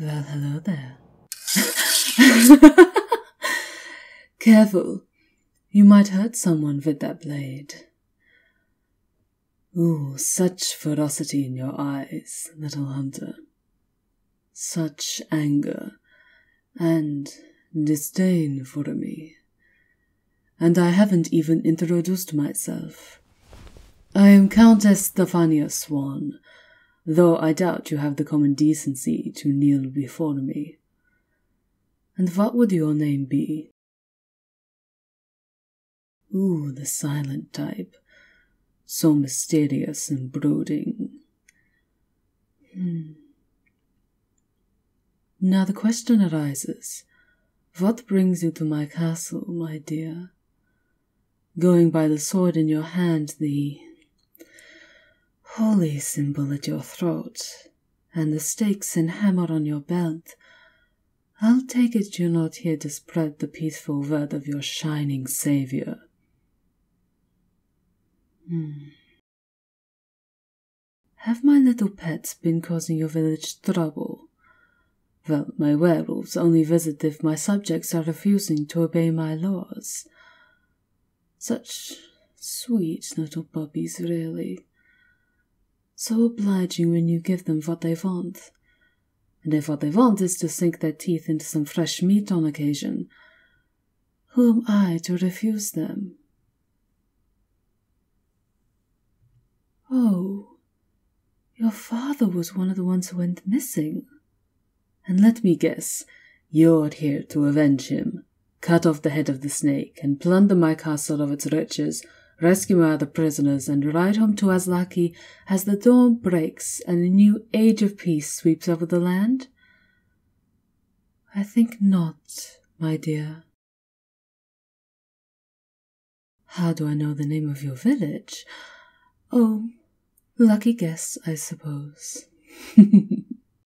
Well, hello there. Careful. You might hurt someone with that blade. Ooh, such ferocity in your eyes, little hunter such anger and disdain for me. And I haven't even introduced myself. I am Countess Stefania Swan, though I doubt you have the common decency to kneel before me. And what would your name be? Ooh, the silent type, so mysterious and brooding. Hmm. Now the question arises What brings you to my castle, my dear? Going by the sword in your hand, the holy symbol at your throat, and the stakes and hammer on your belt. I'll take it you're not here to spread the peaceful word of your shining Savior. Hmm. Have my little pets been causing your village trouble? Well, my werewolves only visit if my subjects are refusing to obey my laws. Such sweet little puppies, really. So obliging when you give them what they want, and if what they want is to sink their teeth into some fresh meat on occasion, who am I to refuse them? Oh, your father was one of the ones who went missing. And let me guess, you're here to avenge him. Cut off the head of the snake and plunder my castle of its riches, rescue my other prisoners, and ride home to Aslaki as the dawn breaks and a new age of peace sweeps over the land? I think not, my dear. How do I know the name of your village? Oh, lucky guess, I suppose.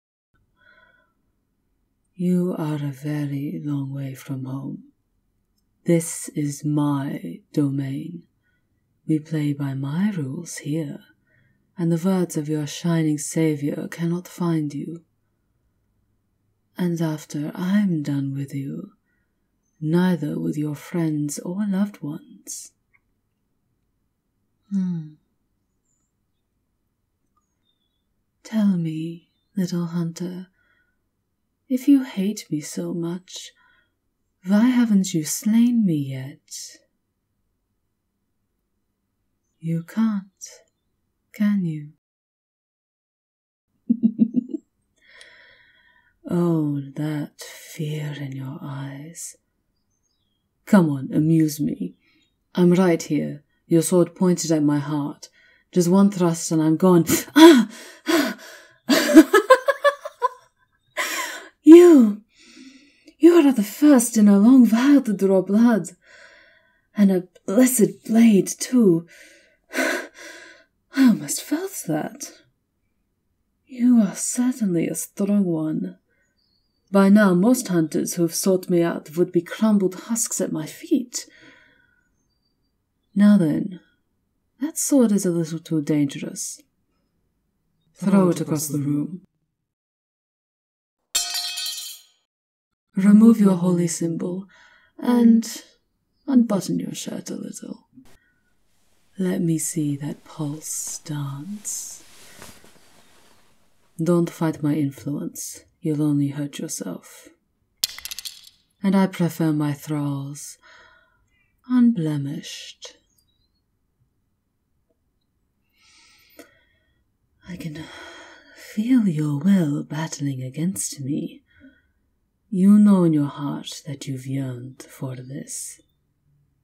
you are a very long way from home. This is my domain. We play by my rules here, and the words of your shining savior cannot find you. And after I'm done with you, neither with your friends or loved ones. Hmm. Tell me, little hunter, if you hate me so much, why haven't you slain me yet? You can't, can you? oh, that fear in your eyes. Come on, amuse me. I'm right here, your sword pointed at my heart. Just one thrust and I'm gone. Ah! ah! You! You are the first in a long while to draw blood. And a blessed blade, too. I almost felt that. You are certainly a strong one. By now, most hunters who have sought me out would be crumbled husks at my feet. Now then, that sword is a little too dangerous. Throw it across the room. Remove your holy symbol and unbutton your shirt a little. Let me see that pulse dance. Don't fight my influence, you'll only hurt yourself. And I prefer my thralls unblemished I can feel your will battling against me. You know in your heart that you've yearned for this.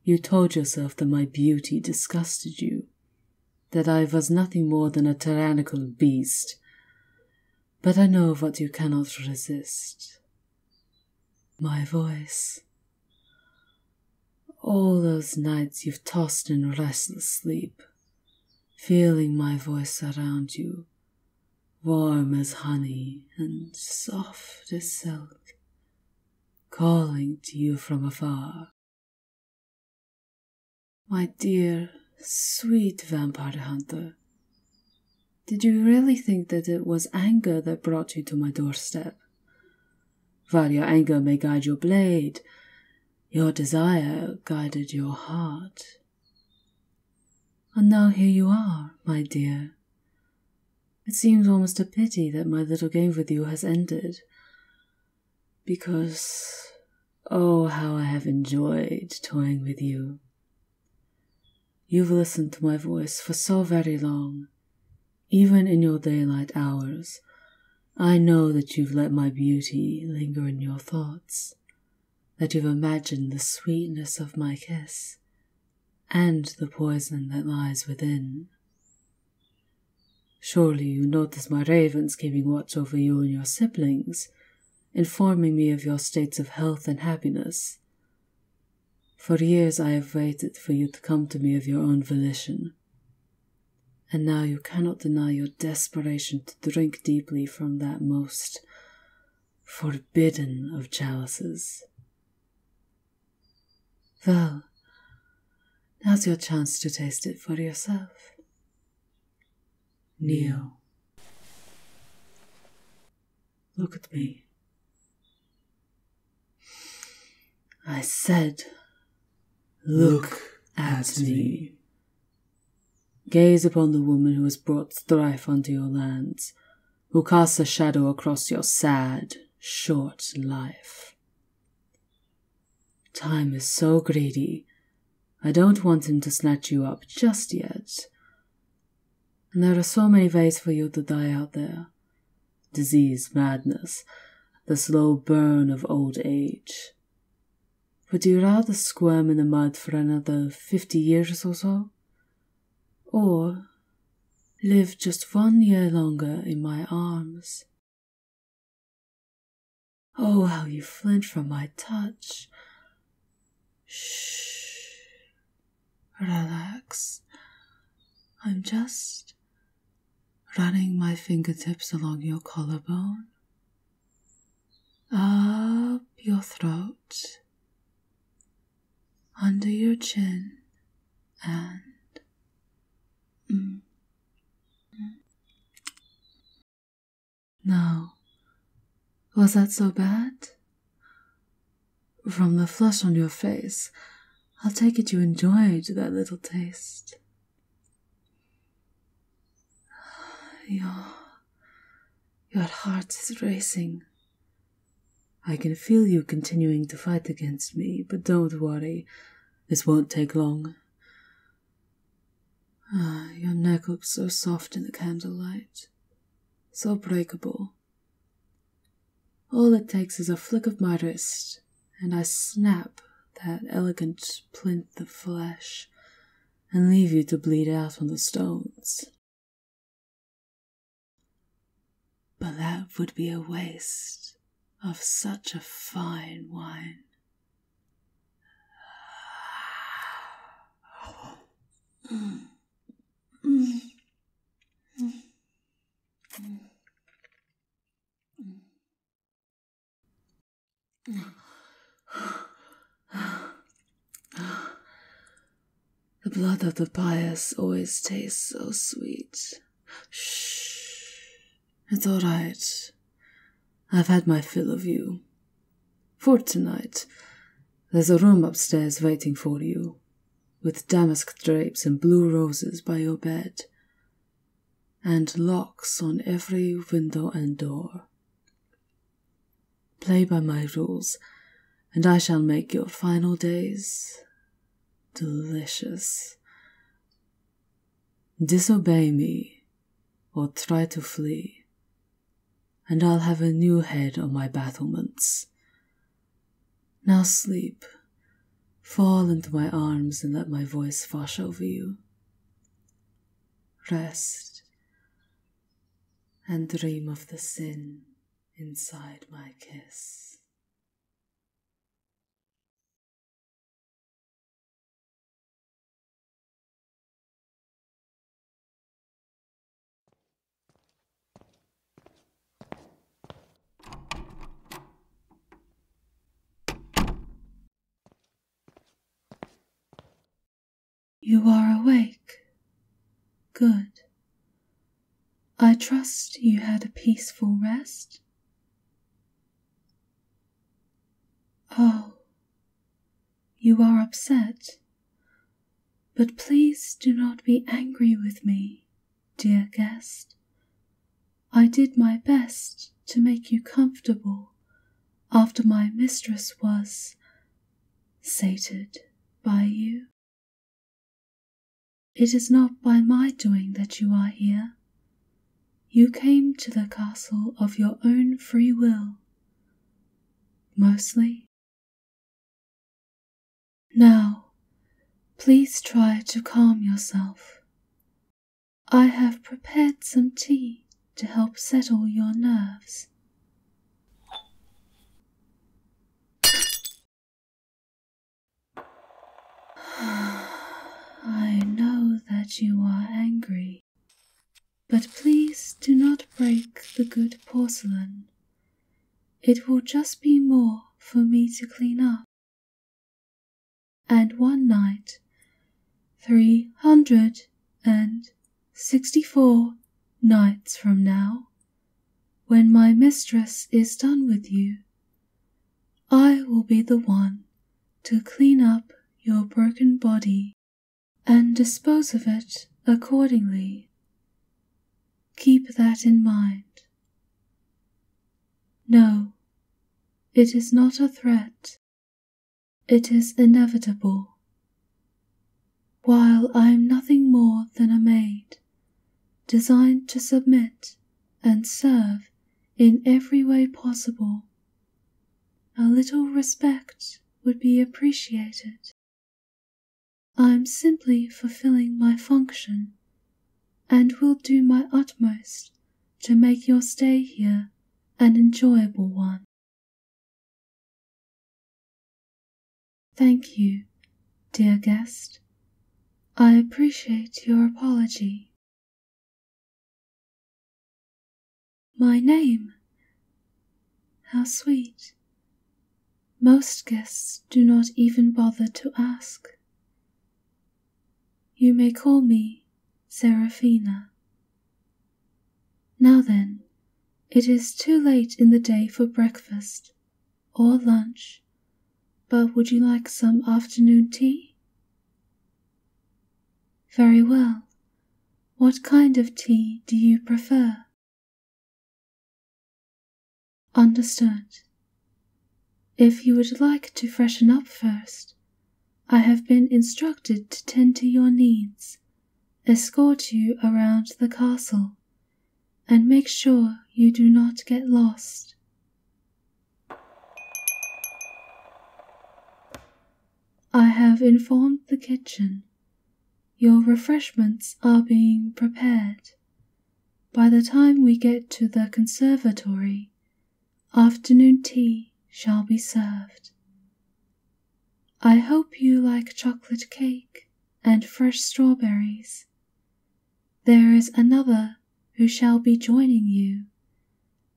You told yourself that my beauty disgusted you, that I was nothing more than a tyrannical beast. But I know what you cannot resist. My voice. All those nights you've tossed in restless sleep, feeling my voice around you, warm as honey and soft as silk, calling to you from afar. My dear, sweet vampire hunter, did you really think that it was anger that brought you to my doorstep? While your anger may guide your blade, your desire guided your heart. And now here you are, my dear. It seems almost a pity that my little game with you has ended. Because, oh, how I have enjoyed toying with you. You've listened to my voice for so very long, even in your daylight hours. I know that you've let my beauty linger in your thoughts, that you've imagined the sweetness of my kiss and the poison that lies within. Surely you notice my ravens keeping watch over you and your siblings, informing me of your states of health and happiness. For years I have waited for you to come to me of your own volition. And now you cannot deny your desperation to drink deeply from that most forbidden of chalices. Well, now's your chance to taste it for yourself. Neo. Look at me. I said, Look, at, me. Gaze upon the woman who has brought strife unto your lands, who casts a shadow across your sad, short life. Time is so greedy. I don't want him to snatch you up just yet. And there are so many ways for you to die out there disease, madness, the slow burn of old age. Would you rather squirm in the mud for another fifty years or so? Or live just one year longer in my arms? Oh, how you flinch from my touch. Shh. Relax. I'm just running my fingertips along your collarbone, up your throat, under your chin, and mm. Now, was that so bad? From the flush on your face, I'll take it you enjoyed that little taste. Your, your heart is racing. I can feel you continuing to fight against me, but don't worry, this won't take long. Ah, your neck looks so soft in the candlelight, so breakable. All it takes is a flick of my wrist, and I snap that elegant plinth of flesh and leave you to bleed out on the stones. But that would be a waste of such a fine wine. The blood of the pious always tastes so sweet. Shh. It's all right. I've had my fill of you. For tonight, there's a room upstairs waiting for you with damask drapes and blue roses by your bed, and locks on every window and door. Play by my rules, and I shall make your final days delicious. Disobey me or try to flee, and I'll have a new head on my battlements now sleep. Fall into my arms and let my voice wash over you. Rest and dream of the sin inside my kiss. You are awake. Good. I trust you had a peaceful rest. Oh, you are upset, but please do not be angry with me dear guest. I did my best to make you comfortable after my mistress was sated by you. It is not by my doing that you are here. You came to the castle of your own free will, mostly now, please try to calm yourself. I have prepared some tea to help settle your nerves. I know that you are angry, but please do not break the good porcelain. It will just be more for me to clean up and one night, three hundred and sixty four nights from now, when my mistress is done with you, I will be the one to clean up your broken body and dispose of it accordingly. Keep that in mind. No, it is not a threat. It is inevitable. While I am nothing more than a maid, designed to submit and serve in every way possible, a little respect would be appreciated. I am simply fulfilling my function and will do my utmost to make your stay here an enjoyable one. Thank you, dear guest. I appreciate your apology. My name. How sweet. Most guests do not even bother to ask. You may call me Seraphina. Now then, it is too late in the day for breakfast or lunch, but would you like some afternoon tea? Very well. What kind of tea do you prefer? Understood. If you would like to freshen up first, I have been instructed to tend to your needs, escort you around the castle, and make sure you do not get lost. I have informed the kitchen. Your refreshments are being prepared, by the time we get to the conservatory, afternoon tea shall be served. I hope you like chocolate cake and fresh strawberries. There is another who shall be joining you,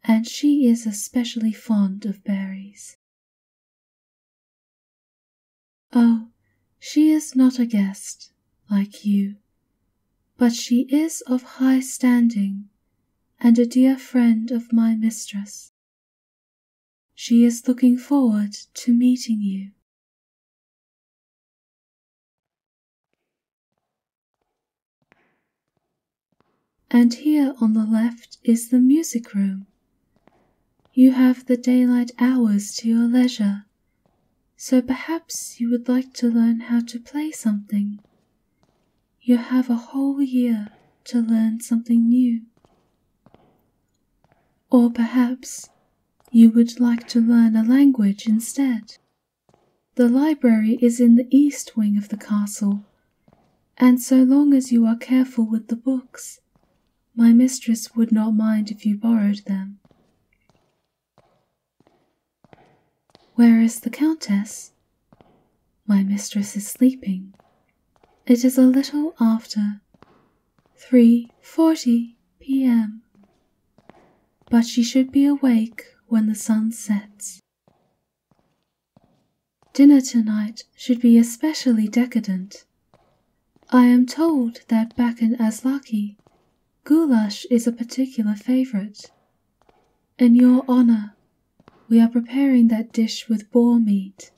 and she is especially fond of berries. Oh, she is not a guest, like you, but she is of high standing and a dear friend of my mistress. She is looking forward to meeting you. And here on the left is the music room. You have the daylight hours to your leisure so perhaps you would like to learn how to play something. You have a whole year to learn something new. Or perhaps you would like to learn a language instead. The library is in the east wing of the castle, and so long as you are careful with the books, my mistress would not mind if you borrowed them. Where is the Countess? My mistress is sleeping. It is a little after three forty p.m. But she should be awake when the sun sets. Dinner tonight should be especially decadent. I am told that back in Aslaki Goulash is a particular favourite. In your honour, we are preparing that dish with boar meat,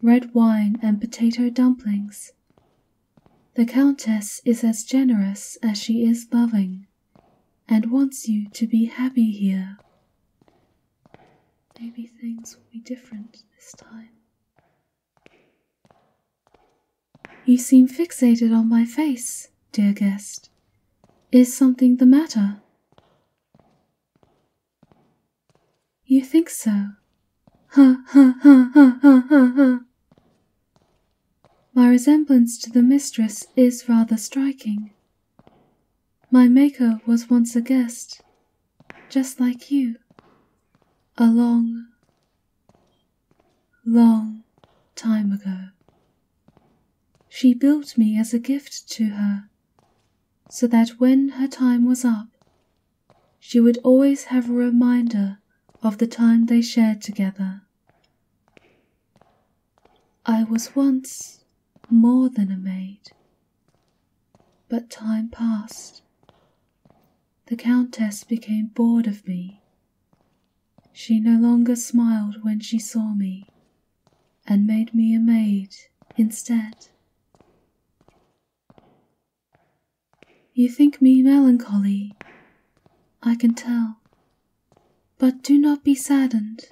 red wine, and potato dumplings. The Countess is as generous as she is loving, and wants you to be happy here. Maybe things will be different this time. You seem fixated on my face, dear guest. Is something the matter? You think so? Ha ha ha ha ha ha ha. My resemblance to the mistress is rather striking. My maker was once a guest, just like you. A long, long time ago. She built me as a gift to her, so that when her time was up, she would always have a reminder of the time they shared together. I was once more than a maid, but time passed. The Countess became bored of me she no longer smiled when she saw me, and made me a maid instead. You think me melancholy, I can tell, but do not be saddened.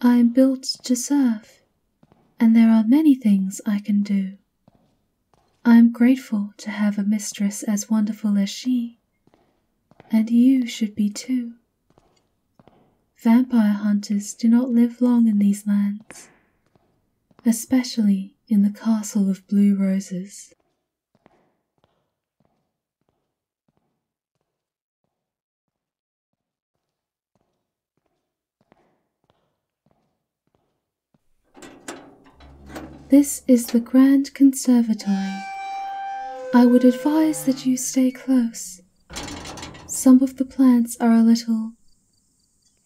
I am built to serve, and there are many things I can do. I am grateful to have a mistress as wonderful as she and you should be too. Vampire hunters do not live long in these lands, especially in the Castle of Blue Roses. This is the Grand Conservatory. I would advise that you stay close. Some of the plants are a little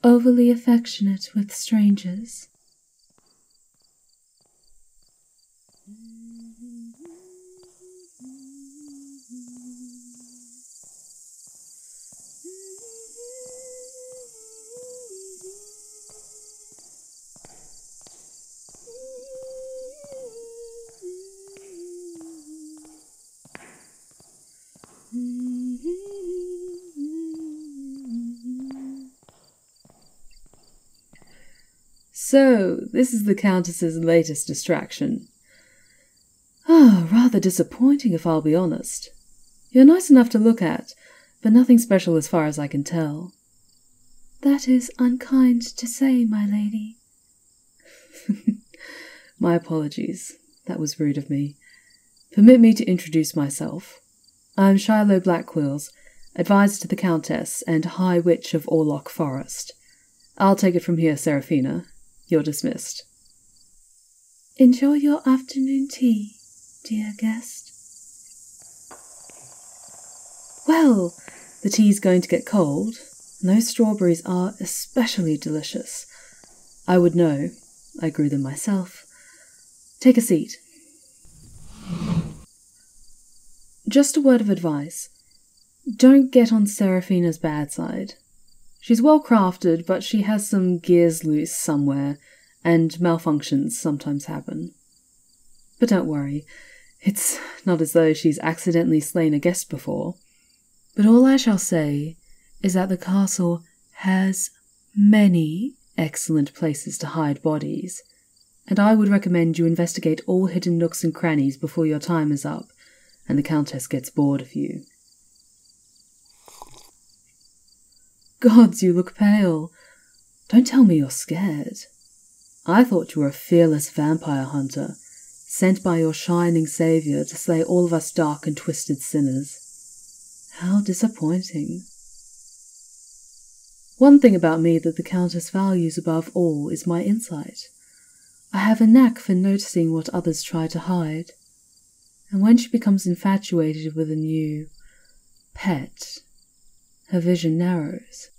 overly affectionate with strangers. So, this is the Countess's latest distraction. Ah, rather disappointing, if I'll be honest. You're nice enough to look at, but nothing special as far as I can tell. That is unkind to say, my lady. my apologies. That was rude of me. Permit me to introduce myself. I am Shiloh Blackwills, advisor to the Countess and High Witch of Orlock Forest. I'll take it from here, Seraphina. You're dismissed. Enjoy your afternoon tea, dear guest, well, the tea's going to get cold, those strawberries are especially delicious. I would know, I grew them myself. Take a seat. Just a word of advice don't get on Seraphina's bad side. She's well crafted, but she has some gears loose somewhere, and malfunctions sometimes happen. But don't worry, it's not as though she's accidentally slain a guest before. But all I shall say is that the castle has many excellent places to hide bodies, and I would recommend you investigate all hidden nooks and crannies before your time is up and the Countess gets bored of you. Gods, you look pale. Don't tell me you're scared. I thought you were a fearless vampire hunter, sent by your shining savior to slay all of us dark and twisted sinners. How disappointing. One thing about me that the Countess values above all is my insight. I have a knack for noticing what others try to hide. And when she becomes infatuated with a new, pet, her vision narrows.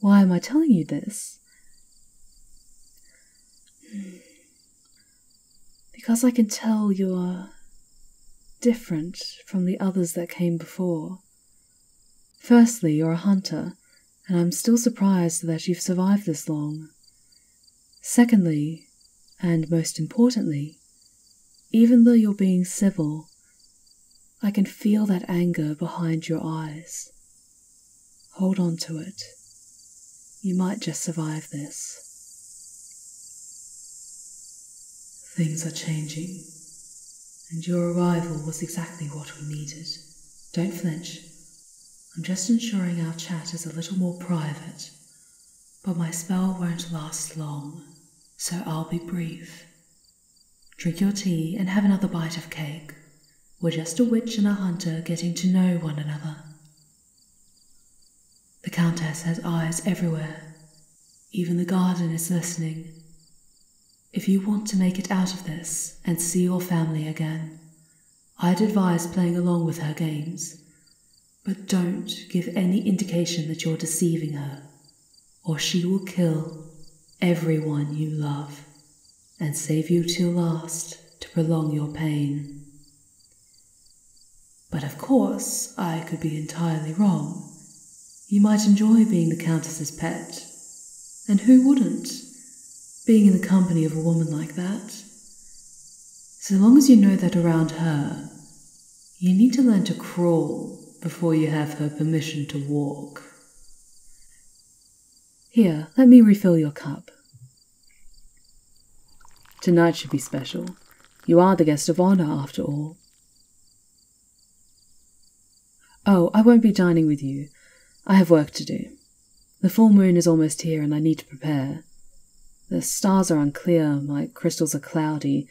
Why am I telling you this? Hmm. Because I can tell you're different from the others that came before. Firstly, you're a hunter, and I'm still surprised that you've survived this long. Secondly, and most importantly, even though you're being civil, I can feel that anger behind your eyes. Hold on to it. You might just survive this. Things are changing, and your arrival was exactly what we needed. Don't flinch. I'm just ensuring our chat is a little more private, but my spell won't last long so I'll be brief. Drink your tea and have another bite of cake. We're just a witch and a hunter getting to know one another. The Countess has eyes everywhere. Even the garden is listening. If you want to make it out of this and see your family again, I'd advise playing along with her games. But don't give any indication that you're deceiving her or she will kill everyone you love and save you till last to prolong your pain. But of course, I could be entirely wrong. You might enjoy being the Countess's pet, and who wouldn't, being in the company of a woman like that? So long as you know that around her, you need to learn to crawl before you have her permission to walk. Here, let me refill your cup. Tonight should be special. You are the guest of honor, after all. Oh, I won't be dining with you. I have work to do. The full moon is almost here and I need to prepare. The stars are unclear, my crystals are cloudy,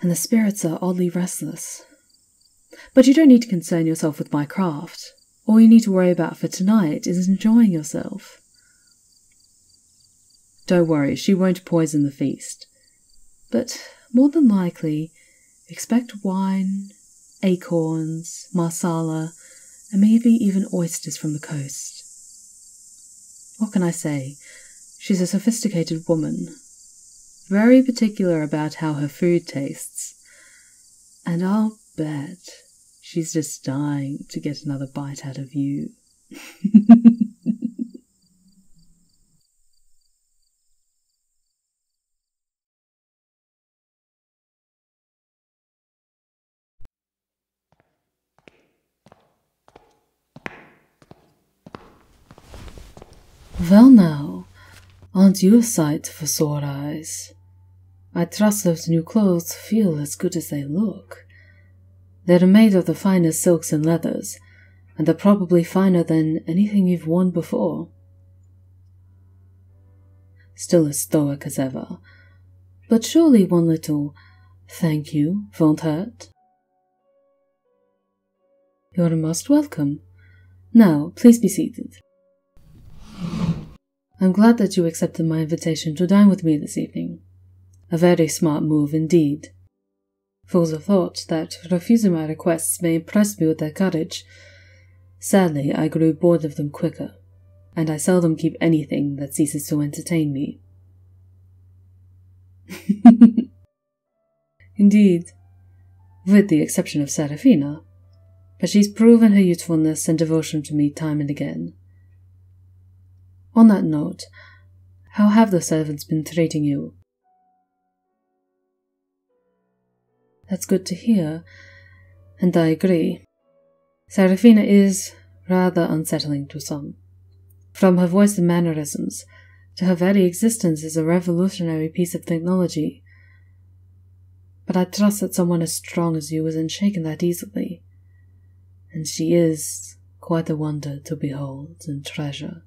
and the spirits are oddly restless. But you don't need to concern yourself with my craft. All you need to worry about for tonight is enjoying yourself. Don't worry, she won't poison the feast. But more than likely, expect wine, acorns, marsala, and maybe even oysters from the coast. What can I say? She's a sophisticated woman, very particular about how her food tastes. And I'll bet she's just dying to get another bite out of you. Well now, aren't you a sight for sore eyes? I trust those new clothes feel as good as they look. They're made of the finest silks and leathers, and they are probably finer than anything you've worn before. Still as stoic as ever, but surely one little thank you won't hurt. You're most welcome. Now, please be seated. I'm glad that you accepted my invitation to dine with me this evening. A very smart move indeed. Fools have thought that refusing my requests may impress me with their courage. Sadly, I grew bored of them quicker, and I seldom keep anything that ceases to entertain me. Indeed, with the exception of Serafina, but she's proven her usefulness and devotion to me time and again. On that note, how have the servants been treating you? That's good to hear, and I agree. Serafina is rather unsettling to some. From her voice and mannerisms to her very existence is a revolutionary piece of technology. But I trust that someone as strong as you isn't shaken that easily. And she is quite a wonder to behold and treasure.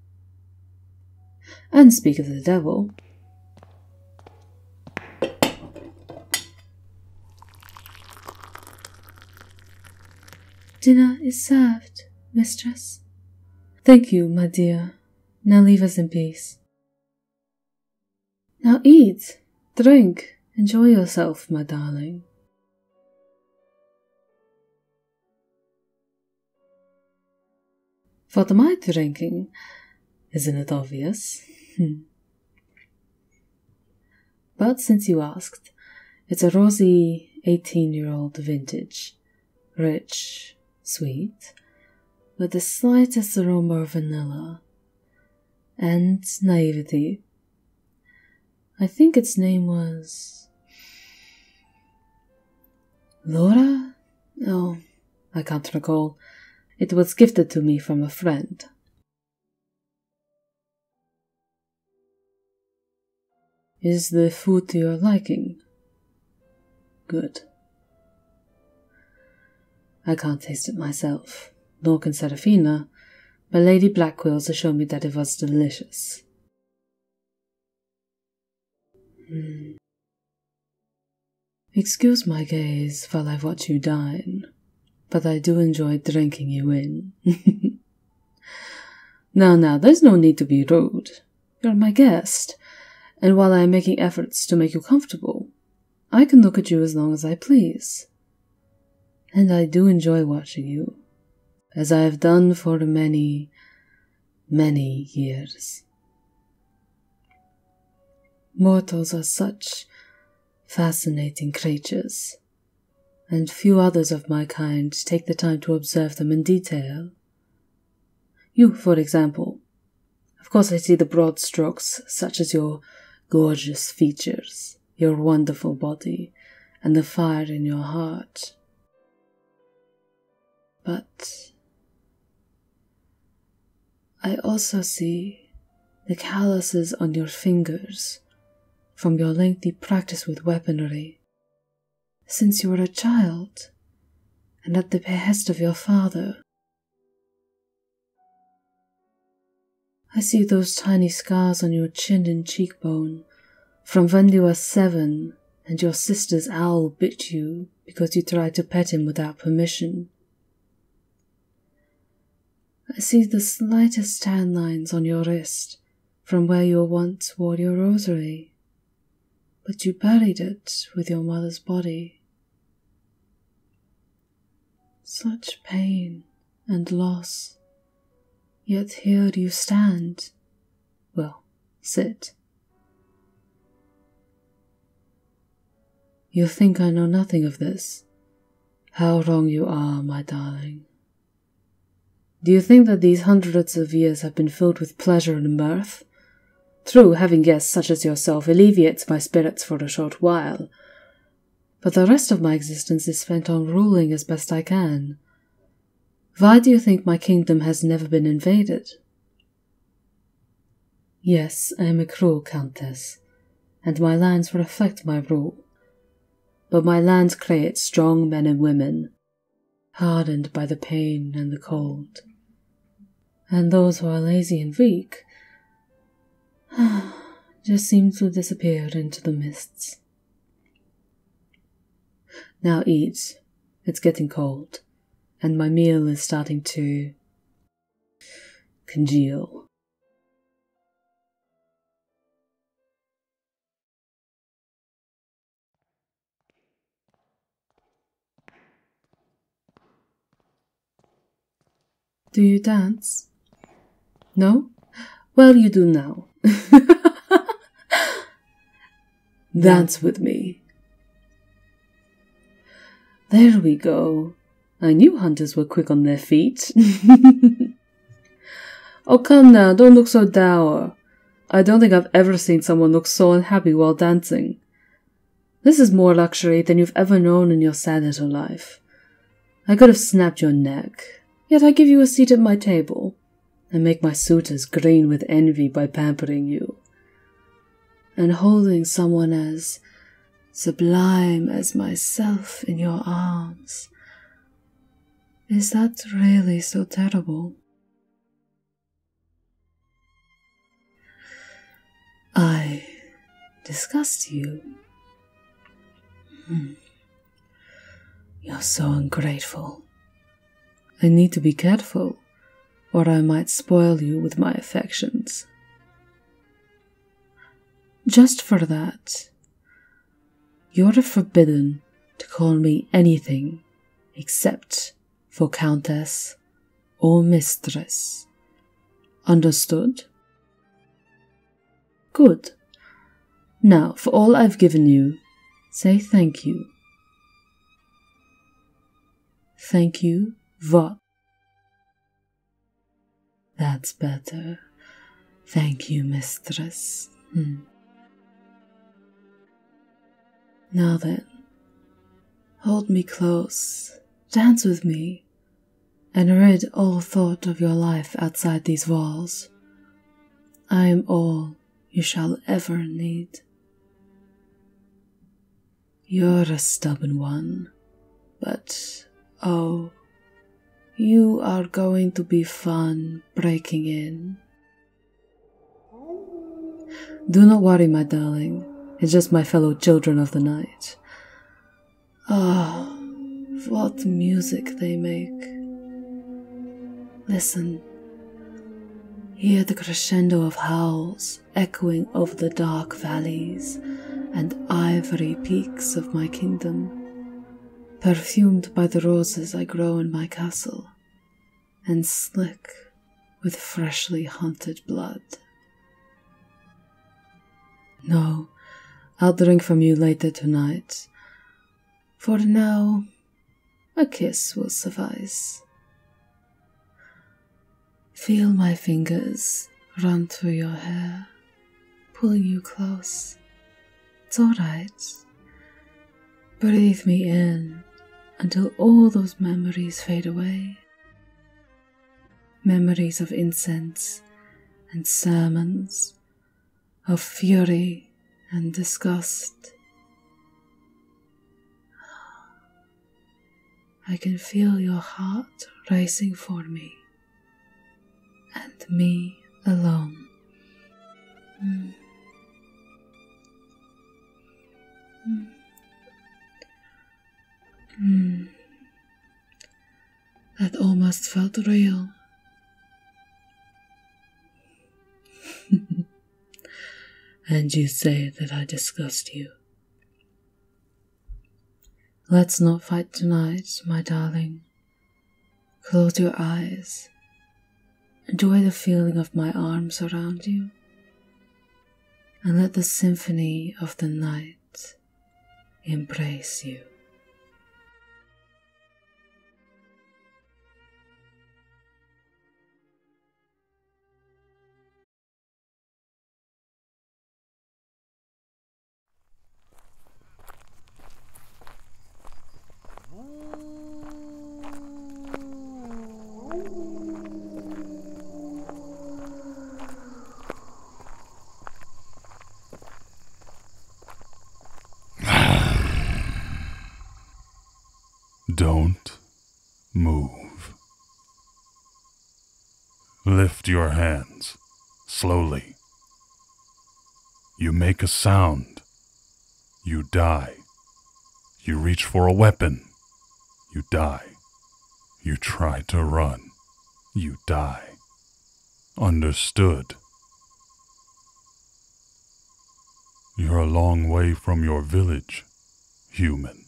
And speak of the devil. Dinner is served, mistress, Thank you, my dear. Now leave us in peace. Now eat, drink, enjoy yourself, my darling. What am I drinking? Isn't it obvious? Hmm. but since you asked, it's a rosy 18 year old vintage, rich, sweet, with the slightest aroma of vanilla and naivety. I think its name was. Laura? no, I can't recall. It was gifted to me from a friend. Is the food to your liking? Good. I can't taste it myself, nor can Seraphina, but Lady Blackwills assured me that it was delicious. Hmm. Excuse my gaze while I watch you dine, but I do enjoy drinking you in. now, now, there's no need to be rude. You're my guest, and while I am making efforts to make you comfortable, I can look at you as long as I please. And I do enjoy watching you, as I have done for many, many years. Mortals are such fascinating creatures, and few others of my kind take the time to observe them in detail you, for example. Of course, I see the broad strokes, such as your gorgeous features, your wonderful body, and the fire in your heart. But I also see the calluses on your fingers from your lengthy practice with weaponry since you were a child and at the behest of your father. I see those tiny scars on your chin and cheekbone from when you were seven and your sister's owl bit you because you tried to pet him without permission. I see the slightest tan lines on your wrist from where you once wore your rosary, but you buried it with your mother's body. Such pain and loss, yet here do you stand, well, sit. You think I know nothing of this. How wrong you are, my darling. Do you think that these hundreds of years have been filled with pleasure and mirth? True, having guests such as yourself alleviates my spirits for a short while, but the rest of my existence is spent on ruling as best I can. Why do you think my kingdom has never been invaded? Yes, I am a cruel countess, and my lands reflect my rule. But my land creates strong men and women hardened by the pain and the cold. And those who are lazy and weak just seem to disappear into the mists. Now eat. It's getting cold, and my meal is starting to congeal. Do you dance? No? Well, you do now. dance with me. There we go. I knew hunters were quick on their feet. oh, come now, don't look so dour. I don't think I've ever seen someone look so unhappy while dancing. This is more luxury than you've ever known in your sad little life. I could have snapped your neck, yet I give you a seat at my table, and make my suitors green with envy by pampering you. And holding someone as sublime as myself in your arms. Is that really so terrible? I disgust you. Hmm. You're so ungrateful. I need to be careful, or I might spoil you with my affections. Just for that, you're forbidden to call me anything except for countess or mistress. Understood? Good. Now, for all I've given you, say thank you. Thank you, what? That's better. Thank you, mistress. Hmm. Now then, hold me close, dance with me, and rid all thought of your life outside these walls. I am all you shall ever need. You're a stubborn one, but oh, you are going to be fun breaking in do not worry, my darling. It's just my fellow children of the night. Ah, what music they make. Listen. Hear the crescendo of howls echoing over the dark valleys and ivory peaks of my kingdom, perfumed by the roses I grow in my castle and slick with freshly hunted blood. No, I'll drink from you later tonight. For now, a kiss will suffice. Feel my fingers run through your hair, pulling you close. It's alright. Breathe me in until all those memories fade away. Memories of incense and sermons, of fury and disgust. I can feel your heart racing for me and me alone. Mm. Hmm. Hmm. That almost felt real. and you say that I disgust you. Let's not fight tonight, my darling. Close your eyes Enjoy the feeling of my arms around you, and let the symphony of the night embrace you. Don't move. Lift your hands slowly. You make a sound you die. You reach for a weapon. You die. You try to run. You die. Understood. You're a long way from your village, human.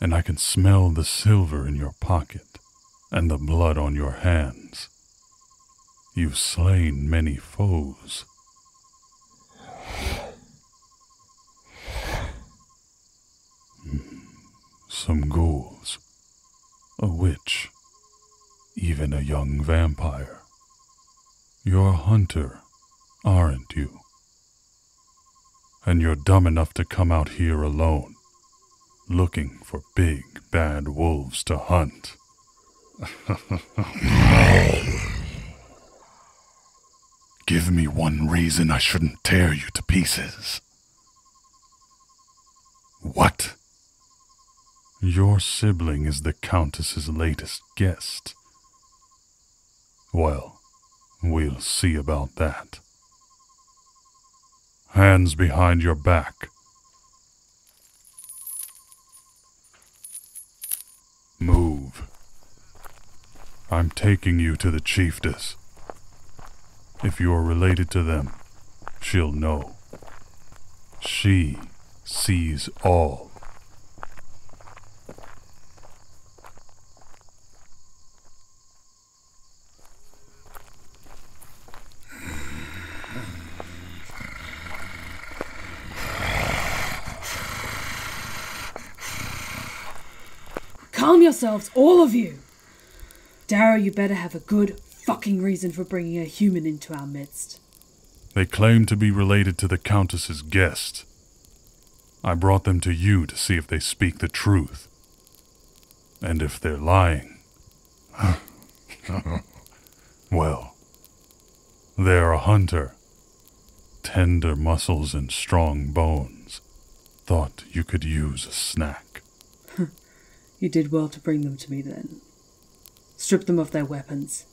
And I can smell the silver in your pocket and the blood on your hands. You've slain many foes. Some ghouls, a witch, even a young vampire. You're a hunter, aren't you? And you're dumb enough to come out here alone, looking for big, bad wolves to hunt. Give me one reason I shouldn't tear you to pieces. What? Your sibling is the Countess's latest guest. Well, we'll see about that. Hands behind your back. Move. I'm taking you to the chiefess. If you're related to them, she'll know. She sees all. Calm yourselves, all of you! Darrow, you better have a good fucking reason for bringing a human into our midst. They claim to be related to the Countess's guests. I brought them to you to see if they speak the truth. And if they're lying. well, they're a hunter. Tender muscles and strong bones. Thought you could use a snack. you did well to bring them to me then. Strip them of their weapons.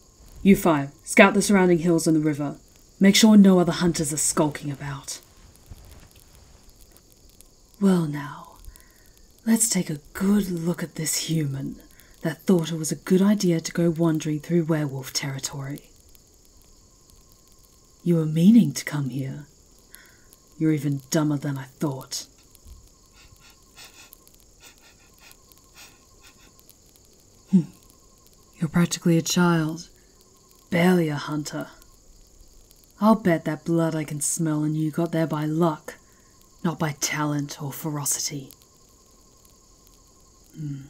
You five, scout the surrounding hills and the river. Make sure no other hunters are skulking about. Well, now, let's take a good look at this human that thought it was a good idea to go wandering through werewolf territory. You were meaning to come here. You're even dumber than I thought. Hmm. You're practically a child, barely a hunter. I'll bet that blood I can smell and you got there by luck, not by talent or ferocity. Hmm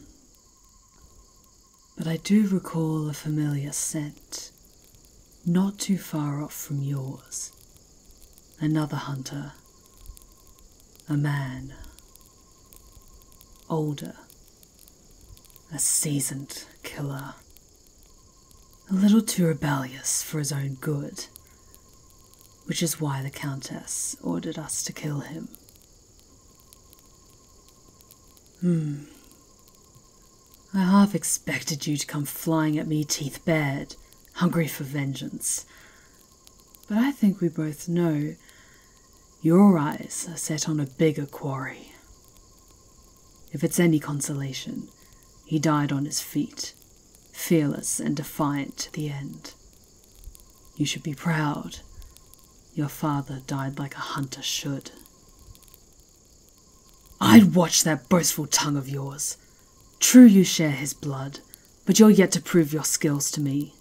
but I do recall a familiar scent, not too far off from yours. Another hunter, a man, older, a seasoned killer, a little too rebellious for his own good. Which is why the Countess ordered us to kill him Hmm. I half expected you to come flying at me teeth bared, hungry for vengeance. But I think we both know your eyes are set on a bigger quarry. If it's any consolation, he died on his feet, fearless and defiant to the end. You should be proud. Your father died like a hunter should. I'd watch that boastful tongue of yours. True, you share his blood, but you're yet to prove your skills to me.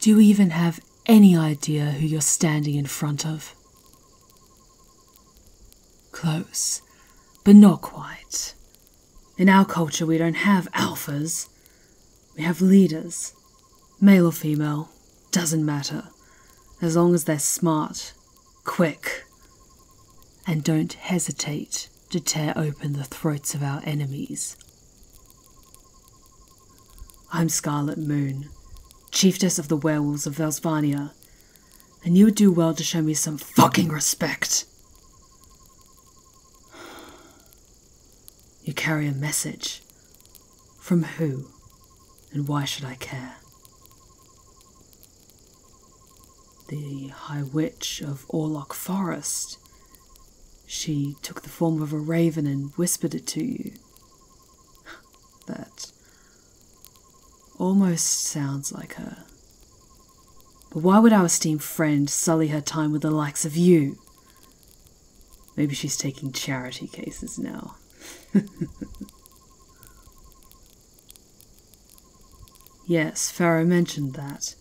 Do you even have any idea who you're standing in front of? Close, but not quite. In our culture, we don't have alphas. We have leaders, male or female, doesn't matter, as long as they're smart, quick, and don't hesitate to tear open the throats of our enemies. I'm Scarlet Moon, Chiefess of the Werewolves of Velsvania, and you would do well to show me some fucking respect. You carry a message. From who, and why should I care? The High Witch of Orlock Forest. She took the form of a raven and whispered it to you. that almost sounds like her. But why would our esteemed friend sully her time with the likes of you? Maybe she's taking charity cases now. yes, Pharaoh mentioned that.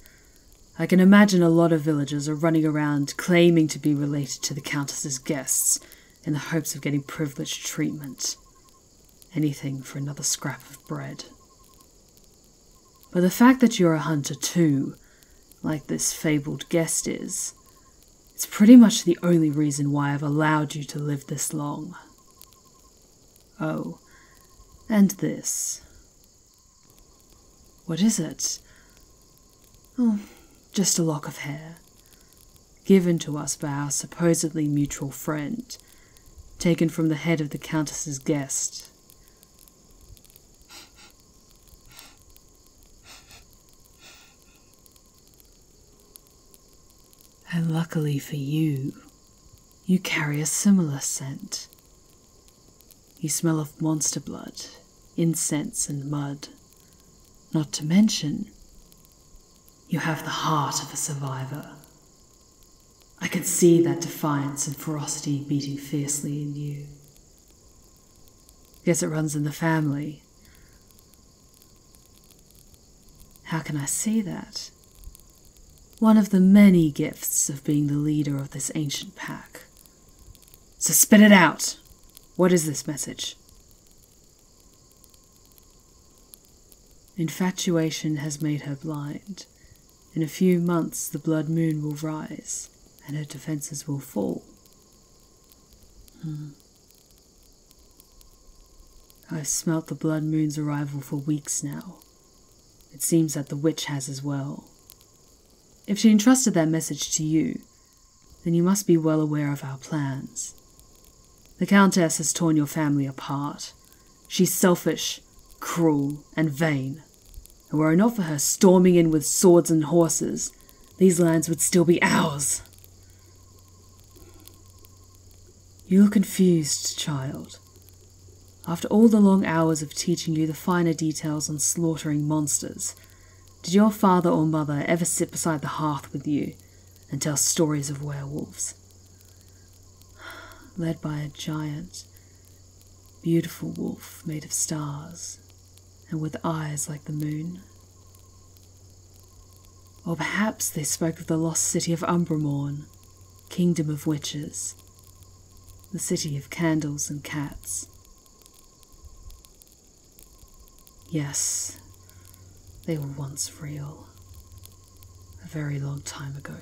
I can imagine a lot of villagers are running around claiming to be related to the Countess's guests in the hopes of getting privileged treatment. Anything for another scrap of bread. But the fact that you're a hunter too like this fabled guest is, it's pretty much the only reason why I've allowed you to live this long. Oh, and this. What is it? Oh, just a lock of hair, given to us by our supposedly mutual friend, taken from the head of the Countess's guest. And luckily for you, you carry a similar scent. You smell of monster blood, incense, and mud. Not to mention, you have the heart of a survivor. I could see that defiance and ferocity beating fiercely in you. Guess it runs in the family. How can I see that? One of the many gifts of being the leader of this ancient pack. So spit it out! What is this message? Infatuation has made her blind. In a few months, the blood moon will rise and her defenses will fall. Hmm. I've smelt the blood moon's arrival for weeks now. It seems that the witch has as well. If she entrusted that message to you, then you must be well aware of our plans. The Countess has torn your family apart. She's selfish, cruel, and vain. Who are enough for her storming in with swords and horses, these lands would still be ours. You are confused, child. After all the long hours of teaching you the finer details on slaughtering monsters, did your father or mother ever sit beside the hearth with you and tell stories of werewolves? Led by a giant, beautiful wolf made of stars and with eyes like the moon. Or perhaps they spoke of the lost city of Umbra Morn, kingdom of witches, the city of candles and cats. Yes, they were once real. A very long time ago.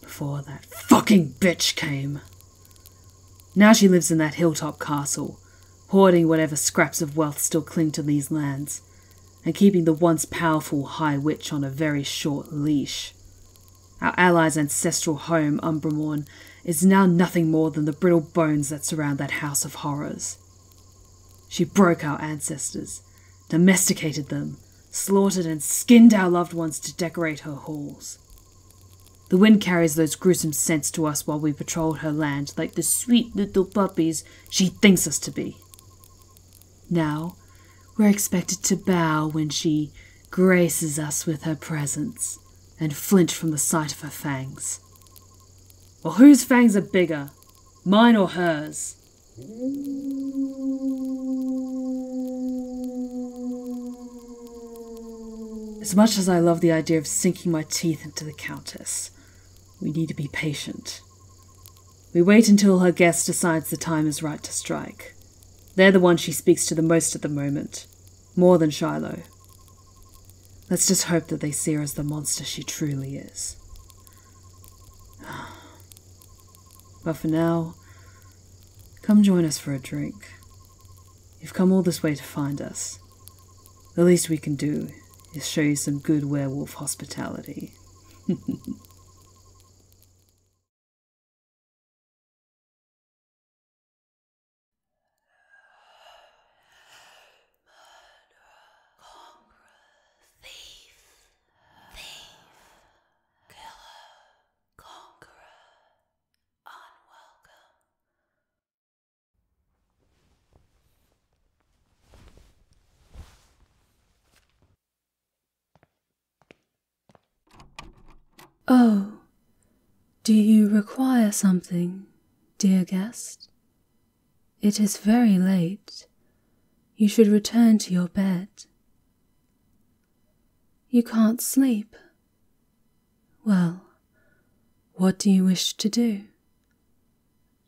Before that fucking bitch came. Now she lives in that hilltop castle, hoarding whatever scraps of wealth still cling to these lands, and keeping the once powerful High Witch on a very short leash. Our allies' ancestral home, Umbramorn, is now nothing more than the brittle bones that surround that house of horrors. She broke our ancestors, domesticated them, slaughtered and skinned our loved ones to decorate her halls. The wind carries those gruesome scents to us while we patrol her land, like the sweet little puppies she thinks us to be. Now, we're expected to bow when she graces us with her presence and flinch from the sight of her fangs. Well, whose fangs are bigger, mine or hers? As much as I love the idea of sinking my teeth into the Countess, we need to be patient. We wait until her guest decides the time is right to strike. They're the ones she speaks to the most at the moment, more than Shiloh. Let's just hope that they see her as the monster she truly is. But for now, come join us for a drink. You've come all this way to find us. The least we can do is show you some good werewolf hospitality. Oh, do you require something, dear guest? It is very late. You should return to your bed. You can't sleep. Well, what do you wish to do?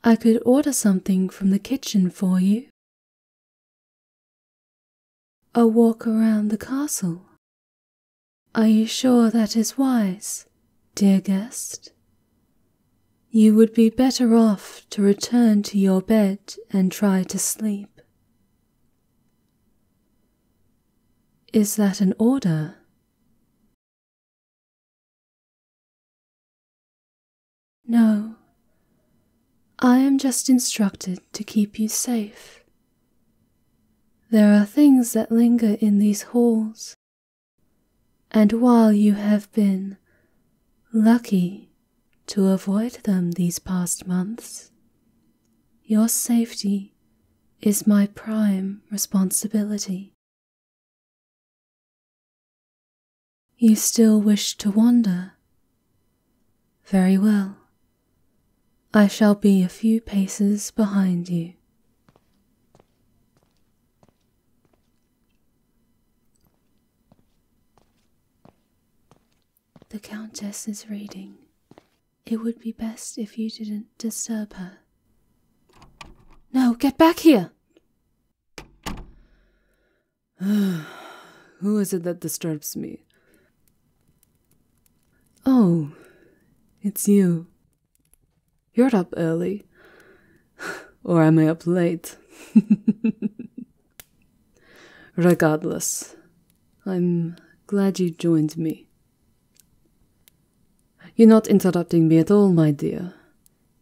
I could order something from the kitchen for you. A walk around the castle. Are you sure that is wise, dear guest? You would be better off to return to your bed and try to sleep. Is that an order no, I am just instructed to keep you safe. There are things that linger in these halls, and while you have been lucky to avoid them these past months, your safety is my prime responsibility. You still wish to wander? Very well. I shall be a few paces behind you. The Countess is reading it would be best if you didn't disturb her. No, get back here! Who is it that disturbs me? Oh, it's you. You're up early. or am I up late? Regardless, I'm glad you joined me. You're not interrupting me at all, my dear.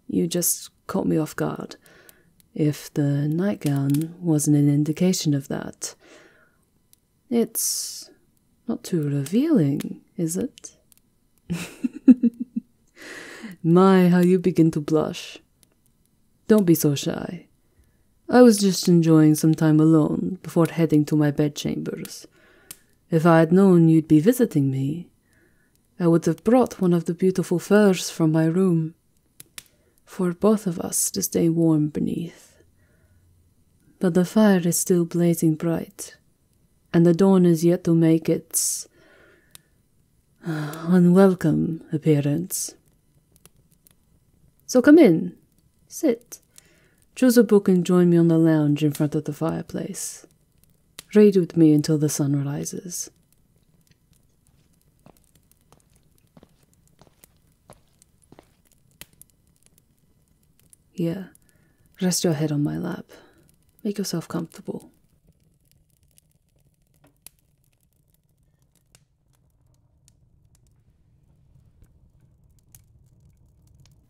You just caught me off guard. If the nightgown wasn't an indication of that. It's not too revealing, is it? my, how you begin to blush. Don't be so shy. I was just enjoying some time alone before heading to my bedchambers. If I had known you'd be visiting me, I would have brought one of the beautiful furs from my room for both of us to stay warm beneath. But the fire is still blazing bright, and the dawn is yet to make its uh, unwelcome appearance. So come in, Sit. Choose a book and join me on the lounge in front of the fireplace. Read with me until the sun rises. Here, rest your head on my lap. Make yourself comfortable.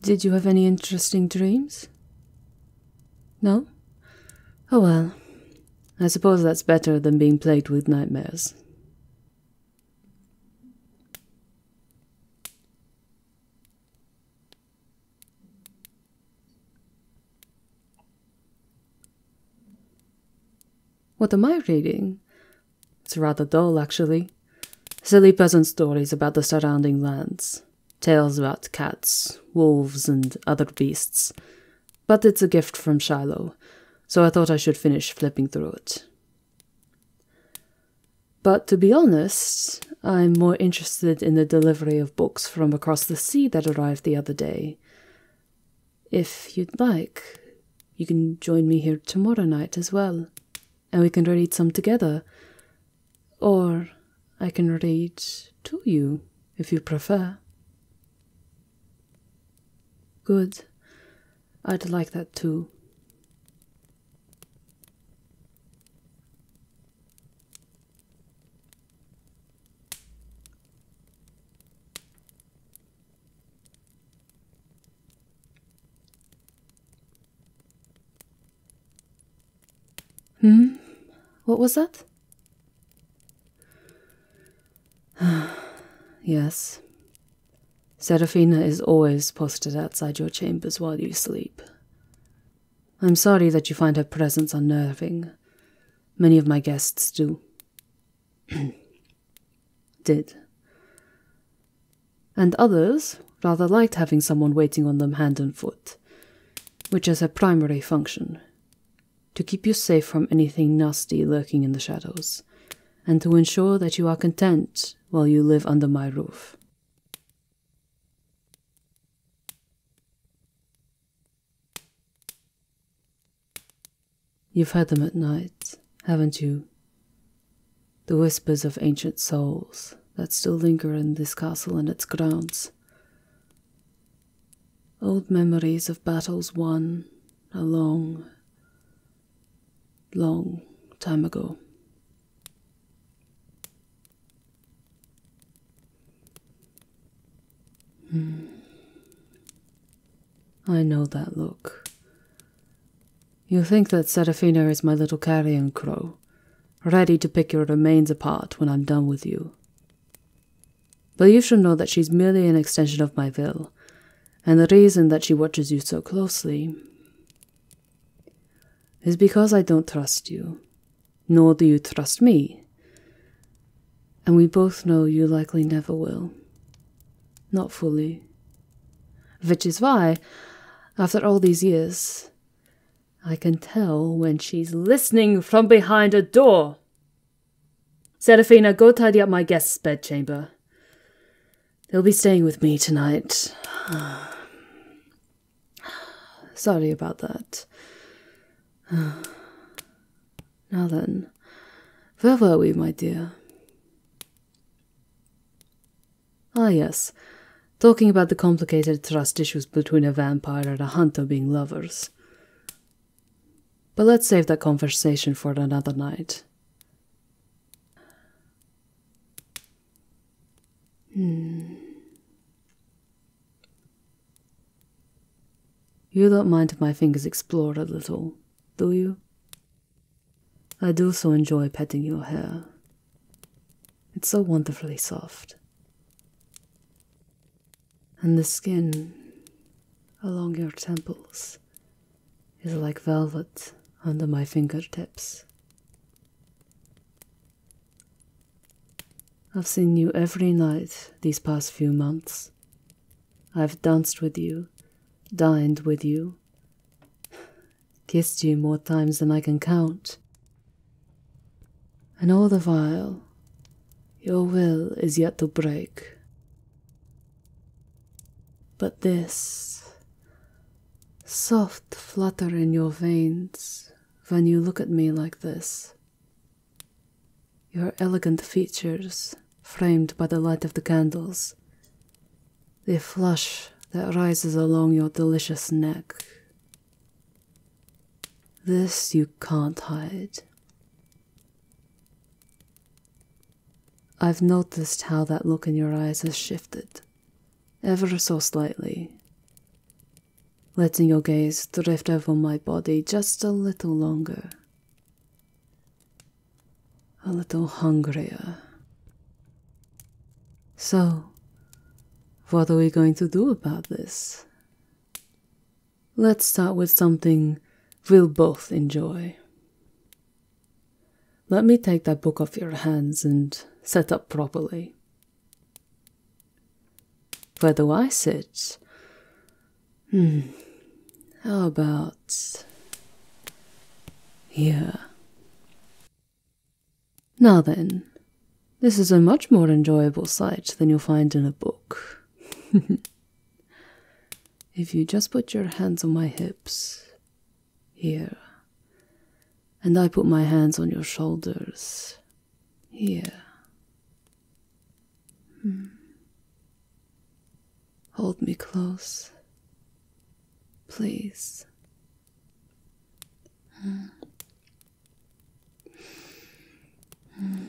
Did you have any interesting dreams? No? Oh well, I suppose that's better than being plagued with nightmares. What am I reading? It's rather dull, actually. Silly peasant stories about the surrounding lands, tales about cats, wolves, and other beasts. But it's a gift from Shiloh, so I thought I should finish flipping through it. But to be honest, I'm more interested in the delivery of books from across the sea that arrived the other day. If you'd like, you can join me here tomorrow night as well and we can read some together. Or I can read to you if you prefer. Good. I'd like that too. Hmm? What was that? yes. Serafina is always posted outside your chambers while you sleep. I'm sorry that you find her presence unnerving. Many of my guests do. Did and others rather liked having someone waiting on them hand and foot, which is her primary function to keep you safe from anything nasty lurking in the shadows, and to ensure that you are content while you live under my roof. You've heard them at night, haven't you? the whispers of ancient souls that still linger in this castle and its grounds. Old memories of battles won a long, long time ago. Hmm. I know that look. You think that Serafina is my little carrion crow, ready to pick your remains apart when I'm done with you. But you should know that she's merely an extension of my will, and the reason that she watches you so closely is because I don't trust you, nor do you trust me. And we both know you likely never will. Not fully. Which is why, after all these years, I can tell when she's listening from behind a door. Serafina, go tidy up my guest's bedchamber. They'll be staying with me tonight. Sorry about that. Now then, where were we, my dear? Ah, yes. Talking about the complicated trust issues between a vampire and a hunter being lovers. But let's save that conversation for another night. Hmm. You don't mind if my fingers explore a little, do you? I do so enjoy petting your hair. It's so wonderfully soft. And the skin along your temples is like velvet under my fingertips. I've seen you every night these past few months. I've danced with you, dined with you, kissed you more times than I can count. And all the while, your will is yet to break. But this soft flutter in your veins when you look at me like this, your elegant features framed by the light of the candles, the flush that rises along your delicious neck this you can't hide. I've noticed how that look in your eyes has shifted, ever so slightly, letting your gaze drift over my body just a little longer, a little hungrier. So, what are we going to do about this? Let's start with something we'll both enjoy. Let me take that book off your hands and set up properly. Where do I sit? Hmm. How about here? Now then, this is a much more enjoyable sight than you'll find in a book. if you just put your hands on my hips, here, and I put my hands on your shoulders, here. Hmm. Hold me close, please. Mm. Mm.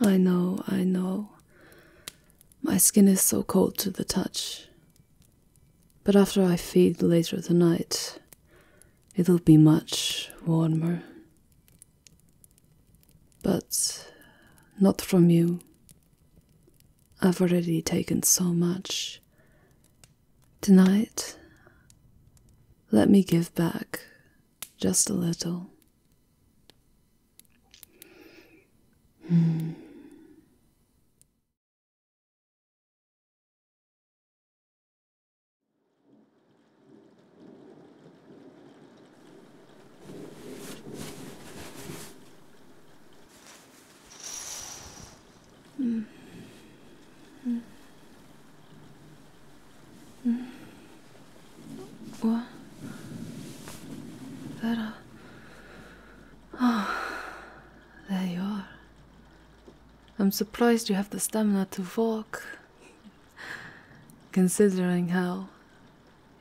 I know, I know. My skin is so cold to the touch. But after I feed later tonight, it'll be much warmer. But not from you. I've already taken so much. Tonight, let me give back just a little. Hmm. Mm. Mm. Mm. What? There are. there you are. I'm surprised you have the stamina to walk, considering how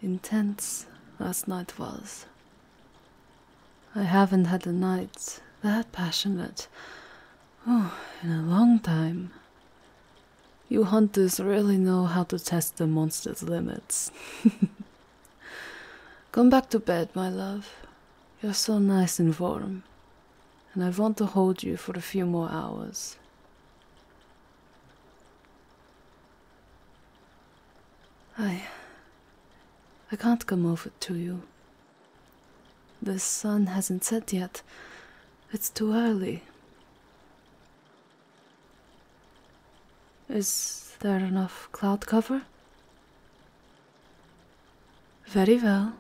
intense last night was. I haven't had a night that passionate oh, in a long time. You hunters really know how to test the monster's limits. Come back to bed, my love. You're so nice and warm, and I want to hold you for a few more hours. I I can't come over to you. The sun hasn't set yet. It's too early. Is there enough cloud cover? Very well.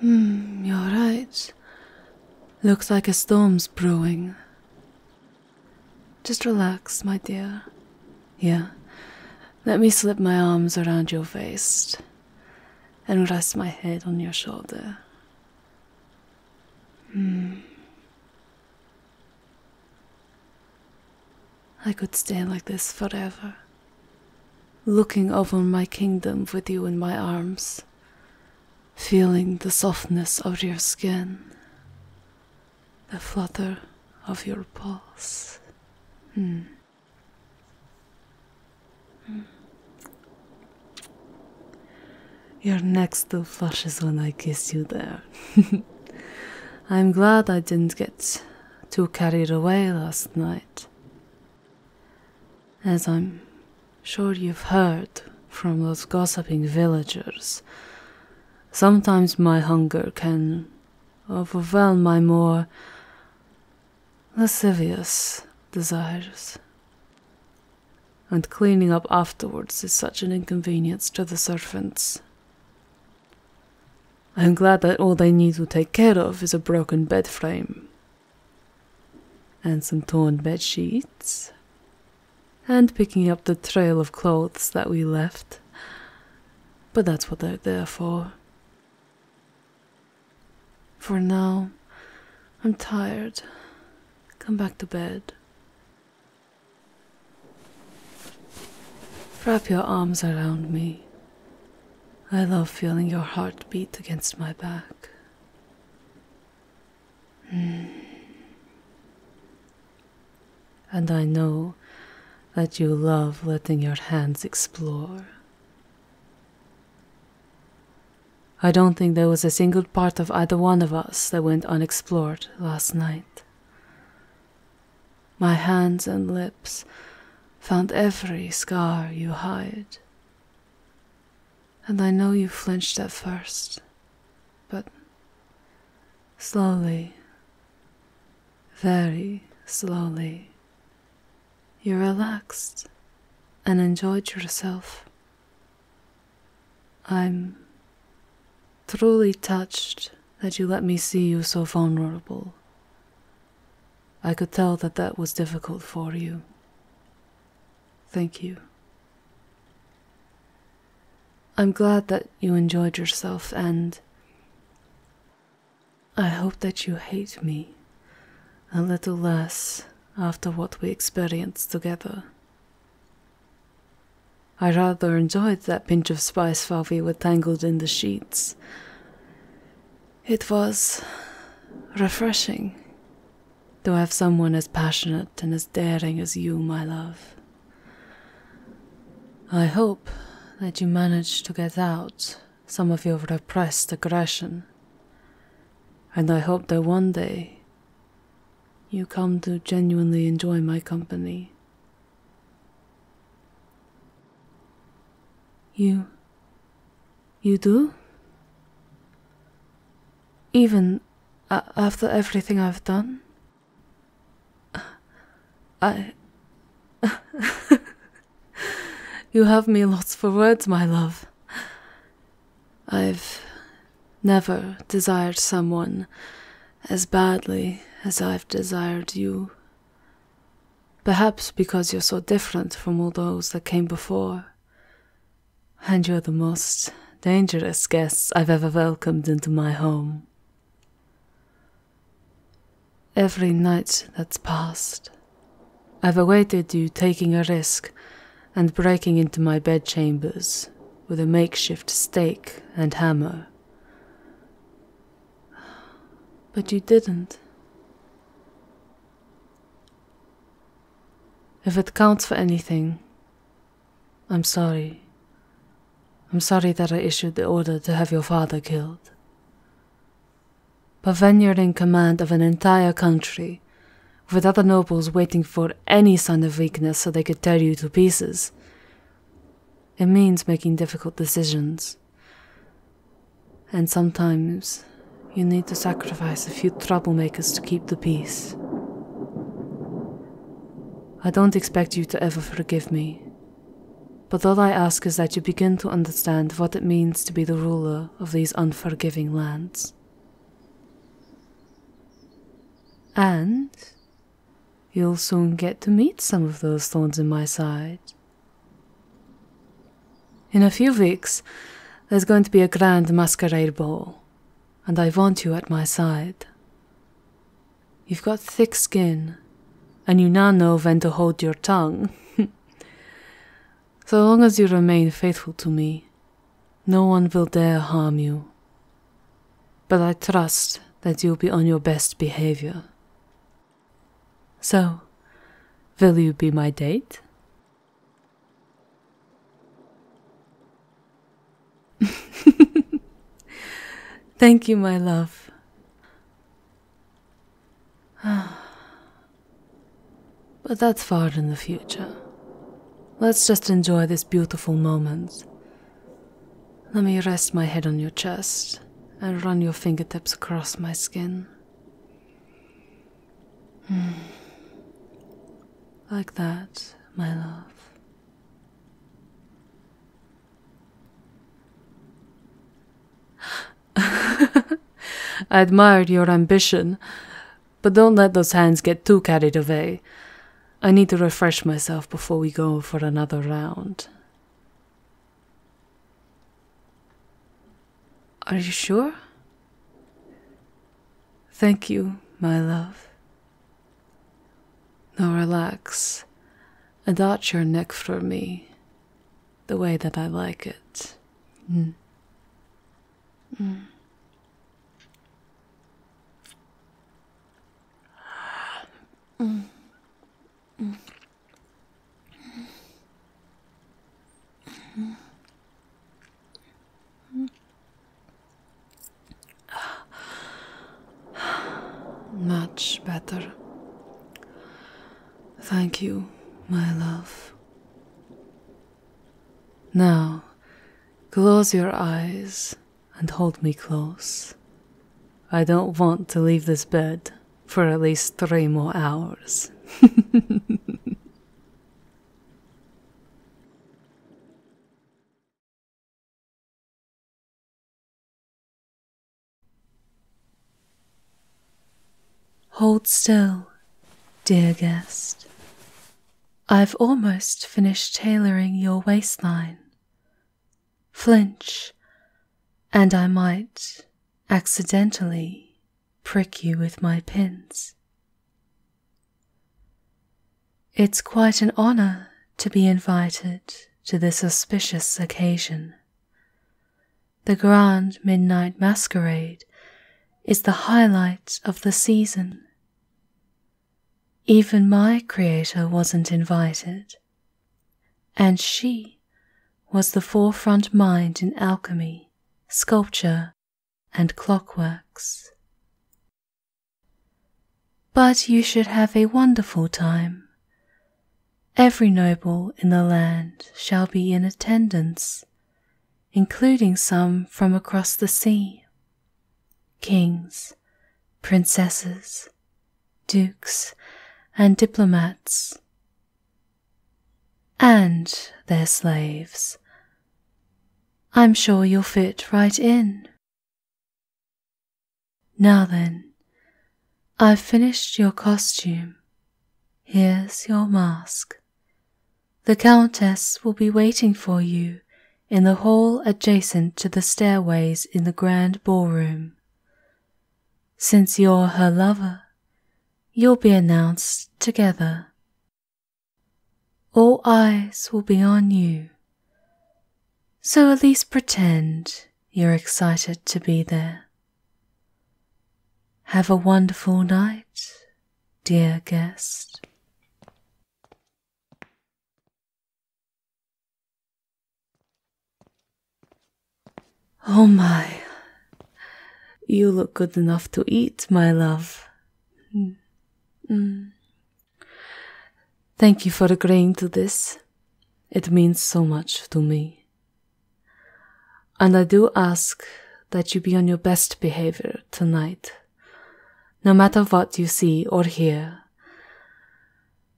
Hmm, you're right. Looks like a storm's brewing. Just relax, my dear. Here, let me slip my arms around your waist and rest my head on your shoulder. Mm. I could stay like this forever, looking over my kingdom with you in my arms, feeling the softness of your skin, the flutter of your pulse. Hmm. Your neck still flushes when I kiss you there. I'm glad I didn't get too carried away last night. As I'm sure you've heard from those gossiping villagers, sometimes my hunger can overwhelm my more lascivious desires. And cleaning up afterwards is such an inconvenience to the servants. I'm glad that all they need to take care of is a broken bed frame and some torn bed sheets, and picking up the trail of clothes that we left. But that's what they're there for. For now, I'm tired. Come back to bed. Wrap your arms around me. I love feeling your heart beat against my back. Hmm. And I know that you love letting your hands explore. I don't think there was a single part of either one of us that went unexplored last night. My hands and lips found every scar you hide and I know you flinched at first, but slowly, very slowly, you relaxed and enjoyed yourself. I'm truly touched that you let me see you so vulnerable. I could tell that that was difficult for you. Thank you. I'm glad that you enjoyed yourself, and I hope that you hate me a little less after what we experienced together. I rather enjoyed that pinch of spice while we were tangled in the sheets. It was refreshing to have someone as passionate and as daring as you, my love. I hope that you manage to get out some of your repressed aggression, and I hope that one day you come to genuinely enjoy my company. You. You do? even after everything I've done? I. you have me lost for words, my love. I've never desired someone as badly as I've desired you. Perhaps because you're so different from all those that came before. And you're the most dangerous guests I've ever welcomed into my home. Every night that's passed, I've awaited you taking a risk and breaking into my bedchambers with a makeshift stake and hammer. But you didn't. If it counts for anything, I'm sorry. I'm sorry that I issued the order to have your father killed. But when you're in command of an entire country, with other nobles waiting for any sign of weakness so they could tear you to pieces, it means making difficult decisions. And sometimes you need to sacrifice a few troublemakers to keep the peace. I don't expect you to ever forgive me, but all I ask is that you begin to understand what it means to be the ruler of these unforgiving lands. And you'll soon get to meet some of those thorns in my side. In a few weeks, there's going to be a grand masquerade ball, and I want you at my side. You've got thick skin, and you now know when to hold your tongue. so long as you remain faithful to me, no one will dare harm you. But I trust that you'll be on your best behavior. So, will you be my date? Thank you, my love. but that's far in the future. Let's just enjoy this beautiful moment. Let me rest my head on your chest and run your fingertips across my skin. Hmm. like that, my love. I admired your ambition, but don't let those hands get too carried away. I need to refresh myself before we go for another round. Are you sure? Thank you, my love. Now relax and arch your neck for me the way that I like it. Mm. Mm. Mm. Much better. Thank you, my love. Now, close your eyes and hold me close. I don't want to leave this bed for at least three more hours. Hold still, dear guest. I've almost finished tailoring your waistline. Flinch, and I might accidentally prick you with my pins. It's quite an honor to be invited to this auspicious occasion. The Grand Midnight Masquerade is the highlight of the season. Even my Creator wasn't invited, and she was the forefront mind in alchemy, sculpture, and clockworks. But you should have a wonderful time. Every noble in the land shall be in attendance, including some from across the sea kings, princesses, dukes, and diplomats, and their slaves. I'm sure you'll fit right in. Now then, I've finished your costume. Here's your mask. The Countess will be waiting for you in the hall adjacent to the stairways in the grand ballroom. Since you're her lover, you'll be announced together. All eyes will be on you. So at least pretend you're excited to be there. Have a wonderful night, dear guest. Oh my, you look good enough to eat, my love. Mm. mm. Thank you for agreeing to this. It means so much to me. And I do ask that you be on your best behavior tonight, no matter what you see or hear.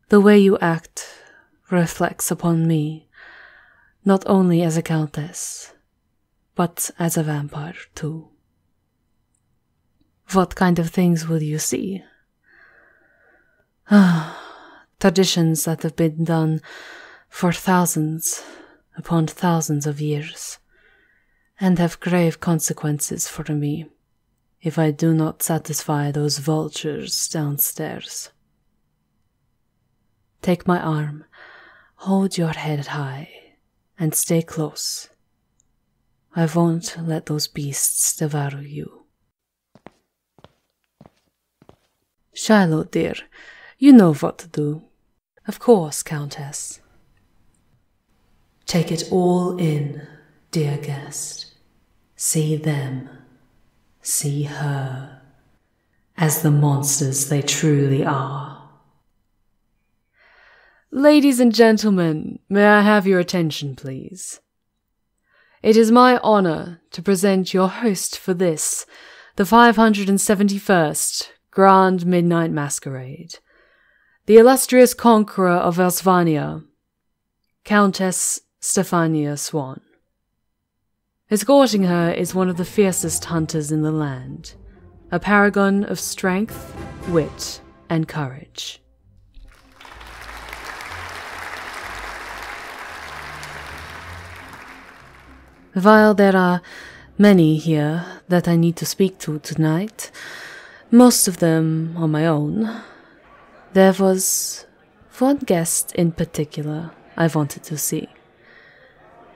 The way you act reflects upon me, not only as a countess, but as a vampire too. What kind of things will you see? Ah, Traditions that have been done for thousands upon thousands of years, and have grave consequences for me if I do not satisfy those vultures downstairs. Take my arm, hold your head high, and stay close I won't let those beasts devour you. Shylo, dear, you know what to do. Of course, Countess. Take it all in, dear guest. See them, see her, as the monsters they truly are. Ladies and gentlemen, may I have your attention, please? It is my honor to present your host for this, the 571st Grand Midnight Masquerade, the illustrious conqueror of Elsvania, Countess Stefania Swan. Escorting her is one of the fiercest hunters in the land, a paragon of strength, wit, and courage. While there are many here that I need to speak to tonight, most of them are my own, there was one guest in particular I wanted to see,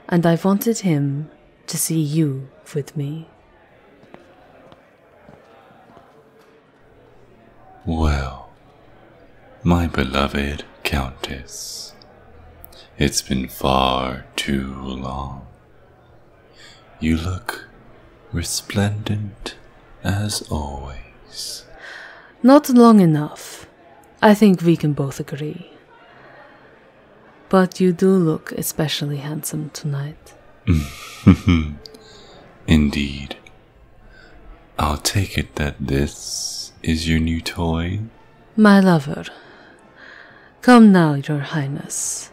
and I wanted him to see you with me. Well, my beloved Countess, it's been far too long. You look resplendent as always. Not long enough. I think we can both agree. But you do look especially handsome tonight. Indeed. I'll take it that this is your new toy? My lover. Come now, your highness.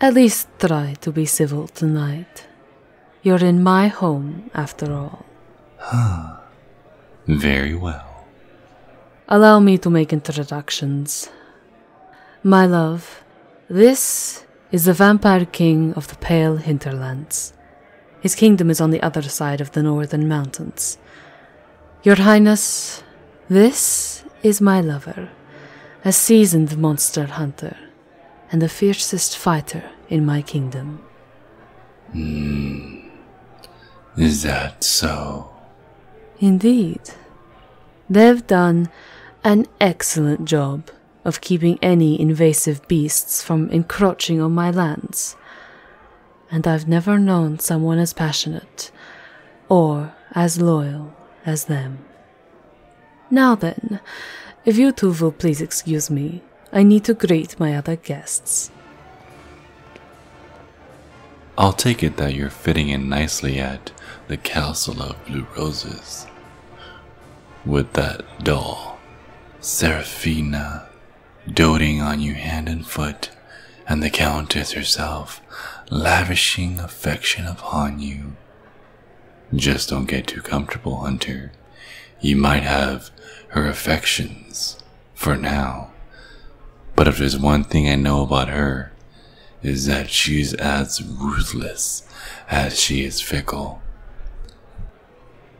At least try to be civil tonight. You're in my home, after all. Huh. Very well. Allow me to make introductions. My love, this is the vampire king of the pale hinterlands. His kingdom is on the other side of the northern mountains. Your Highness, this is my lover, a seasoned monster hunter, and the fiercest fighter in my kingdom. Hmm. Is that so? Indeed. They've done an excellent job of keeping any invasive beasts from encroaching on my lands, and I've never known someone as passionate or as loyal as them. Now then, if you two will please excuse me, I need to greet my other guests. I'll take it that you're fitting in nicely yet the castle of Blue Roses with that doll, Seraphina, doting on you hand and foot, and the Countess herself lavishing affection upon you. Just don't get too comfortable, Hunter. You might have her affections for now. But if there's one thing I know about her, is that she's as ruthless as she is fickle.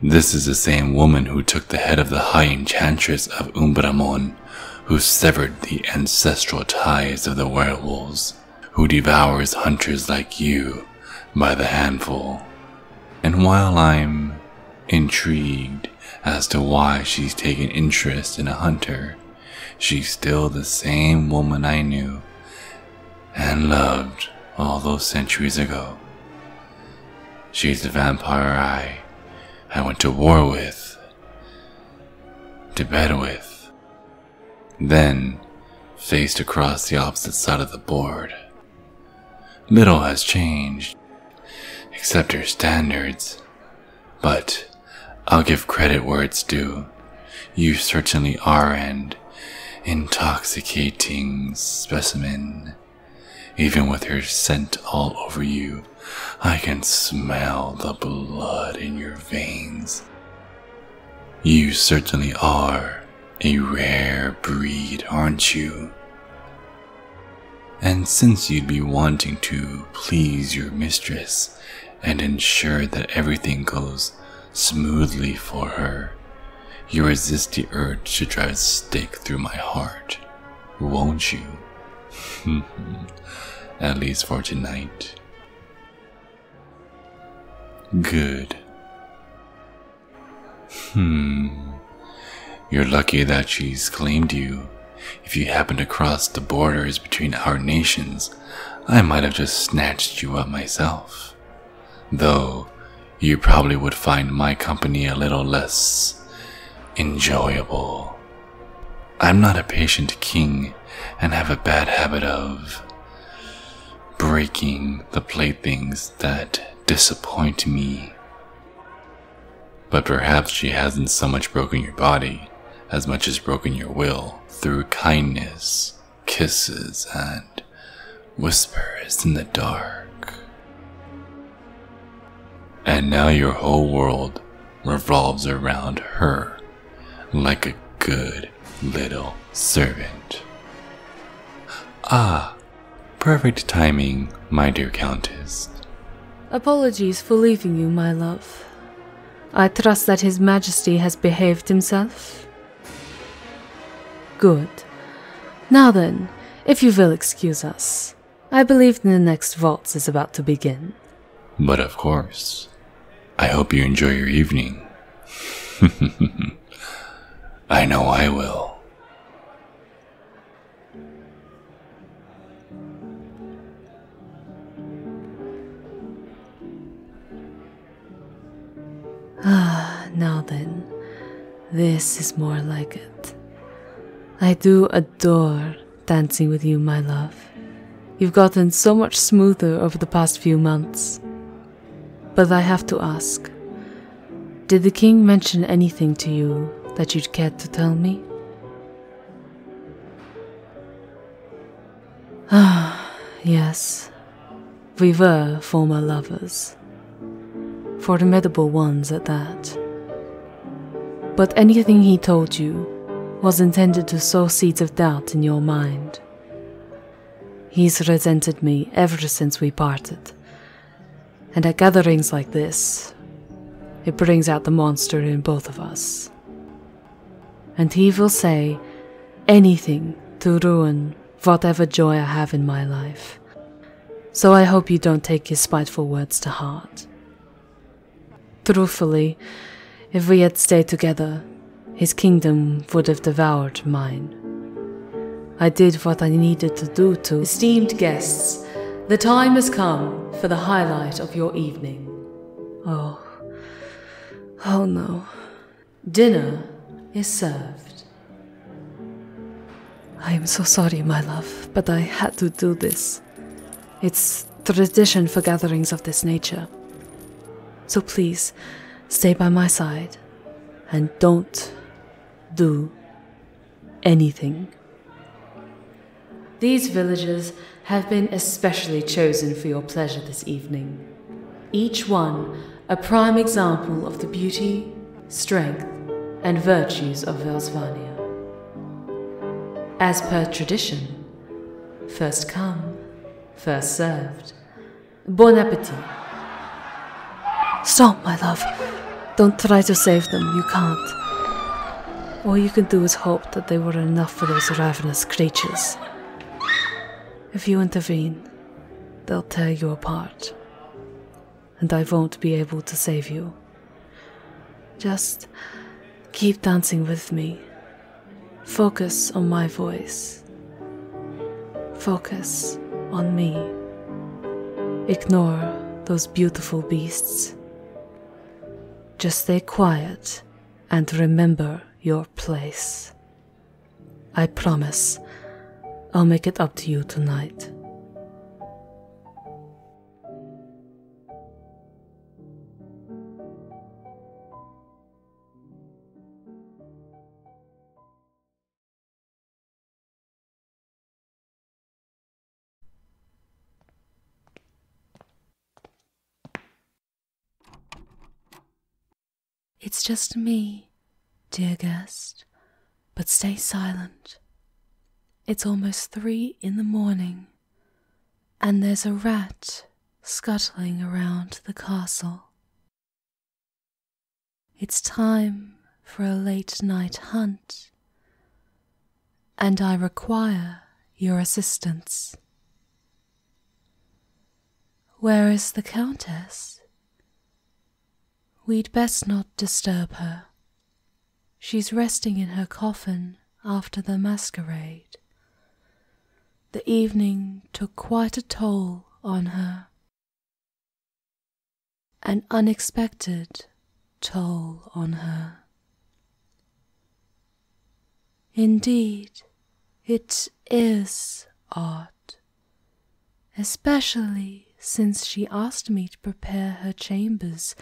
This is the same woman who took the head of the High Enchantress of Umbra Mon, who severed the ancestral ties of the werewolves, who devours hunters like you by the handful. And while I'm intrigued as to why she's taken interest in a hunter, She's still the same woman I knew and loved all those centuries ago. She's the vampire I, I went to war with, to bed with, then faced across the opposite side of the board. Little has changed, except her standards but I'll give credit where it's due. You certainly are an intoxicating specimen. Even with your scent all over you, I can smell the blood in your veins. You certainly are a rare breed, aren't you? And since you'd be wanting to please your mistress and ensure that everything goes smoothly for her. You resist the urge to drive a stake through my heart, won't you? At least for tonight. Good. Hmm. You're lucky that she's claimed you. If you happen to cross the borders between our nations, I might have just snatched you up myself. Though you probably would find my company a little less enjoyable. I'm not a patient king and have a bad habit of breaking the playthings that disappoint me. But perhaps she hasn't so much broken your body as much as broken your will through kindness, kisses, and whispers in the dark. And now your whole world revolves around her like a good little servant. Ah, perfect timing, my dear Countess. Apologies for leaving you, my love. I trust that His Majesty has behaved himself? Good. Now then, if you will excuse us, I believe the next waltz is about to begin. But of course. I hope you enjoy your evening. I know I will. Ah, now then, this is more like it. I do adore dancing with you, my love. You've gotten so much smoother over the past few months. But I have to ask Did the king mention anything to you that you'd care to tell me? Ah, yes, we were former lovers, formidable ones at that. But anything he told you was intended to sow seeds of doubt in your mind. He's resented me ever since we parted, and at gatherings like this, it brings out the monster in both of us. And he will say anything to ruin whatever joy I have in my life. So I hope you don't take his spiteful words to heart. Truthfully, if we had stayed together, his kingdom would have devoured mine. I did what I needed to do to. Esteemed guests, the time has come for the highlight of your evening. Oh, Oh no. Dinner is served. I am so sorry, my love, but I had to do this. It's tradition for gatherings of this nature. So please, stay by my side and don't do anything. These villagers have been especially chosen for your pleasure this evening. Each one a prime example of the beauty, strength, and virtues of Velsvania. As per tradition, first come, first served. Bon appetit. Stop, my love. Don't try to save them, you can't. All you can do is hope that they were enough for those ravenous creatures. If you intervene, they'll tear you apart, and I won't be able to save you. Just keep dancing with me. Focus on my voice. Focus on me. Ignore those beautiful beasts. Just stay quiet and remember your place. I promise I'll make it up to you tonight. It's just me, dear guest, but stay silent. It's almost three in the morning, and there's a rat scuttling around the castle. It's time for a late night hunt, and I require your assistance. Where is the Countess? We'd best not disturb her. She's resting in her coffin after the masquerade. The evening took quite a toll on her. An unexpected toll on her. Indeed, it is odd, especially since she asked me to prepare her chambers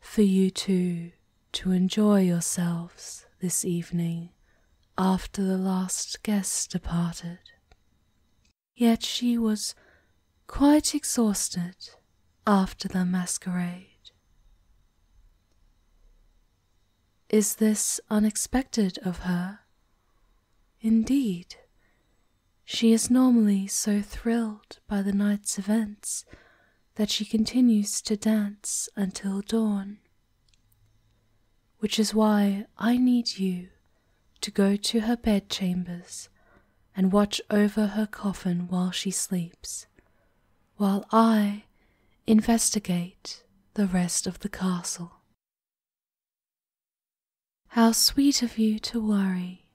for you two to enjoy yourselves this evening after the last guest departed. Yet she was quite exhausted after the masquerade, is this unexpected of her? Indeed, she is normally so thrilled by the night's events that she continues to dance until dawn. Which is why I need you to go to her bedchambers and watch over her coffin while she sleeps, while I investigate the rest of the castle. How sweet of you to worry,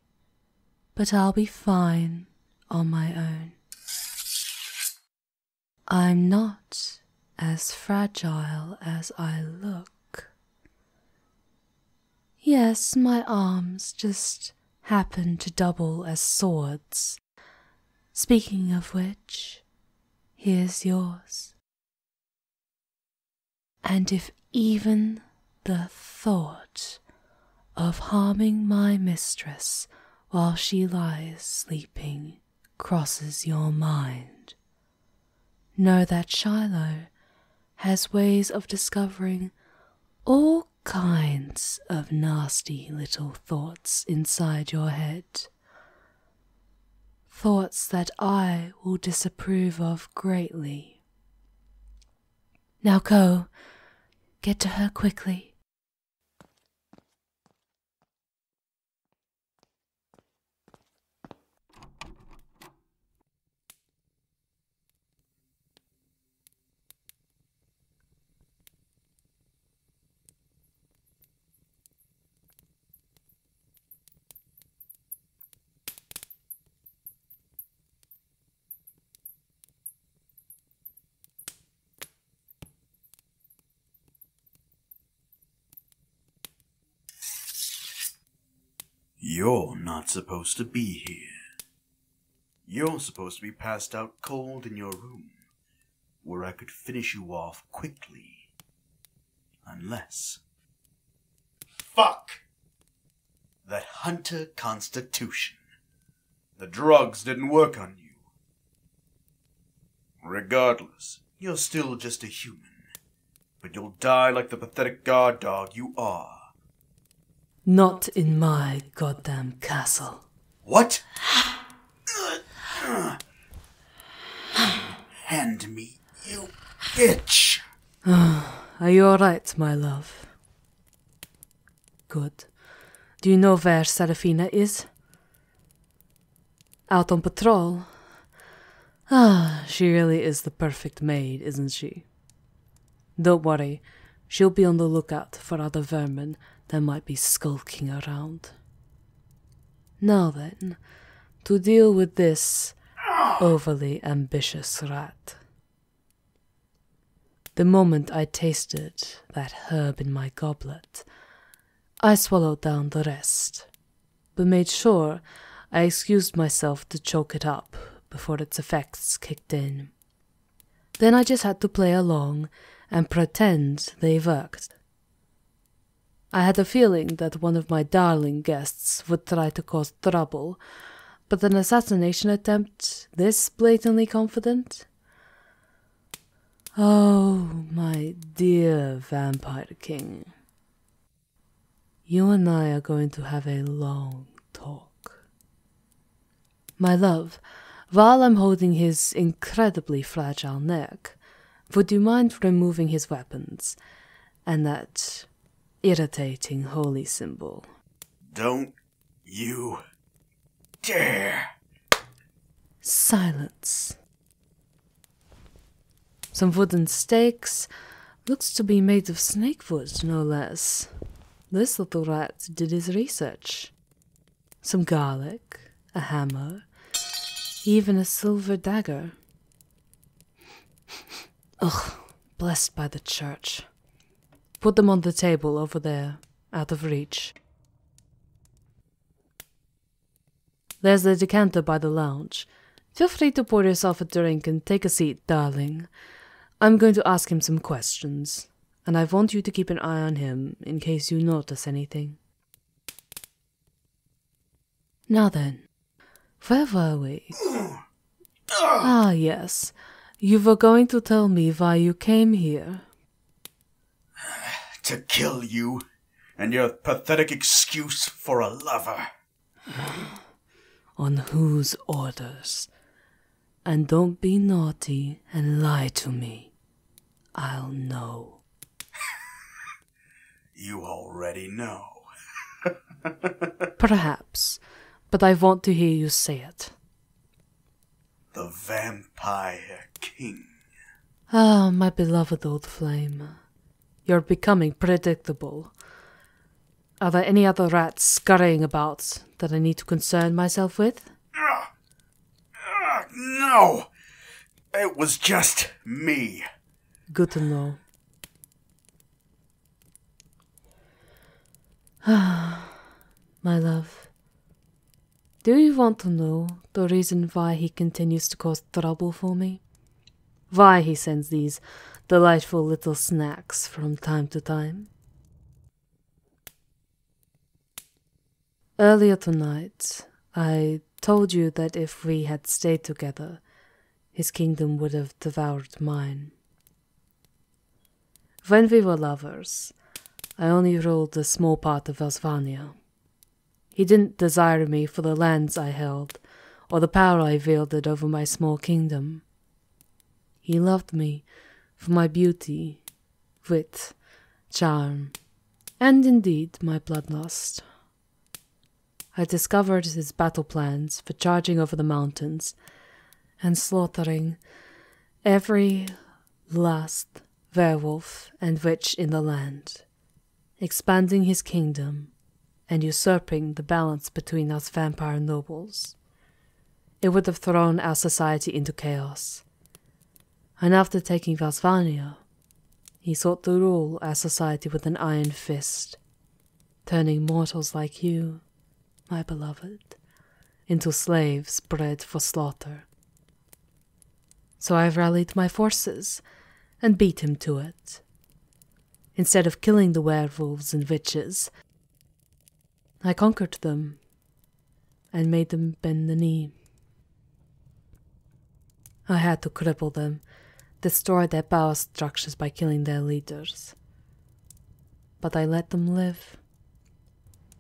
but I'll be fine on my own. I'm not as fragile as I look. Yes, my arms just happen to double as swords Speaking of which, here's yours. And if even the thought of harming my mistress while she lies sleeping crosses your mind, know that Shiloh has ways of discovering all kinds of nasty little thoughts inside your head thoughts that I will disapprove of greatly. Now go, get to her quickly. You're not supposed to be here. You're supposed to be passed out cold in your room, where I could finish you off quickly. Unless. Fuck! That hunter constitution. The drugs didn't work on you. Regardless, you're still just a human. But you'll die like the pathetic guard dog you are. Not in my goddamn castle. What? Hand me, you bitch! are you alright, my love? Good. Do you know where Serafina is? Out on patrol? Ah, she really is the perfect maid, isn't she? Don't worry, she'll be on the lookout for other vermin that might be skulking around. Now then, to deal with this overly ambitious rat. The moment I tasted that herb in my goblet, I swallowed down the rest, but made sure I excused myself to choke it up before its effects kicked in. Then I just had to play along and pretend they worked. I had a feeling that one of my darling guests would try to cause trouble, but an assassination attempt this blatantly confident? Oh, my dear Vampire King. You and I are going to have a long talk. My love, while I'm holding his incredibly fragile neck, would you mind removing his weapons? And that irritating holy symbol. Don't you dare! Silence. Some wooden stakes. Looks to be made of snakewood, no less. This little rat did his research. Some garlic, a hammer, even a silver dagger. Ugh, blessed by the church. Put them on the table over there, out of reach. There's the decanter by the lounge. Feel free to pour yourself a drink and take a seat, darling. I'm going to ask him some questions, and I want you to keep an eye on him in case you notice anything. Now then, where were we? ah, yes. You were going to tell me why you came here. To kill you and your pathetic excuse for a lover. On whose orders? And don't be naughty and lie to me. I'll know. You already know. Perhaps, but I want to hear you say it. The Vampire King. Ah, my beloved old flame. You're becoming predictable. Are there any other rats scurrying about that I need to concern myself with? Uh, uh, no! It was just me. Good to know. Ah, my love. Do you want to know the reason why he continues to cause trouble for me? Why he sends these delightful little snacks from time to time? Earlier tonight, I told you that if we had stayed together, his kingdom would have devoured mine. When we were lovers, I only ruled a small part of Elsvania. He didn't desire me for the lands I held, or the power I wielded over my small kingdom. He loved me for my beauty, wit, charm, and indeed my bloodlust. I discovered his battle plans for charging over the mountains and slaughtering every last werewolf and witch in the land, expanding his kingdom and usurping the balance between us vampire nobles. It would have thrown our society into chaos. And after taking Vasvania, he sought to rule our society with an iron fist, turning mortals like you, my beloved, into slaves bred for slaughter. So I rallied my forces and beat him to it. Instead of killing the werewolves and witches, I conquered them and made them bend the knee. I had to cripple them, destroy their power structures by killing their leaders. But I let them live.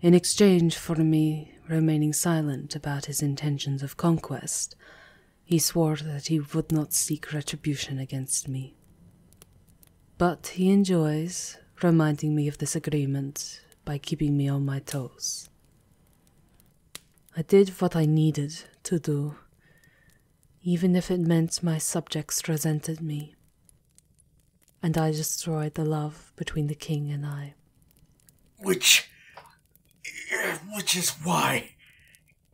In exchange for me remaining silent about his intentions of conquest, he swore that he would not seek retribution against me. But he enjoys reminding me of this agreement by keeping me on my toes. I did what I needed to do, even if it meant my subjects resented me. And I destroyed the love between the king and I. Which. which is why.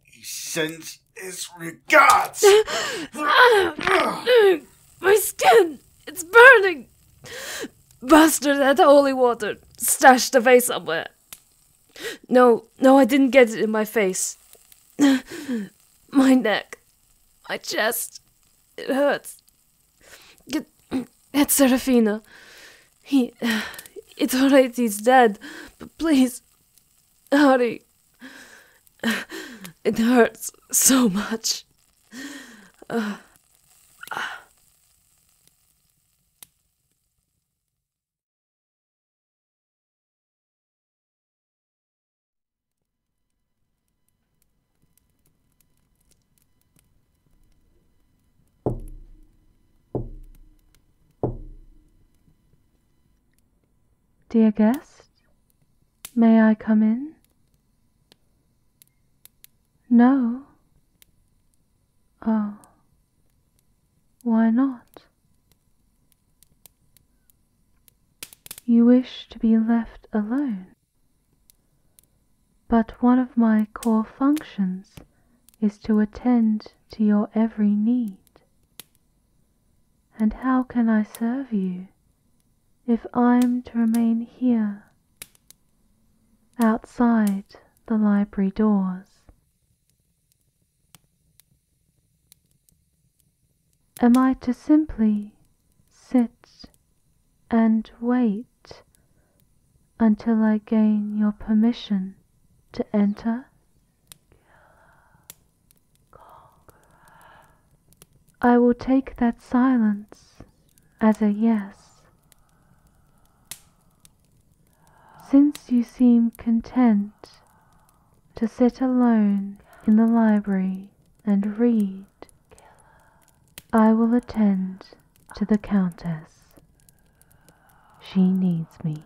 he sends his regards! My skin! It's burning! Bastard had holy water stashed away somewhere. No, no, I didn't get it in my face. my neck. My chest. It hurts. Get, get Serafina. He. It's alright, he's dead. But please. Hurry. It hurts so much. Uh. Dear guest, may I come in? No. Oh. Why not? You wish to be left alone. But one of my core functions is to attend to your every need. And how can I serve you if I'm to remain here outside the library doors? Am I to simply sit and wait until I gain your permission to enter? I will take that silence as a yes. Since you seem content to sit alone in the library and read, I will attend to the Countess. She needs me.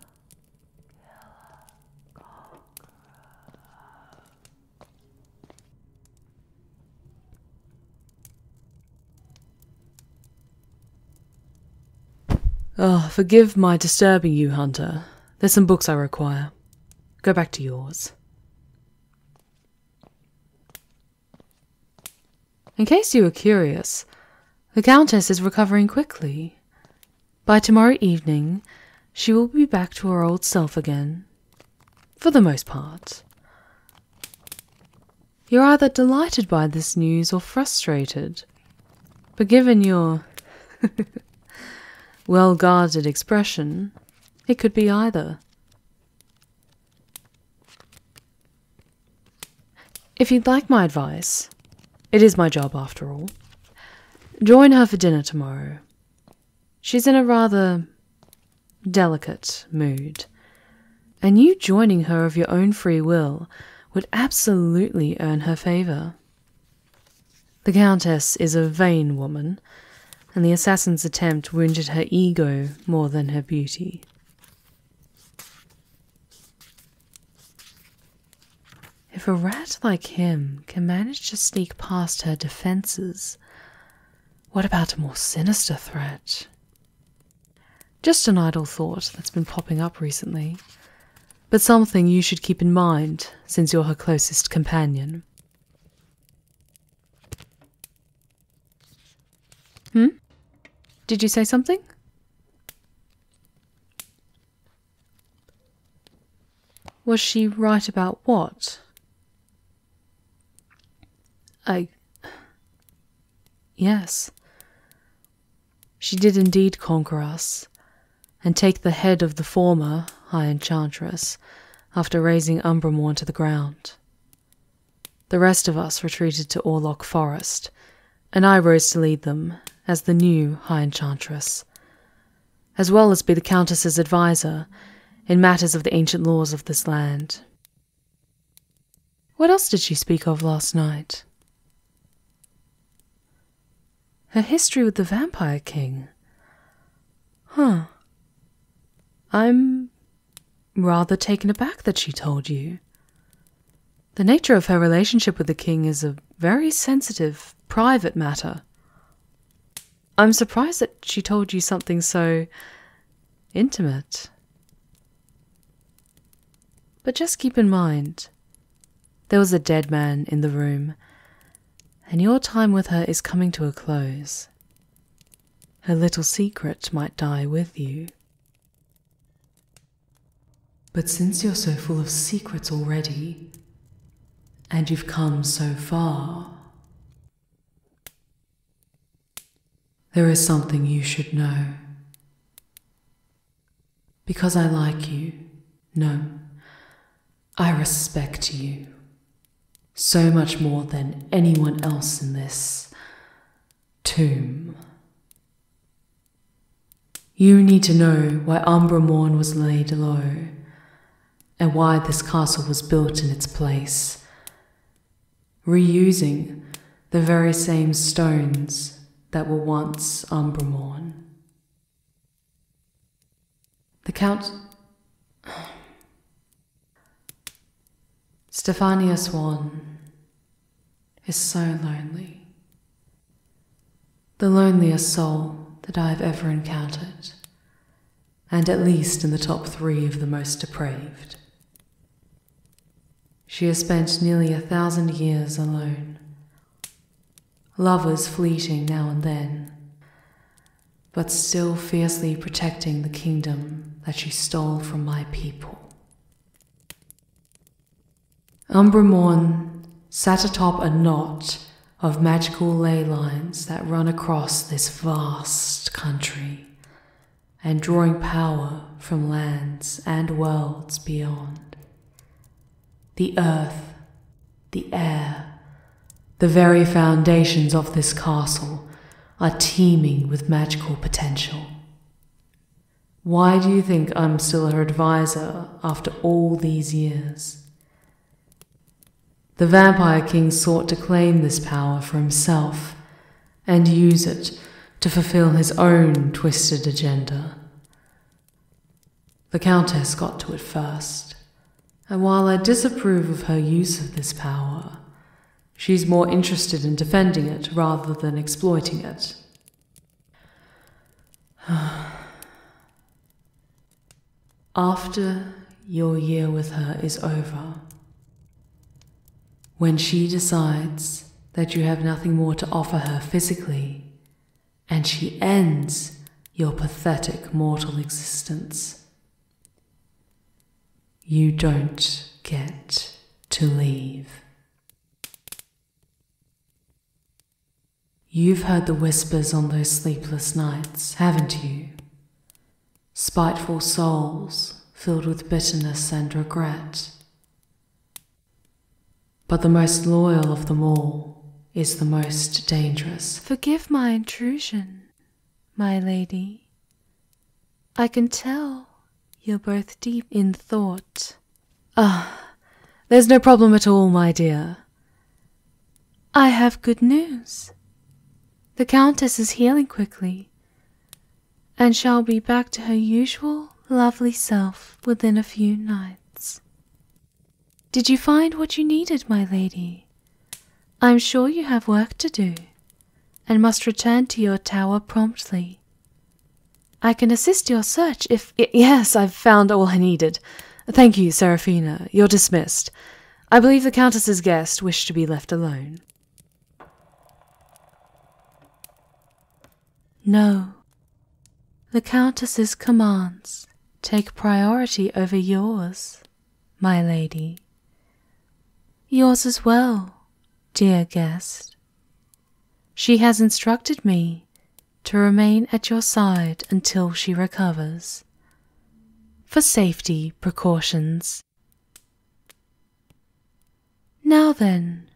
Oh, forgive my disturbing you, Hunter. There's some books I require. Go back to yours. In case you were curious, the Countess is recovering quickly. By tomorrow evening, she will be back to her old self again. For the most part. You're either delighted by this news or frustrated. But given your well guarded expression, it could be either. If you'd like my advice, it is my job after all, join her for dinner tomorrow. She's in a rather delicate mood, and you joining her of your own free will would absolutely earn her favor. The Countess is a vain woman, and the assassin's attempt wounded her ego more than her beauty. If a rat like him can manage to sneak past her defenses, what about a more sinister threat? Just an idle thought that's been popping up recently, but something you should keep in mind since you're her closest companion. Hmm? Did you say something? Was she right about what? I. Yes. She did indeed conquer us, and take the head of the former, high enchantress, after raising Umbramourn to the ground. The rest of us retreated to Orlok Forest, and I rose to lead them, as the new high enchantress, as well as be the Countess's adviser in matters of the ancient laws of this land. What else did she speak of last night? Her history with the Vampire King. Huh. I'm rather taken aback that she told you. The nature of her relationship with the king is a very sensitive, private matter. I'm surprised that she told you something so intimate. But just keep in mind, there was a dead man in the room, and your time with her is coming to a close. Her little secret might die with you. But since you're so full of secrets already, and you've come so far, there is something you should know. Because I like you. No, I respect you. So much more than anyone else in this tomb. You need to know why Umbra Morn was laid low, and why this castle was built in its place. Reusing the very same stones that were once Umbramorn. The Count. Stefania Swan is so lonely. The loneliest soul that I have ever encountered, and at least in the top three of the most depraved. She has spent nearly a thousand years alone, lovers fleeting now and then, but still fiercely protecting the kingdom that she stole from my people. Umbramorn sat atop a knot of magical ley lines that run across this vast country and drawing power from lands and worlds beyond. The earth, the air, the very foundations of this castle are teeming with magical potential. Why do you think I'm still her advisor after all these years? The Vampire King sought to claim this power for himself and use it to fulfill his own twisted agenda. The Countess got to it first, and while I disapprove of her use of this power, she's more interested in defending it rather than exploiting it. After your year with her is over, when she decides that you have nothing more to offer her physically, and she ends your pathetic mortal existence. You don't get to leave. You've heard the whispers on those sleepless nights, haven't you? Spiteful souls filled with bitterness and regret. But the most loyal of them all is the most dangerous. Forgive my intrusion, my lady. I can tell you're both deep in thought. Ah, there's no problem at all, my dear. I have good news. The Countess is healing quickly and shall be back to her usual lovely self within a few nights. Did you find what you needed, my lady? I am sure you have work to do, and must return to your tower promptly. I can assist your search if. yes, I've found all I needed. Thank you, Seraphina. You're dismissed. I believe the Countess's guest wished to be left alone. No. The Countess's commands take priority over yours, my lady. Yours as well, dear guest. She has instructed me to remain at your side until she recovers. For safety precautions. Now then,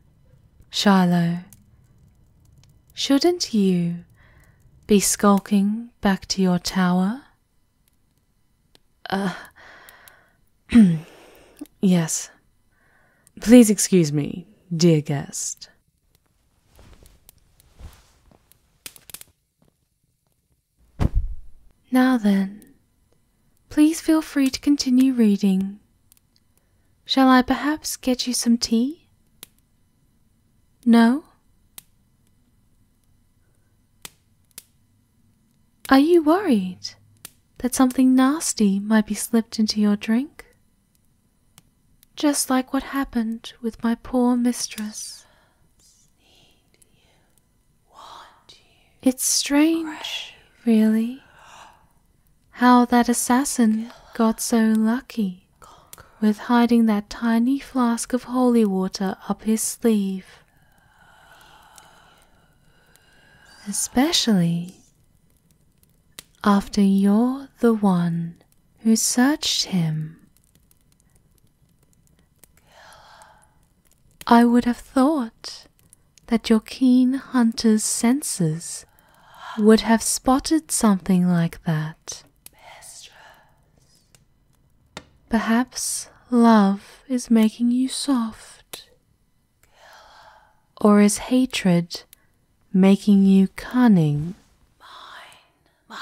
Shiloh, Shouldn't you be skulking back to your tower? Uh, yes. Please excuse me, dear guest. Now then, please feel free to continue reading Shall I perhaps get you some tea? No? Are you worried that something nasty might be slipped into your drink? Just like what happened with my poor mistress. It's strange, really, how that assassin got so lucky with hiding that tiny flask of holy water up his sleeve. Especially after you're the one who searched him. I would have thought that your keen hunter's senses would have spotted something like that. Mistress. Perhaps love is making you soft, or is hatred making you cunning? Mine, mine.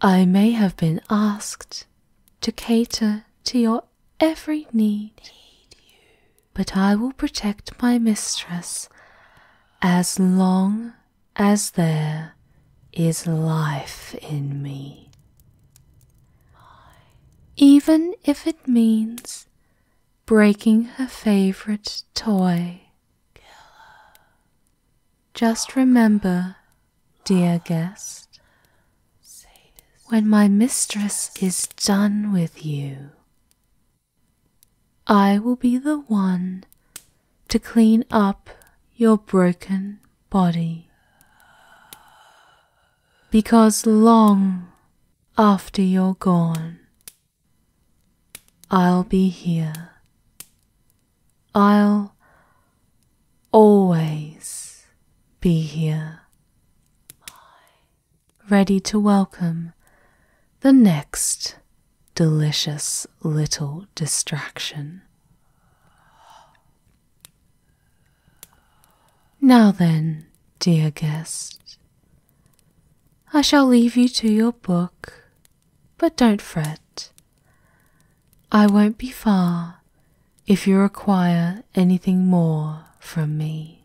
I may have been asked to cater to your every need. need you but I will protect my mistress as long as there is life in me. Even if it means breaking her favorite toy. Just remember, dear guest, when my mistress is done with you, I will be the one to clean up your broken body. Because long after you're gone, I'll be here. I'll always be here ready to welcome the next delicious little distraction. Now then, dear guest, I shall leave you to your book, but don't fret. I won't be far if you require anything more from me.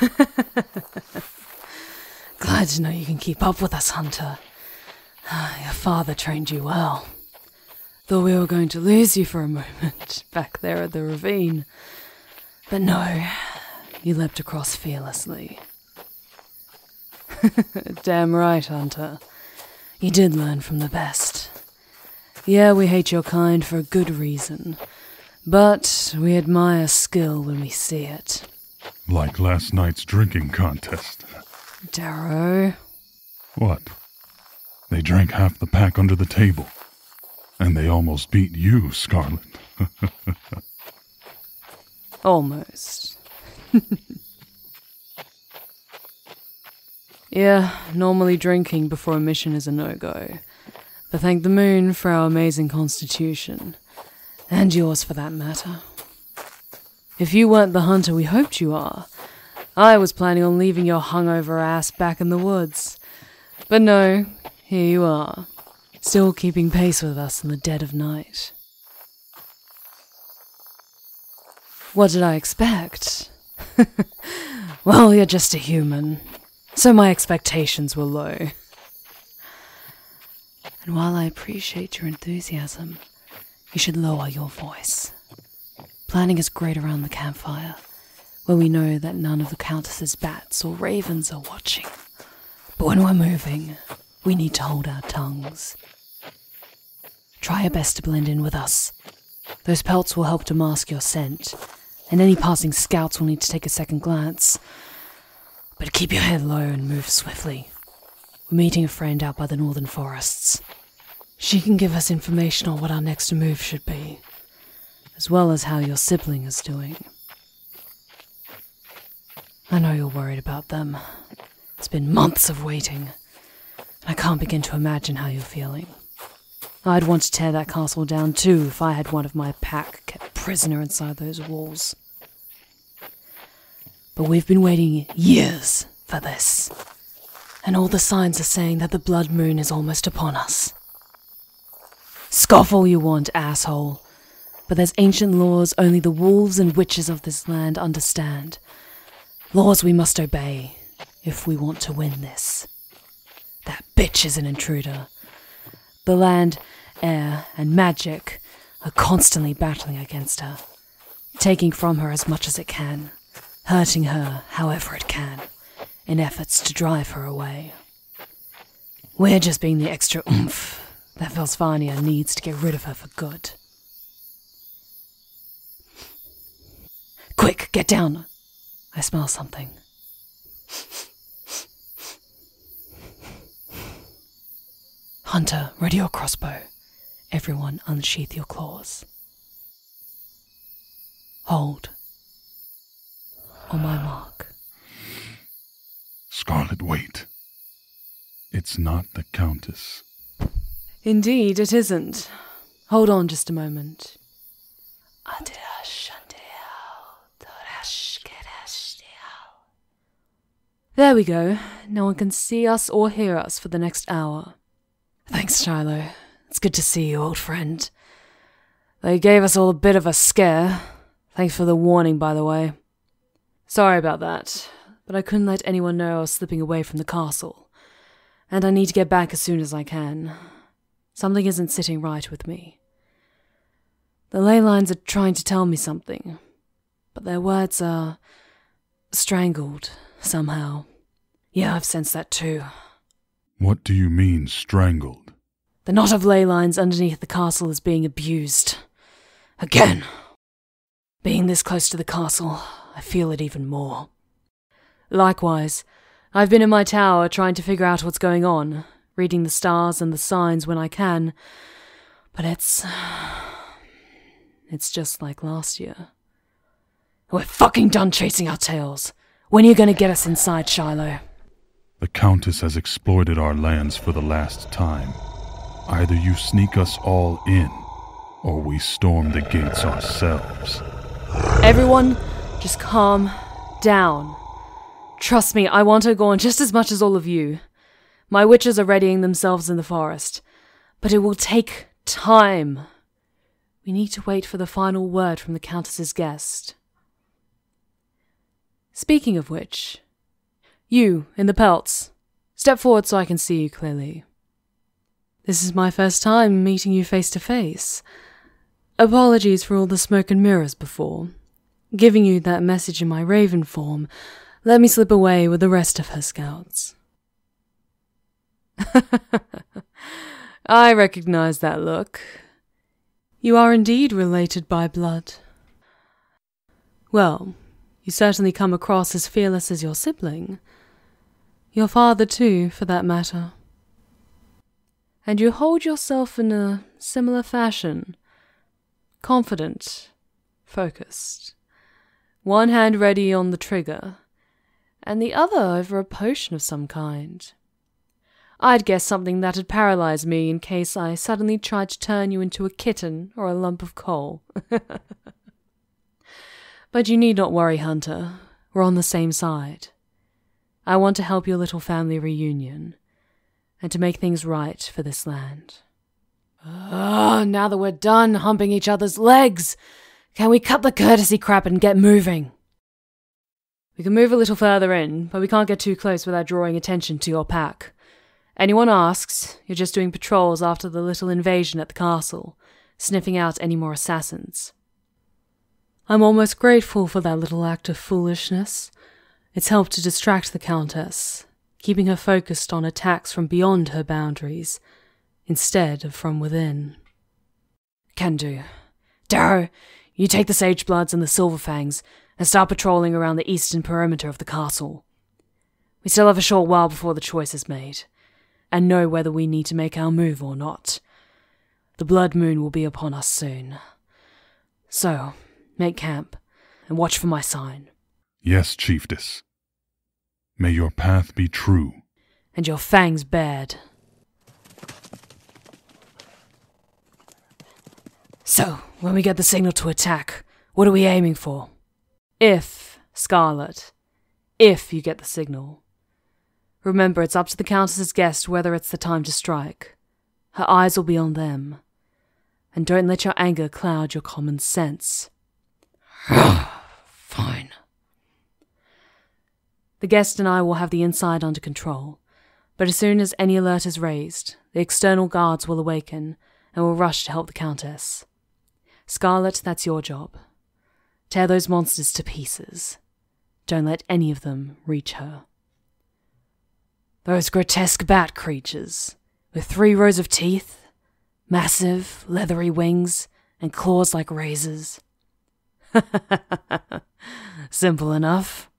Glad to know you can keep up with us, Hunter. Your father trained you well. Thought we were going to lose you for a moment back there at the ravine. But no, you leapt across fearlessly. Damn right, Hunter. You did learn from the best. Yeah, we hate your kind for a good reason. But we admire skill when we see it. Like last night's drinking contest. Darrow. What? They drank half the pack under the table. And they almost beat you, Scarlet. almost. yeah, normally drinking before a mission is a no go. But thank the moon for our amazing constitution and yours for that matter. If you weren't the hunter we hoped you are, I was planning on leaving your hungover ass back in the woods. But no, here you are, still keeping pace with us in the dead of night. What did I expect? well, you're just a human, so my expectations were low. And while I appreciate your enthusiasm, you should lower your voice. Planning is great around the campfire, where we know that none of the Countess's bats or ravens are watching. But when we're moving, we need to hold our tongues. Try your best to blend in with us. Those pelts will help to mask your scent, and any passing scouts will need to take a second glance. But keep your head low and move swiftly. We're meeting a friend out by the northern forests. She can give us information on what our next move should be, as well as how your sibling is doing. I know you're worried about them. It's been months of waiting, and I can't begin to imagine how you're feeling. I'd want to tear that castle down too if I had one of my pack kept prisoner inside those walls. But we've been waiting years for this, and all the signs are saying that the blood moon is almost upon us. Scoff all you want, asshole, but there's ancient laws only the wolves and witches of this land understand. Laws we must obey if we want to win this. That bitch is an intruder, the land, air, and magic are constantly battling against her, taking from her as much as it can, hurting her however it can, in efforts to drive her away. We're just being the extra oomph that Velsvania needs to get rid of her for good. Quick, get down! I smell something. Hunter, ready your crossbow. Everyone, unsheath your claws. Hold. On my mark. Scarlet, wait. It's not the Countess. Indeed, it isn't. Hold on just a moment. There we go. No one can see us or hear us for the next hour. Thanks, Shiloh. It's good to see you, old friend. They gave us all a bit of a scare. Thanks for the warning, by the way. Sorry about that, but I couldn't let anyone know I was slipping away from the castle. And I need to get back as soon as I can. Something isn't sitting right with me. The ley lines are trying to tell me something, but their words are strangled somehow. Yeah, I've sensed that too. What do you mean, strangled? The knot of ley lines underneath the castle is being abused. Again! Being this close to the castle, I feel it even more. Likewise, I've been in my tower trying to figure out what's going on, reading the stars and the signs when I can, but it's. It's just like last year. We're fucking done chasing our tails. When are you going to get us inside, Shiloh? The Countess has exploited our lands for the last time. Either you sneak us all in, or we storm the gates ourselves. Everyone, just calm down. Trust me, I want O'Gorn just as much as all of you. My witches are readying themselves in the forest. But it will take time. We need to wait for the final word from the Countess's guest. Speaking of which, you, in the pelts, step forward so I can see you clearly. This is my first time meeting you face to face. Apologies for all the smoke and mirrors before. Giving you that message in my raven form, let me slip away with the rest of her scouts. I recognize that look. You are indeed related by blood. Well, you certainly come across as fearless as your sibling. Your father, too, for that matter. And you hold yourself in a similar fashion, confident, focused, one hand ready on the trigger, and the other over a potion of some kind. I'd guess something that'd paralyze me in case I suddenly tried to turn you into a kitten or a lump of coal. but you need not worry, Hunter. We're on the same side. I want to help your little family reunion and to make things right for this land. Ugh, ah, now that we're done humping each other's legs, can we cut the courtesy crap and get moving? We can move a little further in, but we can't get too close without drawing attention to your pack. Anyone asks, you're just doing patrols after the little invasion at the castle, sniffing out any more assassins. I'm almost grateful for that little act of foolishness. It's helped to distract the Countess, keeping her focused on attacks from beyond her boundaries instead of from within. Can do. Darrow, you take the Sagebloods and the Silverfangs and start patrolling around the eastern perimeter of the castle. We still have a short while before the choice is made, and know whether we need to make our move or not. The Blood Moon will be upon us soon. So, make camp, and watch for my sign. Yes, chiefess. May your path be true. And your fangs bared. So, when we get the signal to attack, what are we aiming for? If, Scarlet, if you get the signal. Remember, it's up to the Countess's guest whether it's the time to strike. Her eyes will be on them. And don't let your anger cloud your common sense. Fine. The guest and I will have the inside under control, but as soon as any alert is raised, the external guards will awaken and will rush to help the Countess. Scarlet, that's your job. Tear those monsters to pieces. Don't let any of them reach her. Those grotesque bat creatures, with three rows of teeth, massive, leathery wings, and claws like razors. Simple enough.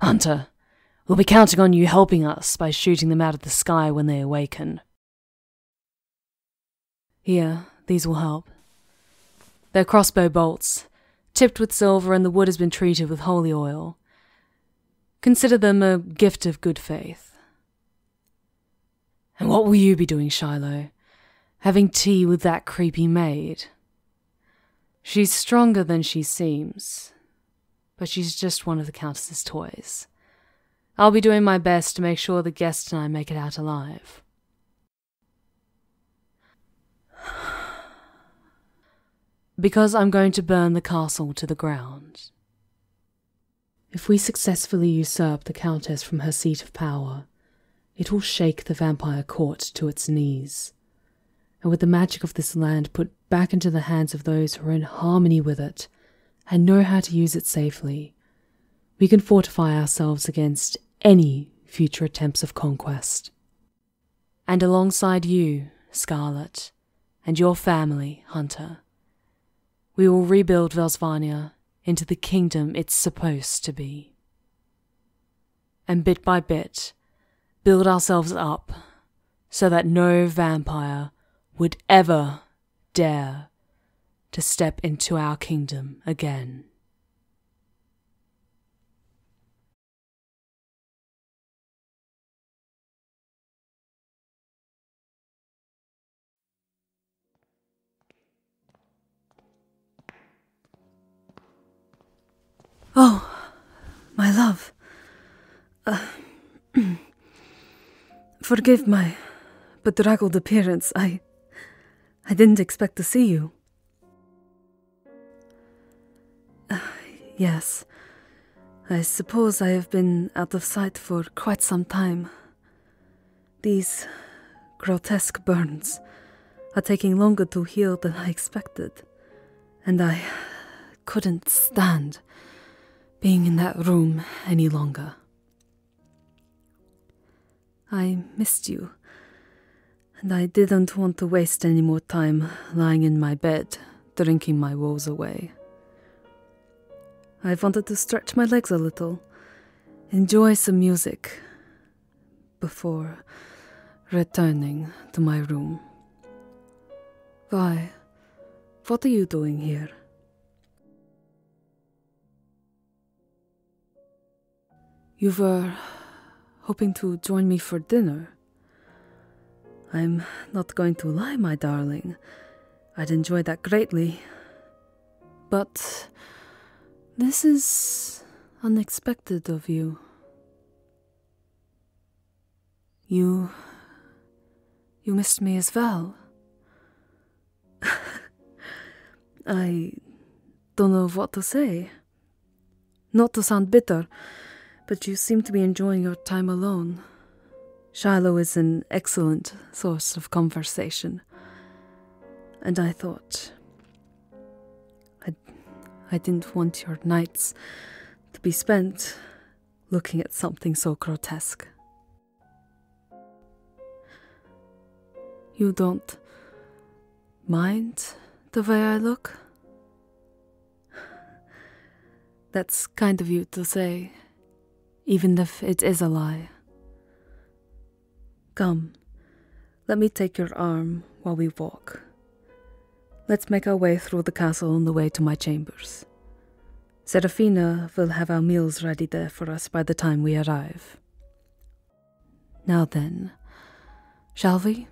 Hunter, we'll be counting on you helping us by shooting them out of the sky when they awaken. Here, these will help. They're crossbow bolts, tipped with silver, and the wood has been treated with holy oil. Consider them a gift of good faith. And what will you be doing, Shiloh? Having tea with that creepy maid? She's stronger than she seems, but she's just one of the Countess's toys. I'll be doing my best to make sure the guest and I make it out alive because I'm going to burn the castle to the ground. If we successfully usurp the Countess from her seat of power, it will shake the vampire court to its knees, and with the magic of this land put back into the hands of those who are in harmony with it and know how to use it safely, we can fortify ourselves against any future attempts of conquest and alongside you, Scarlet, and your family, Hunter, we will rebuild Velsvania into the kingdom it's supposed to be. And bit by bit, build ourselves up so that no vampire would ever dare to step into our kingdom again. Oh, my love. Uh, forgive my bedraggled appearance. I. I didn't expect to see you. Uh, yes, I suppose I have been out of sight for quite some time. These grotesque burns are taking longer to heal than I expected, and I couldn't stand being in that room any longer. I missed you, and I didn't want to waste any more time lying in my bed drinking my woes away. I have wanted to stretch my legs a little, enjoy some music, before returning to my room. Guy, what are you doing here? You were hoping to join me for dinner. I'm not going to lie, my darling. I'd enjoy that greatly. But this is unexpected of you. You. you missed me as well. I don't know what to say. Not to sound bitter, but you seem to be enjoying your time alone. Shiloh is an excellent source of conversation, and I thought I, I didn't want your nights to be spent looking at something so grotesque. You don't mind the way I look? That's kind of you to say, even if it is a lie. Come, let me take your arm while we walk. Let's make our way through the castle on the way to my chambers. Serafina will have our meals ready there for us by the time we arrive. Now then, shall we?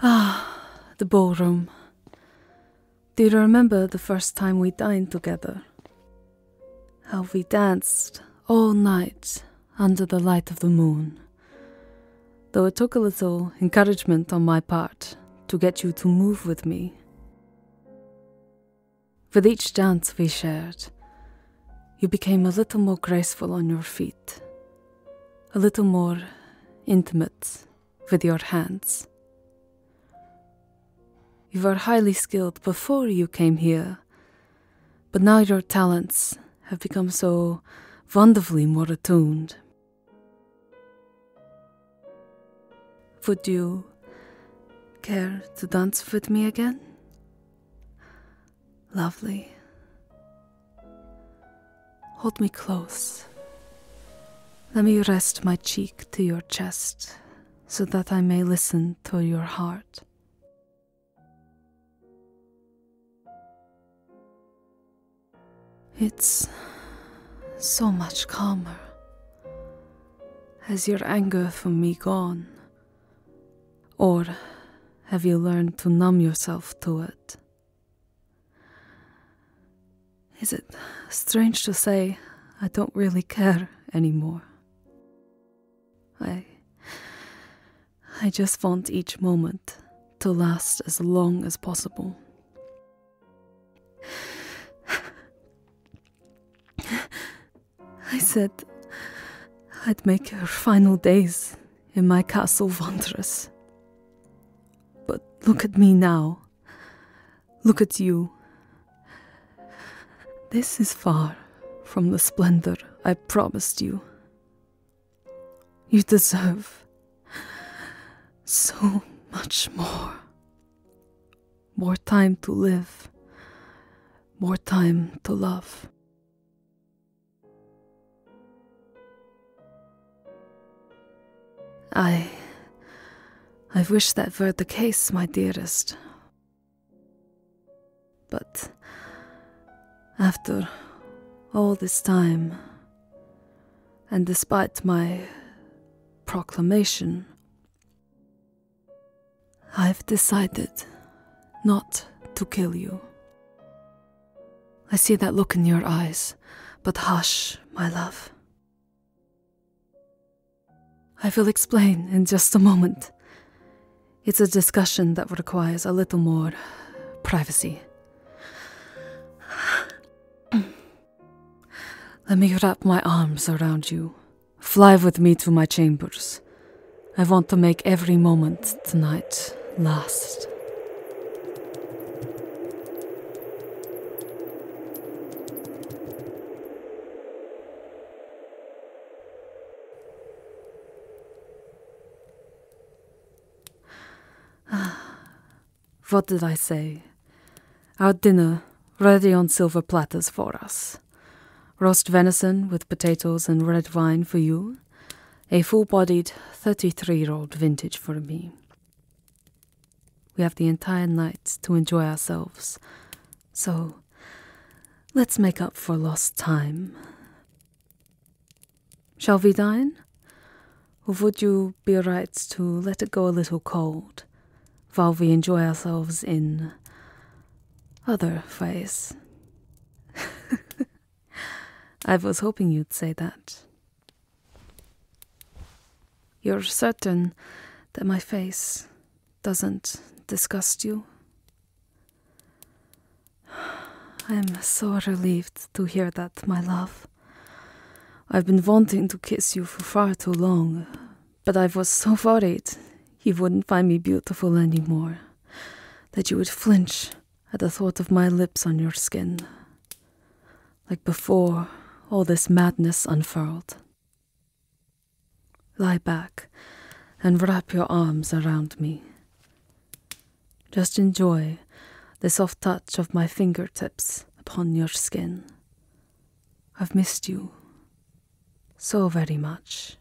Ah, the ballroom. Do you remember the first time we dined together? How we danced all night under the light of the moon. Though it took a little encouragement on my part to get you to move with me. With each dance we shared, you became a little more graceful on your feet, a little more intimate with your hands. You were highly skilled before you came here, but now your talents have become so wonderfully more attuned would you care to dance with me again? Lovely. Hold me close. Let me rest my cheek to your chest so that I may listen to your heart. It's so much calmer. Has your anger for me gone? Or have you learned to numb yourself to it? Is it strange to say I don't really care anymore? I. I just want each moment to last as long as possible. I said I'd make her final days in my castle wondrous. But look at me now. Look at you. This is far from the splendor I promised you. You deserve so much more more time to live, more time to love. I. I wish that were the case, my dearest. But after all this time, and despite my proclamation. I've decided not to kill you. I see that look in your eyes, but hush, my love. I will explain in just a moment. It's a discussion that requires a little more privacy. Let me wrap my arms around you. Fly with me to my chambers. I want to make every moment tonight last. Ah. What did I say? Our dinner ready on silver platters for us. Roast venison with potatoes and red wine for you. A full bodied 33 year old vintage for me. We have the entire night to enjoy ourselves. So, let's make up for lost time. Shall we dine? would you be right to let it go a little cold while we enjoy ourselves in other ways. I was hoping you'd say that. You're certain that my face doesn't disgust you? I'm so relieved to hear that, my love. I've been wanting to kiss you for far too long, but I was so worried you wouldn't find me beautiful anymore, that you would flinch at the thought of my lips on your skin. Like before, all this madness unfurled. Lie back and wrap your arms around me. Just enjoy the soft touch of my fingertips upon your skin. I've missed you so very much.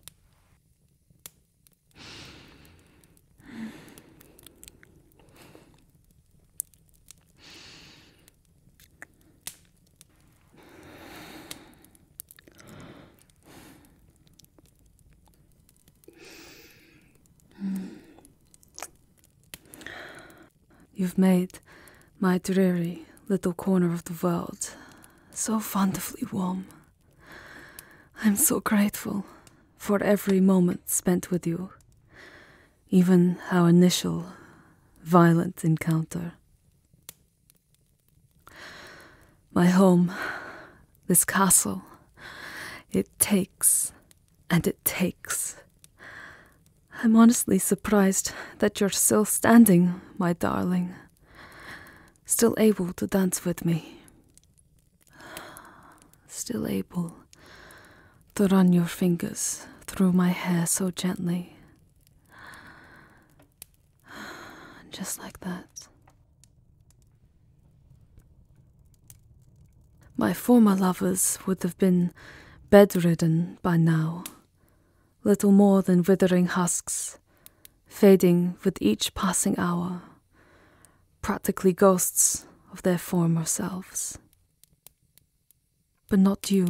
You've made my dreary little corner of the world so wonderfully warm. I'm so grateful for every moment spent with you, even our initial violent encounter. My home, this castle, it takes and it takes. I'm honestly surprised that you're still standing, my darling, still able to dance with me, still able to run your fingers through my hair so gently. Just like that. My former lovers would have been bedridden by now little more than withering husks, fading with each passing hour, practically ghosts of their former selves. But not you,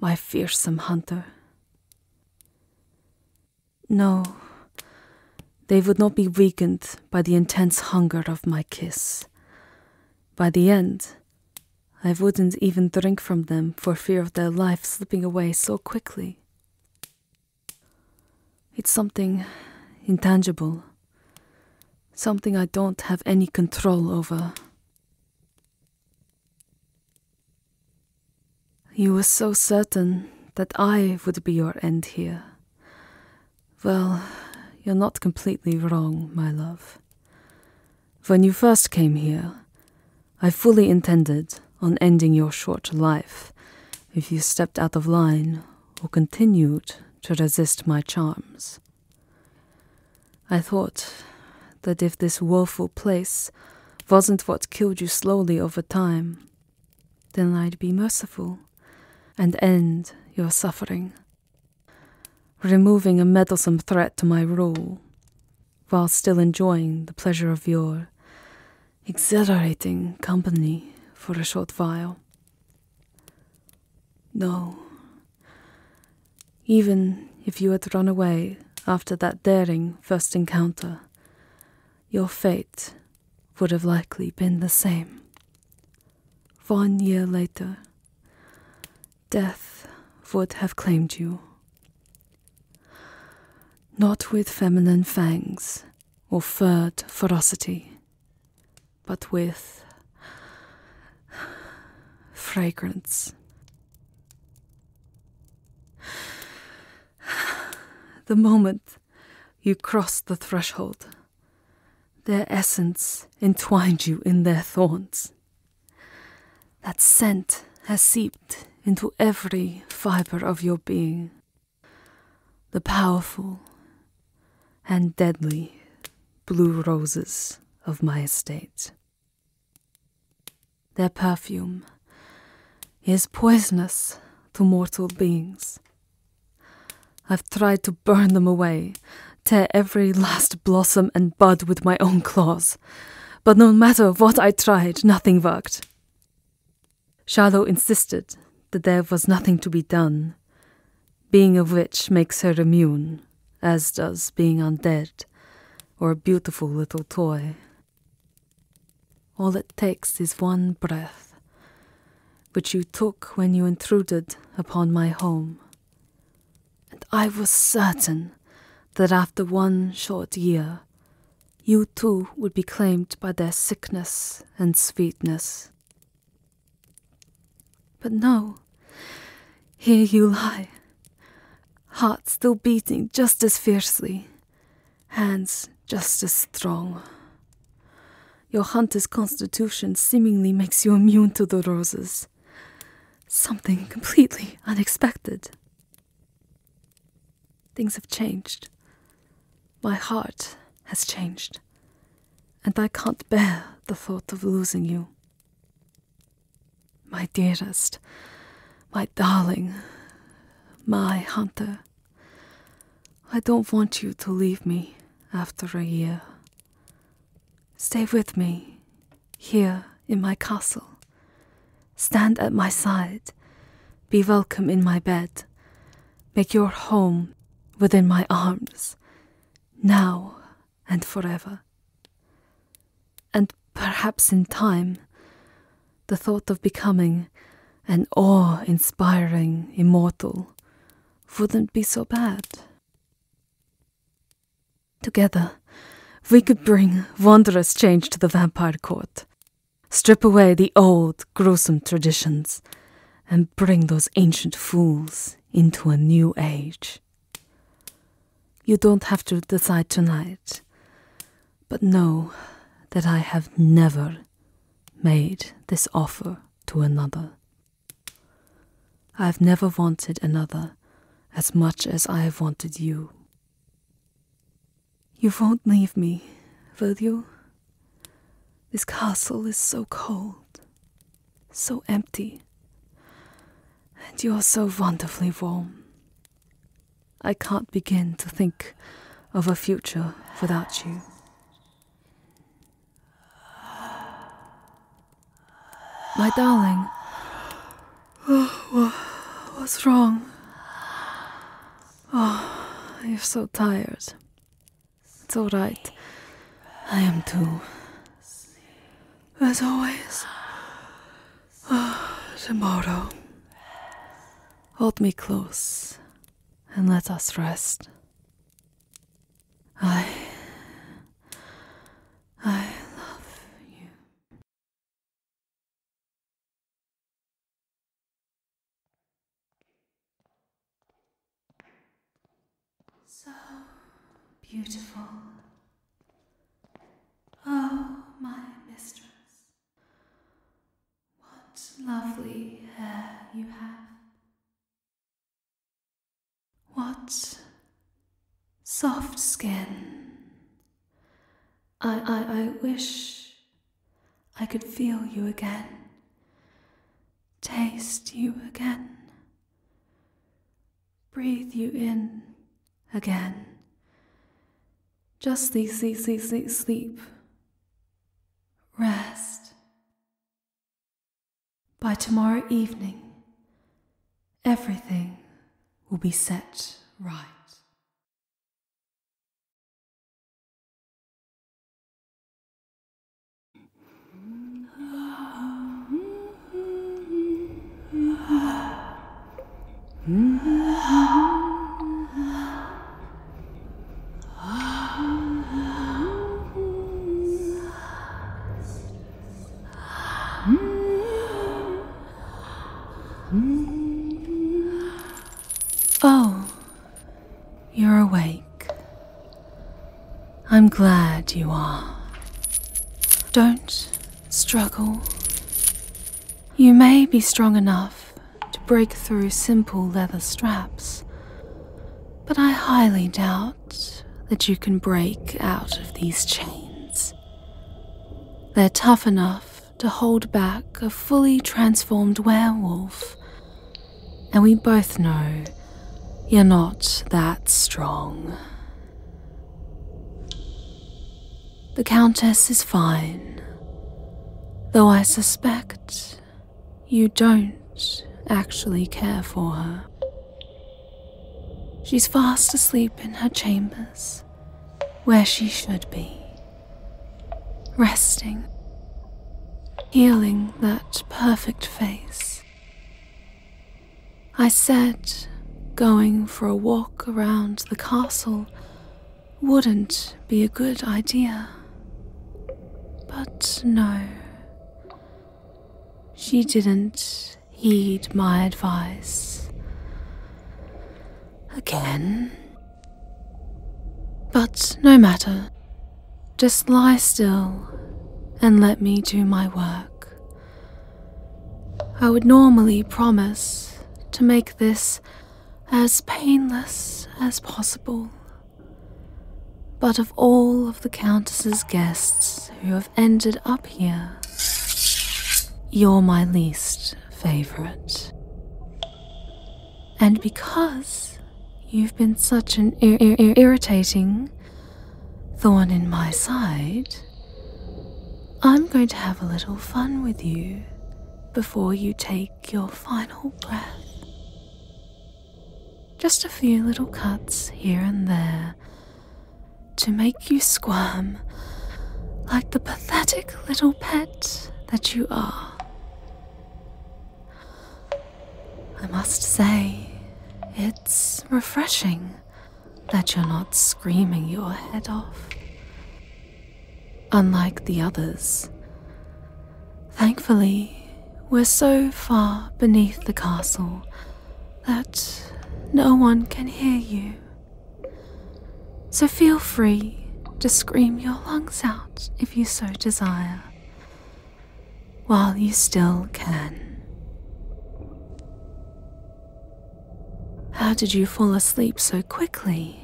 my fearsome hunter. No, they would not be weakened by the intense hunger of my kiss. By the end, I wouldn't even drink from them for fear of their life slipping away so quickly. It's something intangible, something I don't have any control over. You were so certain that I would be your end here. Well, you're not completely wrong, my love. When you first came here, I fully intended on ending your short life if you stepped out of line or continued to resist my charms. I thought that if this woeful place wasn't what killed you slowly over time, then I'd be merciful and end your suffering removing a meddlesome threat to my rule, while still enjoying the pleasure of your exhilarating company for a short while. No, even if you had run away after that daring first encounter, your fate would have likely been the same. One year later, death would have claimed you. Not with feminine fangs or furred ferocity, but with fragrance. The moment you crossed the threshold, their essence entwined you in their thorns. That scent has seeped into every fiber of your being. The powerful and deadly blue roses of my estate. Their perfume is poisonous to mortal beings. I've tried to burn them away tear every last blossom and bud with my own claws. But no matter what I tried, nothing worked. Charlot insisted that there was nothing to be done. Being a witch makes her immune, as does being undead or a beautiful little toy. All it takes is one breath, which you took when you intruded upon my home and I was certain that after one short year you too would be claimed by their sickness and sweetness. But no, here you lie, heart still beating just as fiercely, hands just as strong. Your hunter's constitution seemingly makes you immune to the roses something completely unexpected. Things have changed. My heart has changed, and I can't bear the thought of losing you. My dearest, my darling, my hunter, I don't want you to leave me after a year Stay with me, here in my castle. Stand at my side, be welcome in my bed, make your home within my arms, now and forever. And perhaps in time, the thought of becoming an awe inspiring immortal wouldn't be so bad. Together, we could bring wondrous change to the vampire court, strip away the old, gruesome traditions, and bring those ancient fools into a new age. You don't have to decide tonight, but know that I have never made this offer to another. I have never wanted another as much as I have wanted you. You won't leave me, will you? This castle is so cold, so empty, and you are so wonderfully warm. I can't begin to think of a future without you. My darling. what's wrong? Oh, you're so tired. It's all right. I am too. As always. Oh, tomorrow. Hold me close and let us rest. I. I love you. So beautiful. Oh, my mistress, what lovely hair you have. What? Soft skin. I, I, I wish I could feel you again, taste you again, breathe you in again. Just sleep, sleep, sleep, sleep, sleep. Rest. By tomorrow evening, Everything will be set right. Oh, you're awake. I'm glad you are. Don't struggle. You may be strong enough to break through simple leather straps, but I highly doubt that you can break out of these chains. They're tough enough to hold back a fully transformed werewolf. And we both know you're not that strong. The Countess is fine, though I suspect you don't actually care for her. She's fast asleep in her chambers, where she should be, resting, healing that perfect face. I said going for a walk around the castle wouldn't be a good idea. But no, she didn't heed my advice again. But no matter, just lie still and let me do my work. I would normally promise to make this as painless as possible. But of all of the Countess's guests, others who have ended up here. You're my least favorite. And because you've been such an irritating thorn in my side, I'm going to have a little fun with you before you take your final breath. Just a few little cuts here and there to make you squirm like the pathetic little pet that you are. I must say, it's refreshing that you're not screaming your head off. Unlike the others, thankfully, we're so far beneath the castle that no one can hear you. So feel free to scream your lungs out if you so desire, while you still can. How did you fall asleep so quickly?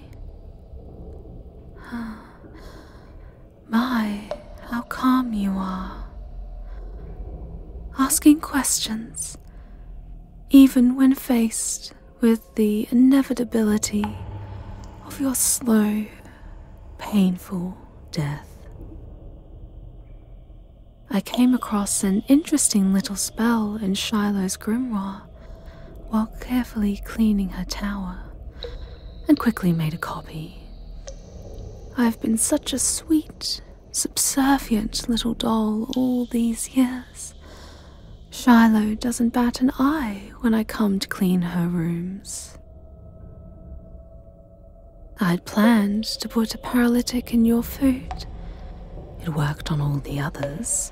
My, how calm you are. Asking questions even when faced with the inevitability of your slow, painful death. I came across an interesting little spell in Shiloh's grimoire while carefully cleaning her tower and quickly made a copy. I've been such a sweet subservient little doll all these years. Shiloh doesn't bat an eye when I come to clean her rooms. I'd planned to put a paralytic in your food. It worked on all the others.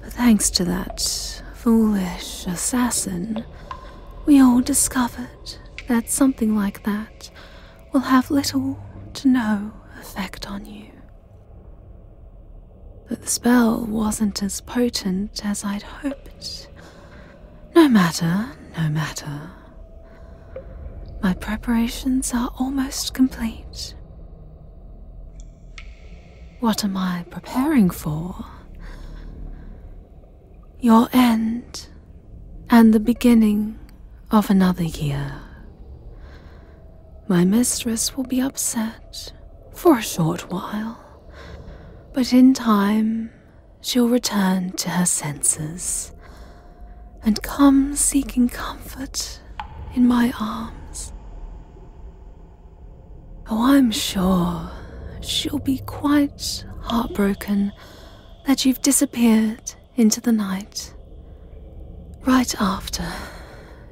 But thanks to that foolish assassin, we all discovered that something like that will have little to no effect on you. But the spell wasn't as potent as I'd hoped. No matter, no matter. My preparations are almost complete. What am I preparing for? Your end and the beginning of another year. My mistress will be upset for a short while, but in time she'll return to her senses and come seeking comfort in my arms. Oh, I'm sure she'll be quite heartbroken that you've disappeared into the night. Right after,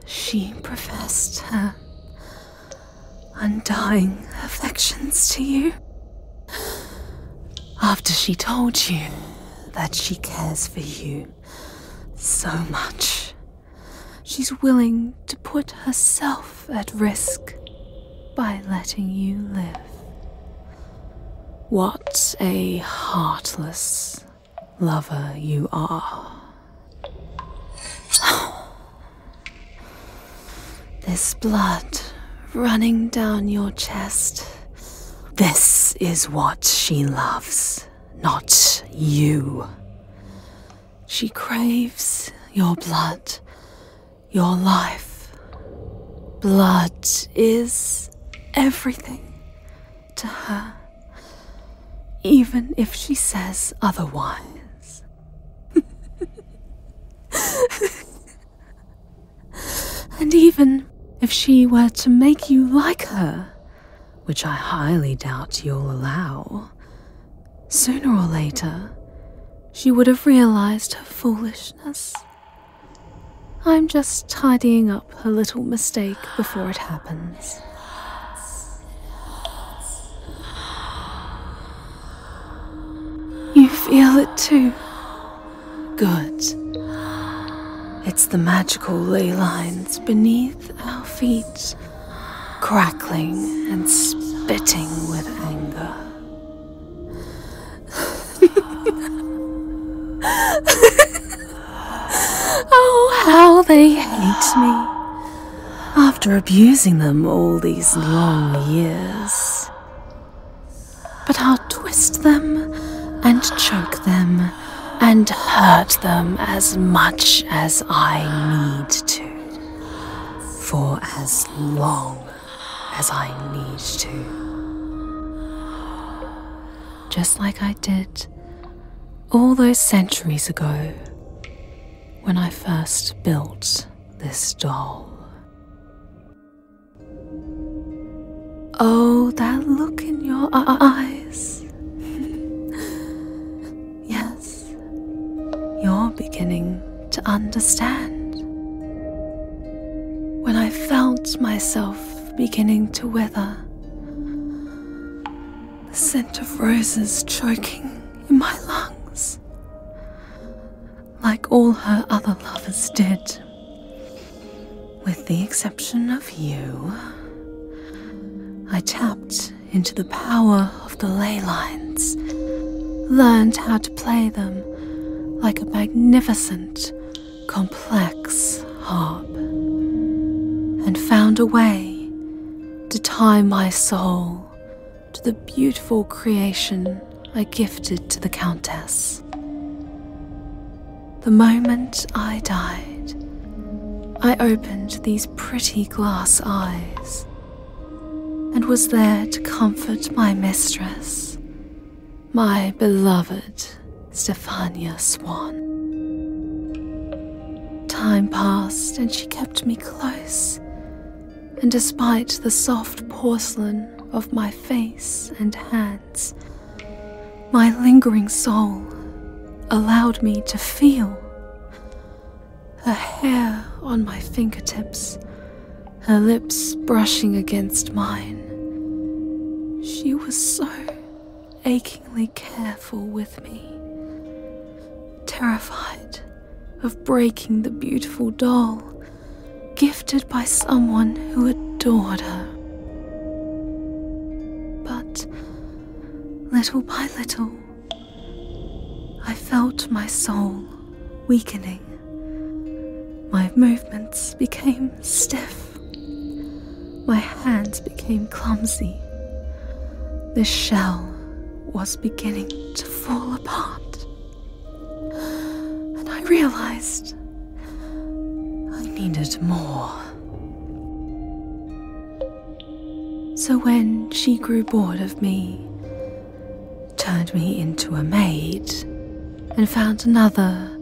she professed her undying affections to you. After she told you that she cares for you so much, she's willing to put herself at risk by letting you live. What a heartless lover you are. This blood running down your chest. This is what she loves, not you. She craves your blood, your life. Blood is everything to her, even if she says otherwise. and even if she were to make you like her, which I highly doubt you'll allow, sooner or later she would have realized her foolishness I'm just tidying up a little mistake before it happens. You feel it too. Good. It's the magical ley lines beneath our feet, crackling and spitting with anger. Oh, how they hate me. After abusing them all these long years. But I'll twist them and choke them and hurt them as much as I need to. For as long as I need to. Just like I did all those centuries ago when I first built this doll. Oh, that look in your eyes. yes, you're beginning to understand. When I felt myself beginning to wither, the scent of roses choking in my lungs, like all her other lovers did. With the exception of you, I tapped into the power of the ley lines, learned how to play them like a magnificent complex harp and found a way to tie my soul to the beautiful creation I gifted to the Countess. The moment I died, I opened these pretty glass eyes and was there to comfort my mistress, my beloved Stefania Swan. Time passed and she kept me close, and despite the soft porcelain of my face and hands, my lingering soul allowed me to feel her hair on my fingertips, her lips brushing against mine. She was so achingly careful with me, terrified of breaking the beautiful doll gifted by someone who adored her. But little by little, I felt my soul weakening. My movements became stiff my hands became clumsy. The shell was beginning to fall apart. And I realized I needed more. So when she grew bored of me, turned me into a maid, and found another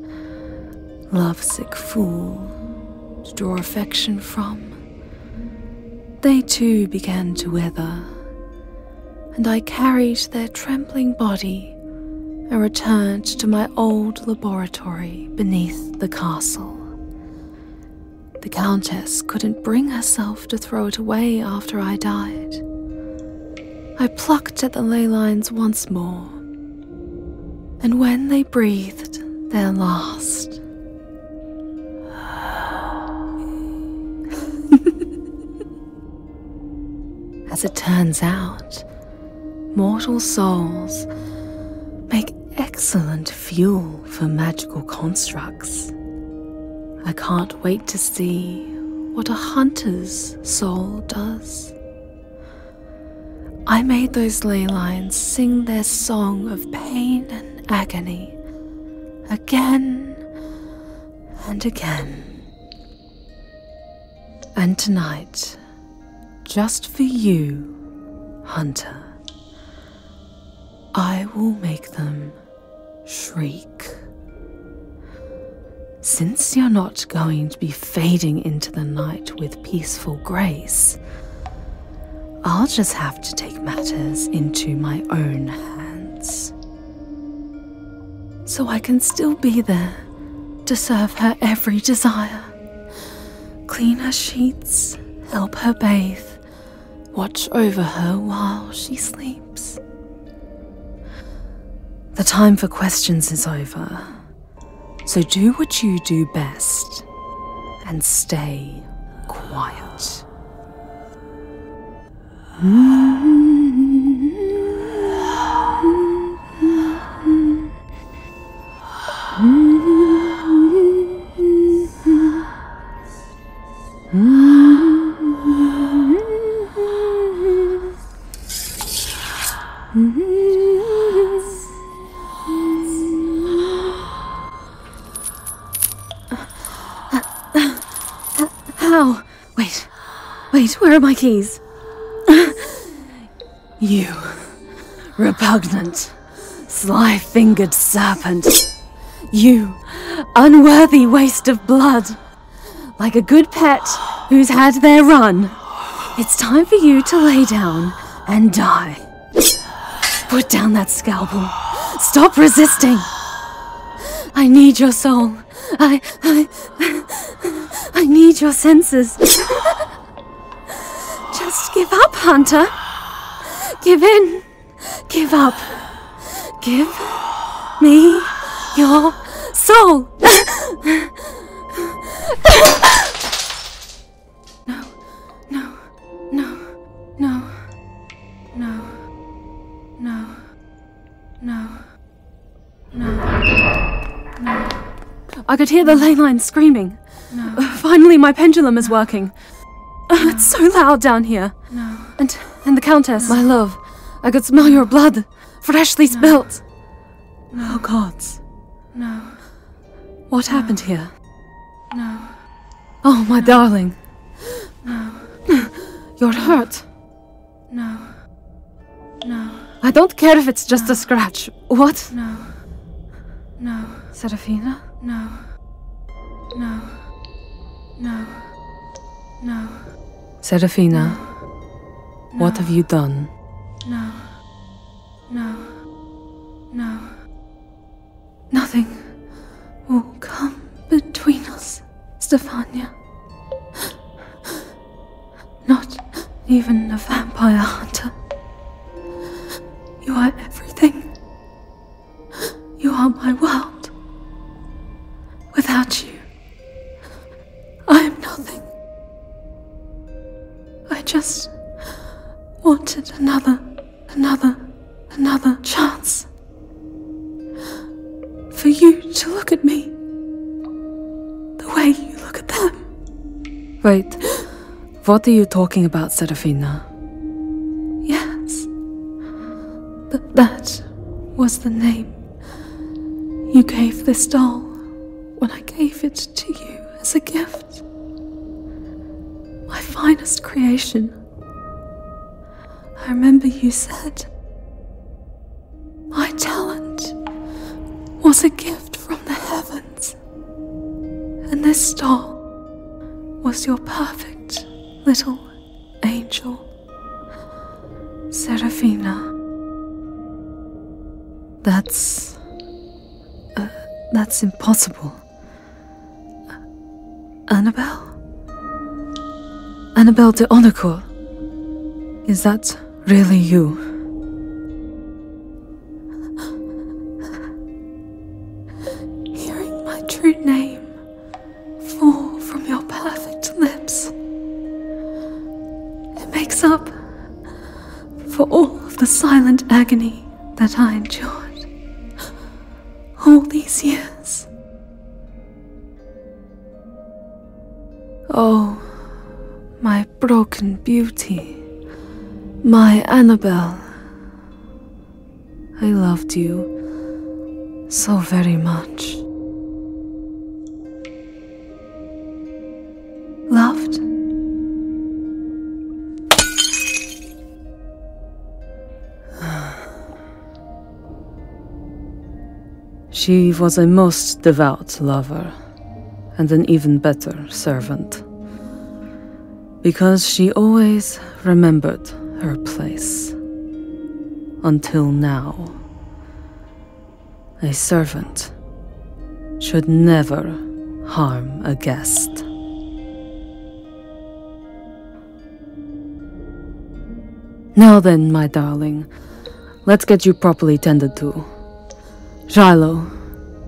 lovesick fool to draw affection from. They too began to wither, and I carried their trembling body and returned to my old laboratory beneath the castle. The Countess couldn't bring herself to throw it away after I died. I plucked at the ley lines once more and when they breathed their last, As it turns out, mortal souls make excellent fuel for magical constructs. I can't wait to see what a hunter's soul does. I made those ley lines sing their song of pain and agony again and again. And tonight, just for you, Hunter, I will make them shriek. Since you're not going to be fading into the night with peaceful grace, I'll just have to take matters into my own hands. So I can still be there to serve her every desire. Clean her sheets, help her bathe, watch over her while she sleeps. The time for questions is over, so do what you do best and stay quiet. Mm-hmm. How? Wait. Wait, where are my keys? you. Repugnant. Sly fingered serpent. You. Unworthy waste of blood. Like a good pet who's had their run. It's time for you to lay down and die. Put down that scalpel. Stop resisting. I need your soul. I, I, I need your senses. Just give up, Hunter. Give in. Give up. Give me your soul. No, no, no, no, no, no, no, no, no. I could hear the ley line screaming. No. Finally, my pendulum is working. No. Oh, it's so loud down here. No. And and the Countess. No. My love, I could smell your blood, freshly spilt. No. Oh gods. No. What happened here? No. Oh, my darling. No. You're hurt. No. No. I don't care if it's just a scratch. What? No. No. Serafina? No. No. No. No. Serafina, what have you done? No. No. No. Nothing will come between us, Stefania. Not even the vampire hunter. You are everything. You are my world. Without you, I am nothing. I just wanted another, another, another chance. For you to look at me the way you look at them. Wait, what are you talking about, Serafina? Yes, th that was the name you gave this doll when I gave it to you as a gift. My finest creation. I remember you said my talent was a gift from the heavens, and this doll was your perfect little angel, Seraphina. That's. Uh, that's impossible. Uh, Annabelle? Annabelle de Onacourt? Is that really you? Hearing my true name fall from your perfect lips, it makes up for all the silent agony that I endured all these years. Oh, my broken beauty, my Annabelle. I loved you so very much loved. She was a most devout lover and an even better servant because she always remembered her place. Until now, a servant should never harm a guest. Now then, my darling, let's get you properly tended to. Shiloh,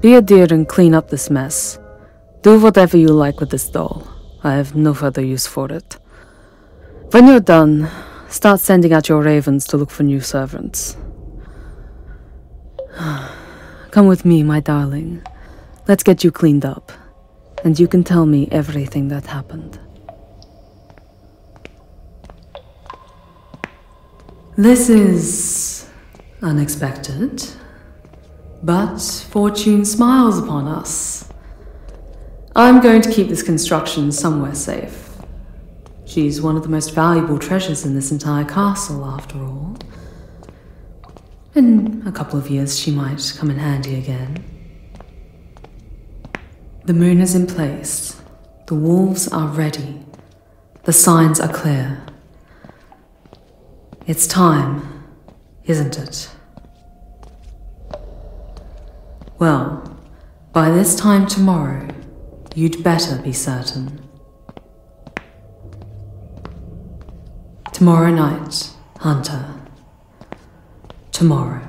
be a dear and clean up this mess. Do whatever you like with this doll. I have no further use for it. When you're done, start sending out your ravens to look for new servants. Come with me, my darling. Let's get you cleaned up, and you can tell me everything that happened. This is unexpected, but fortune smiles upon us. I'm going to keep this construction somewhere safe. She's one of the most valuable treasures in this entire castle, after all. In a couple of years, she might come in handy again. The moon is in place. The wolves are ready. The signs are clear. It's time, isn't it? Well, by this time tomorrow, you'd better be certain. Tomorrow night, Hunter. Tomorrow.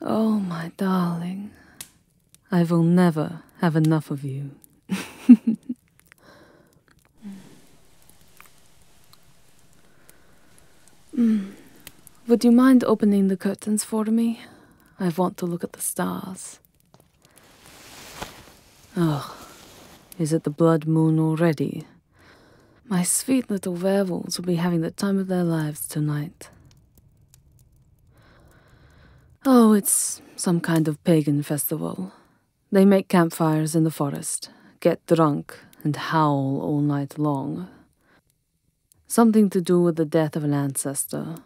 Oh, my darling, I will never have enough of you. Hmm. Would you mind opening the curtains for me? I want to look at the stars. Oh, is it the blood moon already? My sweet little werwolves will be having the time of their lives tonight. Oh, it's some kind of pagan festival. They make campfires in the forest, get drunk, and howl all night long. Something to do with the death of an ancestor,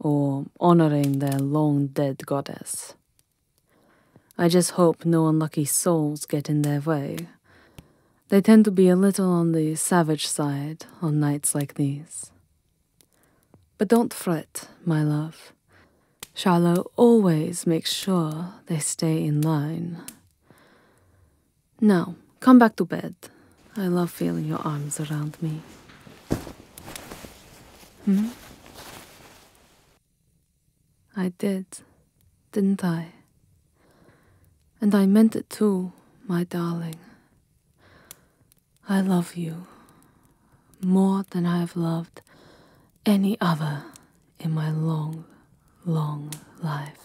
or honoring their long dead goddess. I just hope no unlucky souls get in their way. They tend to be a little on the savage side on nights like these. But don't fret, my love. Charlot always makes sure they stay in line. Now, come back to bed. I love feeling your arms around me. Hmm? I did, didn't I? And I meant it too, my darling. I love you more than I have loved any other in my long, long life.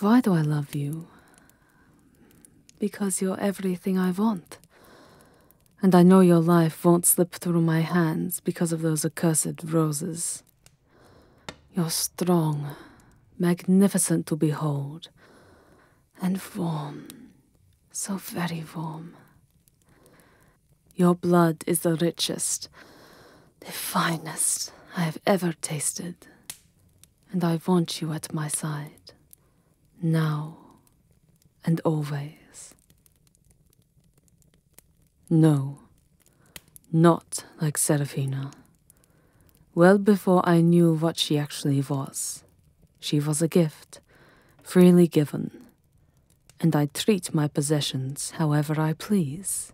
Why do I love you? Because you're everything I want and I know your life won't slip through my hands because of those accursed roses. You're strong, magnificent to behold, and warm, so very warm. Your blood is the richest, the finest I have ever tasted, and I want you at my side now and always. No, not like Serafina. Well before I knew what she actually was, she was a gift, freely given, and I treat my possessions however I please.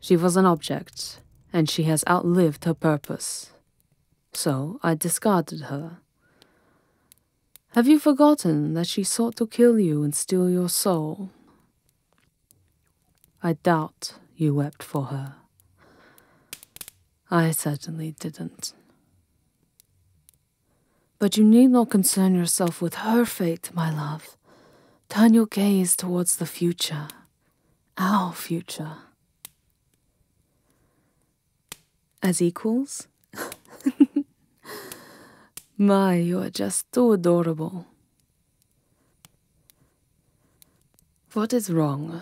She was an object, and she has outlived her purpose. So I discarded her. Have you forgotten that she sought to kill you and steal your soul? I doubt you wept for her. I certainly didn't. But you need not concern yourself with her fate, my love. Turn your gaze towards the future, our future. As equals? My, you are just too adorable. What is wrong?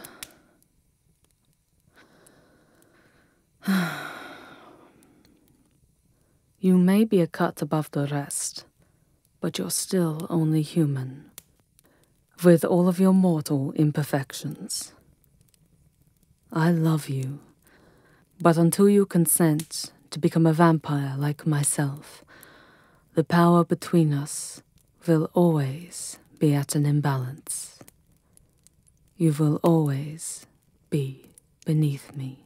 you may be a cut above the rest, but you're still only human, with all of your mortal imperfections. I love you, but until you consent to become a vampire like myself, the power between us will always be at an imbalance. You will always be beneath me.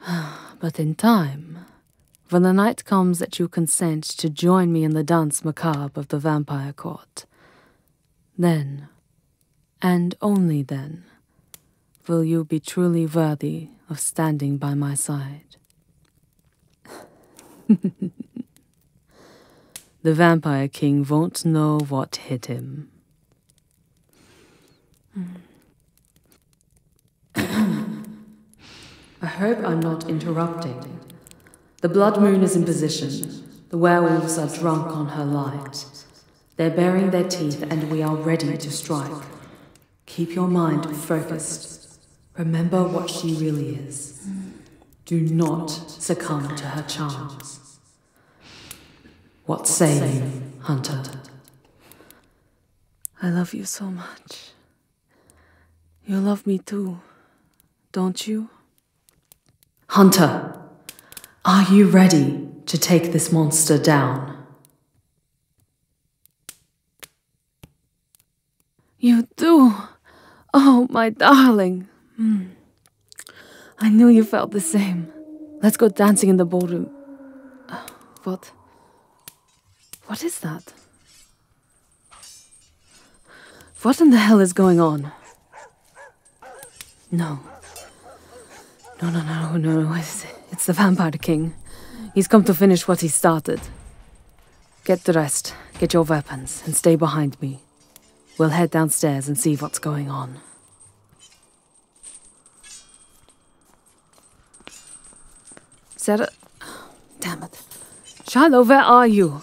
But in time, when the night comes that you consent to join me in the dance macabre of the vampire court, then and only then will you be truly worthy of standing by my side. the Vampire King won't know what hit him. I hope I'm not interrupting. The blood moon is in position. The werewolves are drunk on her light. They're baring their teeth, and we are ready to strike. Keep your mind focused. Remember what she really is. Do not succumb to her charms. What say you, Hunter? I love you so much. You love me too, don't you? Hunter, are you ready to take this monster down? You do? Oh, my darling. Hmm. I knew you felt the same. Let's go dancing in the ballroom. Uh, what? What is that? What in the hell is going on? No. No, no, no, no, It's, it's the Vampire King. He's come to finish what he started. Get dressed, get your weapons, and stay behind me. We'll head downstairs and see what's going on. Sarah. Oh, damn it. Shiloh, where are you?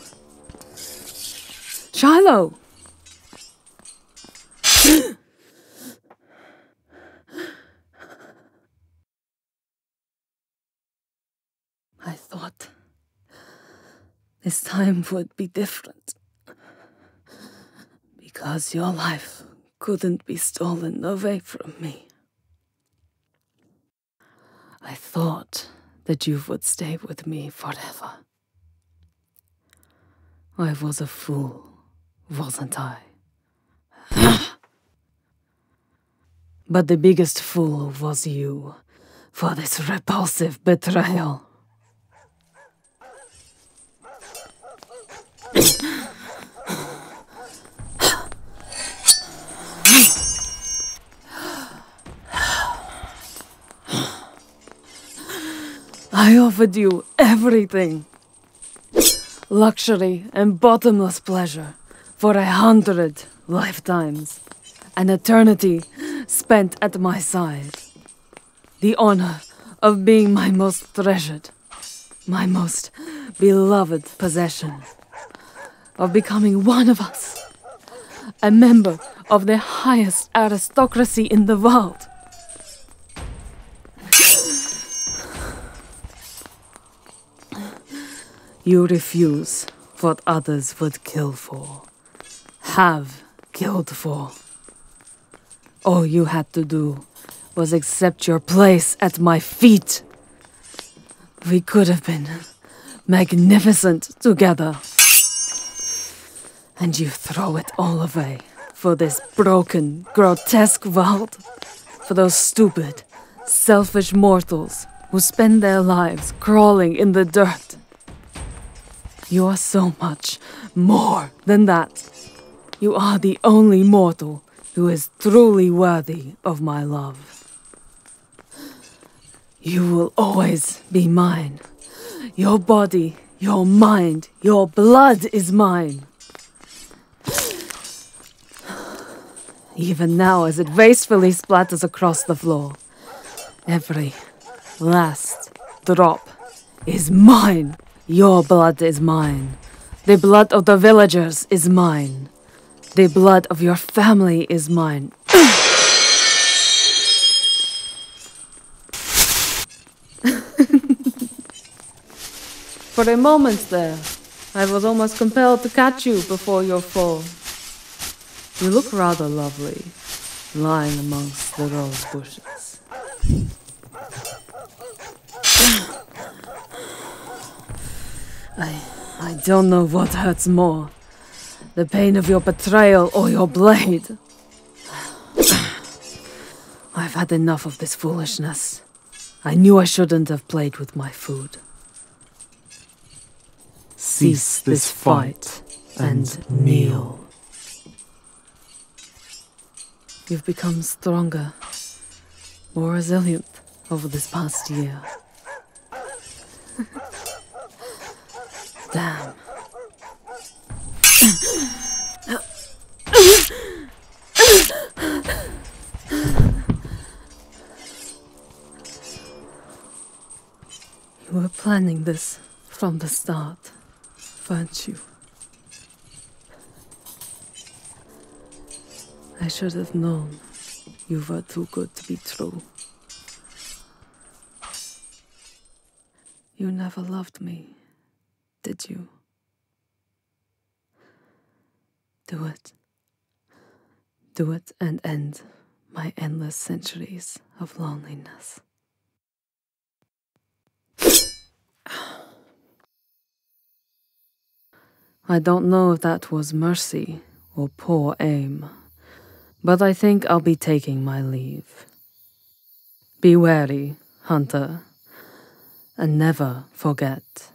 Shiloh! I thought this time would be different. Because your life couldn't be stolen away from me. I thought that you would stay with me forever. I was a fool, wasn't I? but the biggest fool was you for this repulsive betrayal. I offered you everything. Luxury and bottomless pleasure for a hundred lifetimes. An eternity spent at my side. The honor of being my most treasured, my most beloved possession. Of becoming one of us a member of the highest aristocracy in the world. You refuse what others would kill for, have killed for. All you had to do was accept your place at my feet. We could have been magnificent together. And you throw it all away for this broken, grotesque world. For those stupid, selfish mortals who spend their lives crawling in the dirt. You are so much more than that. You are the only mortal who is truly worthy of my love. You will always be mine. Your body your mind, your blood is mine. Even now, as it wastefully splatters across the floor, every last drop is mine. Your blood is mine. The blood of the villagers is mine. The blood of your family is mine. For a moment there, I was almost compelled to catch you before your fall. You look rather lovely, lying amongst the rose bushes. I, I don't know what hurts more the pain of your betrayal or your blade. I've had enough of this foolishness. I knew I shouldn't have played with my food. Cease this fight and kneel. You've become stronger, more resilient over this past year. Damn, you were planning this from the start, weren't you? I should have known you were too good to be true. You never loved me, did you? Do it. Do it and end my endless centuries of loneliness. I don't know if that was mercy or poor aim, but I think I'll be taking my leave. Be wary, hunter, and never forget.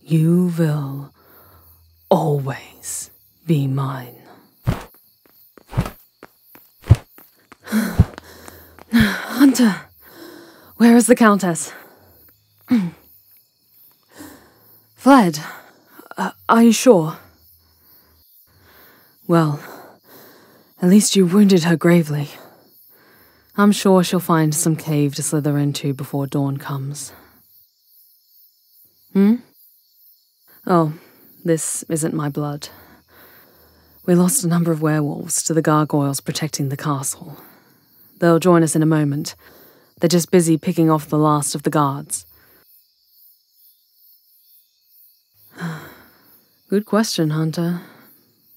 You will always be mine. Hunter, where is the Countess? Fled. Uh, are you sure? Well, at least you wounded her gravely. I'm sure she'll find some cave to slither into before dawn comes. Hmm? Oh, this isn't my blood. We lost a number of werewolves to the gargoyles protecting the castle. They'll join us in a moment. They're just busy picking off the last of the guards. Good question, Hunter.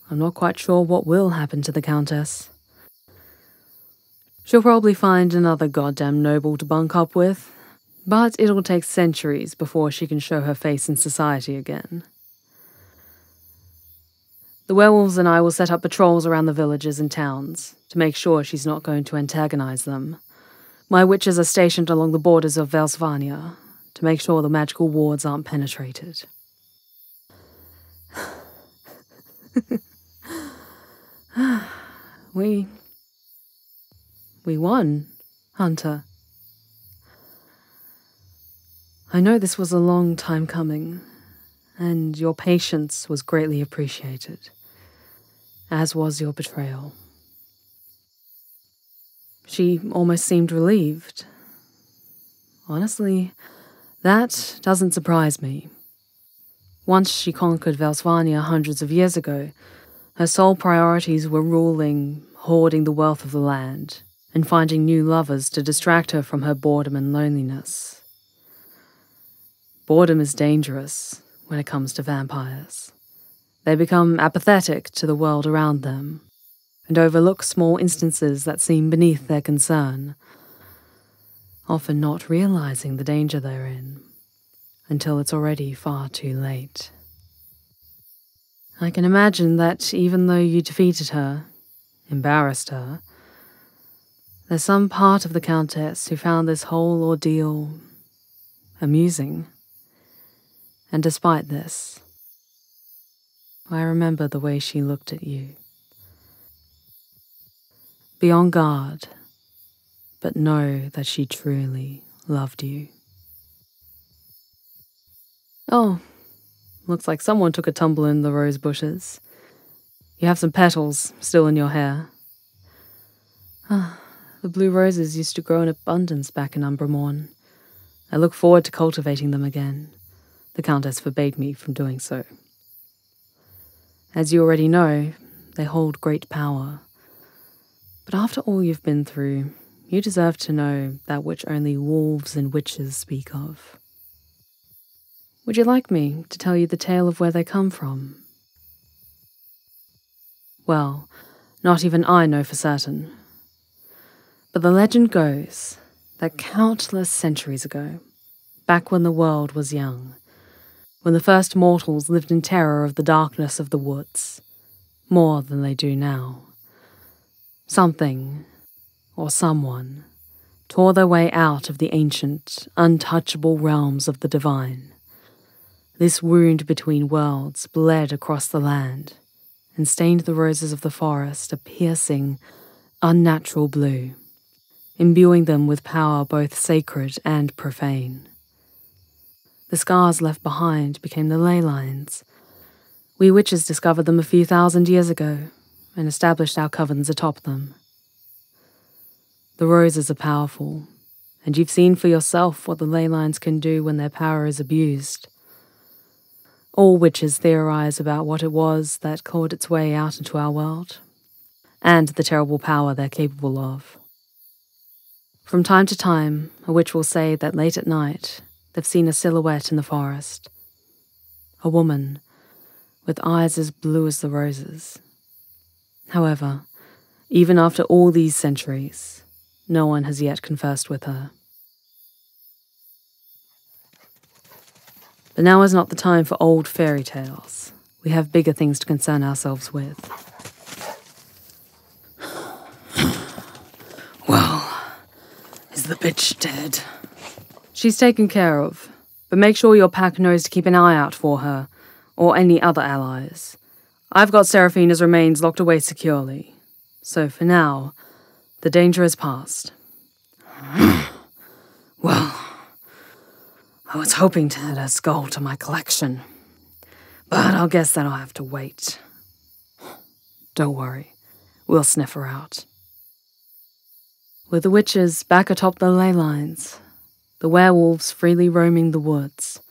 I'm not quite sure what will happen to the Countess. She'll probably find another goddamn noble to bunk up with, but it'll take centuries before she can show her face in society again. The werewolves and I will set up patrols around the villages and towns to make sure she's not going to antagonize them. My witches are stationed along the borders of Velsvania to make sure the magical wards aren't penetrated. we. We won, Hunter. I know this was a long time coming, and your patience was greatly appreciated, as was your betrayal. She almost seemed relieved. Honestly, that doesn't surprise me. Once she conquered Valsvania hundreds of years ago, her sole priorities were ruling, hoarding the wealth of the land, and finding new lovers to distract her from her boredom and loneliness. Boredom is dangerous when it comes to vampires. They become apathetic to the world around them and overlook small instances that seem beneath their concern, often not realizing the danger they're in until it's already far too late. I can imagine that even though you defeated her, embarrassed her, there's some part of the Countess who found this whole ordeal amusing. And despite this, I remember the way she looked at you. Be on guard, but know that she truly loved you. Oh, looks like someone took a tumble in the rose bushes. You have some petals still in your hair. Ah, the blue roses used to grow in abundance back in Umbra Morn. I look forward to cultivating them again. The Countess forbade me from doing so. As you already know, they hold great power. But after all you've been through, you deserve to know that which only wolves and witches speak of. Would you like me to tell you the tale of where they come from? Well, not even I know for certain. But the legend goes that countless centuries ago, back when the world was young, when the first mortals lived in terror of the darkness of the woods, more than they do now, something or someone tore their way out of the ancient, untouchable realms of the divine this wound between worlds bled across the land and stained the roses of the forest a piercing, unnatural blue, imbuing them with power both sacred and profane. The scars left behind became the ley lines. We witches discovered them a few thousand years ago and established our covens atop them. The roses are powerful, and you've seen for yourself what the ley lines can do when their power is abused. All witches theorize about what it was that clawed its way out into our world, and the terrible power they're capable of. From time to time, a witch will say that late at night they've seen a silhouette in the forest. A woman, with eyes as blue as the roses. However, even after all these centuries, no one has yet conversed with her. But now is not the time for old fairy tales. We have bigger things to concern ourselves with. Well, is the bitch dead? She's taken care of, but make sure your pack knows to keep an eye out for her, or any other allies. I've got Seraphina's remains locked away securely so for now, the danger is past. well, I was hoping to add a skull to my collection, but I'll guess i will have to wait. Don't worry, we'll sniff her out. With the witches back atop the ley lines, the werewolves freely roaming the woods,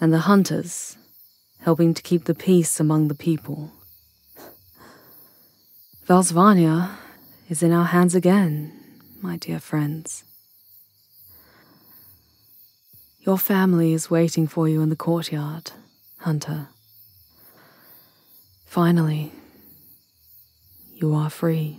and the hunters helping to keep the peace among the people. Valsvania is in our hands again, my dear friends. Your family is waiting for you in the courtyard, Hunter. Finally, you are free.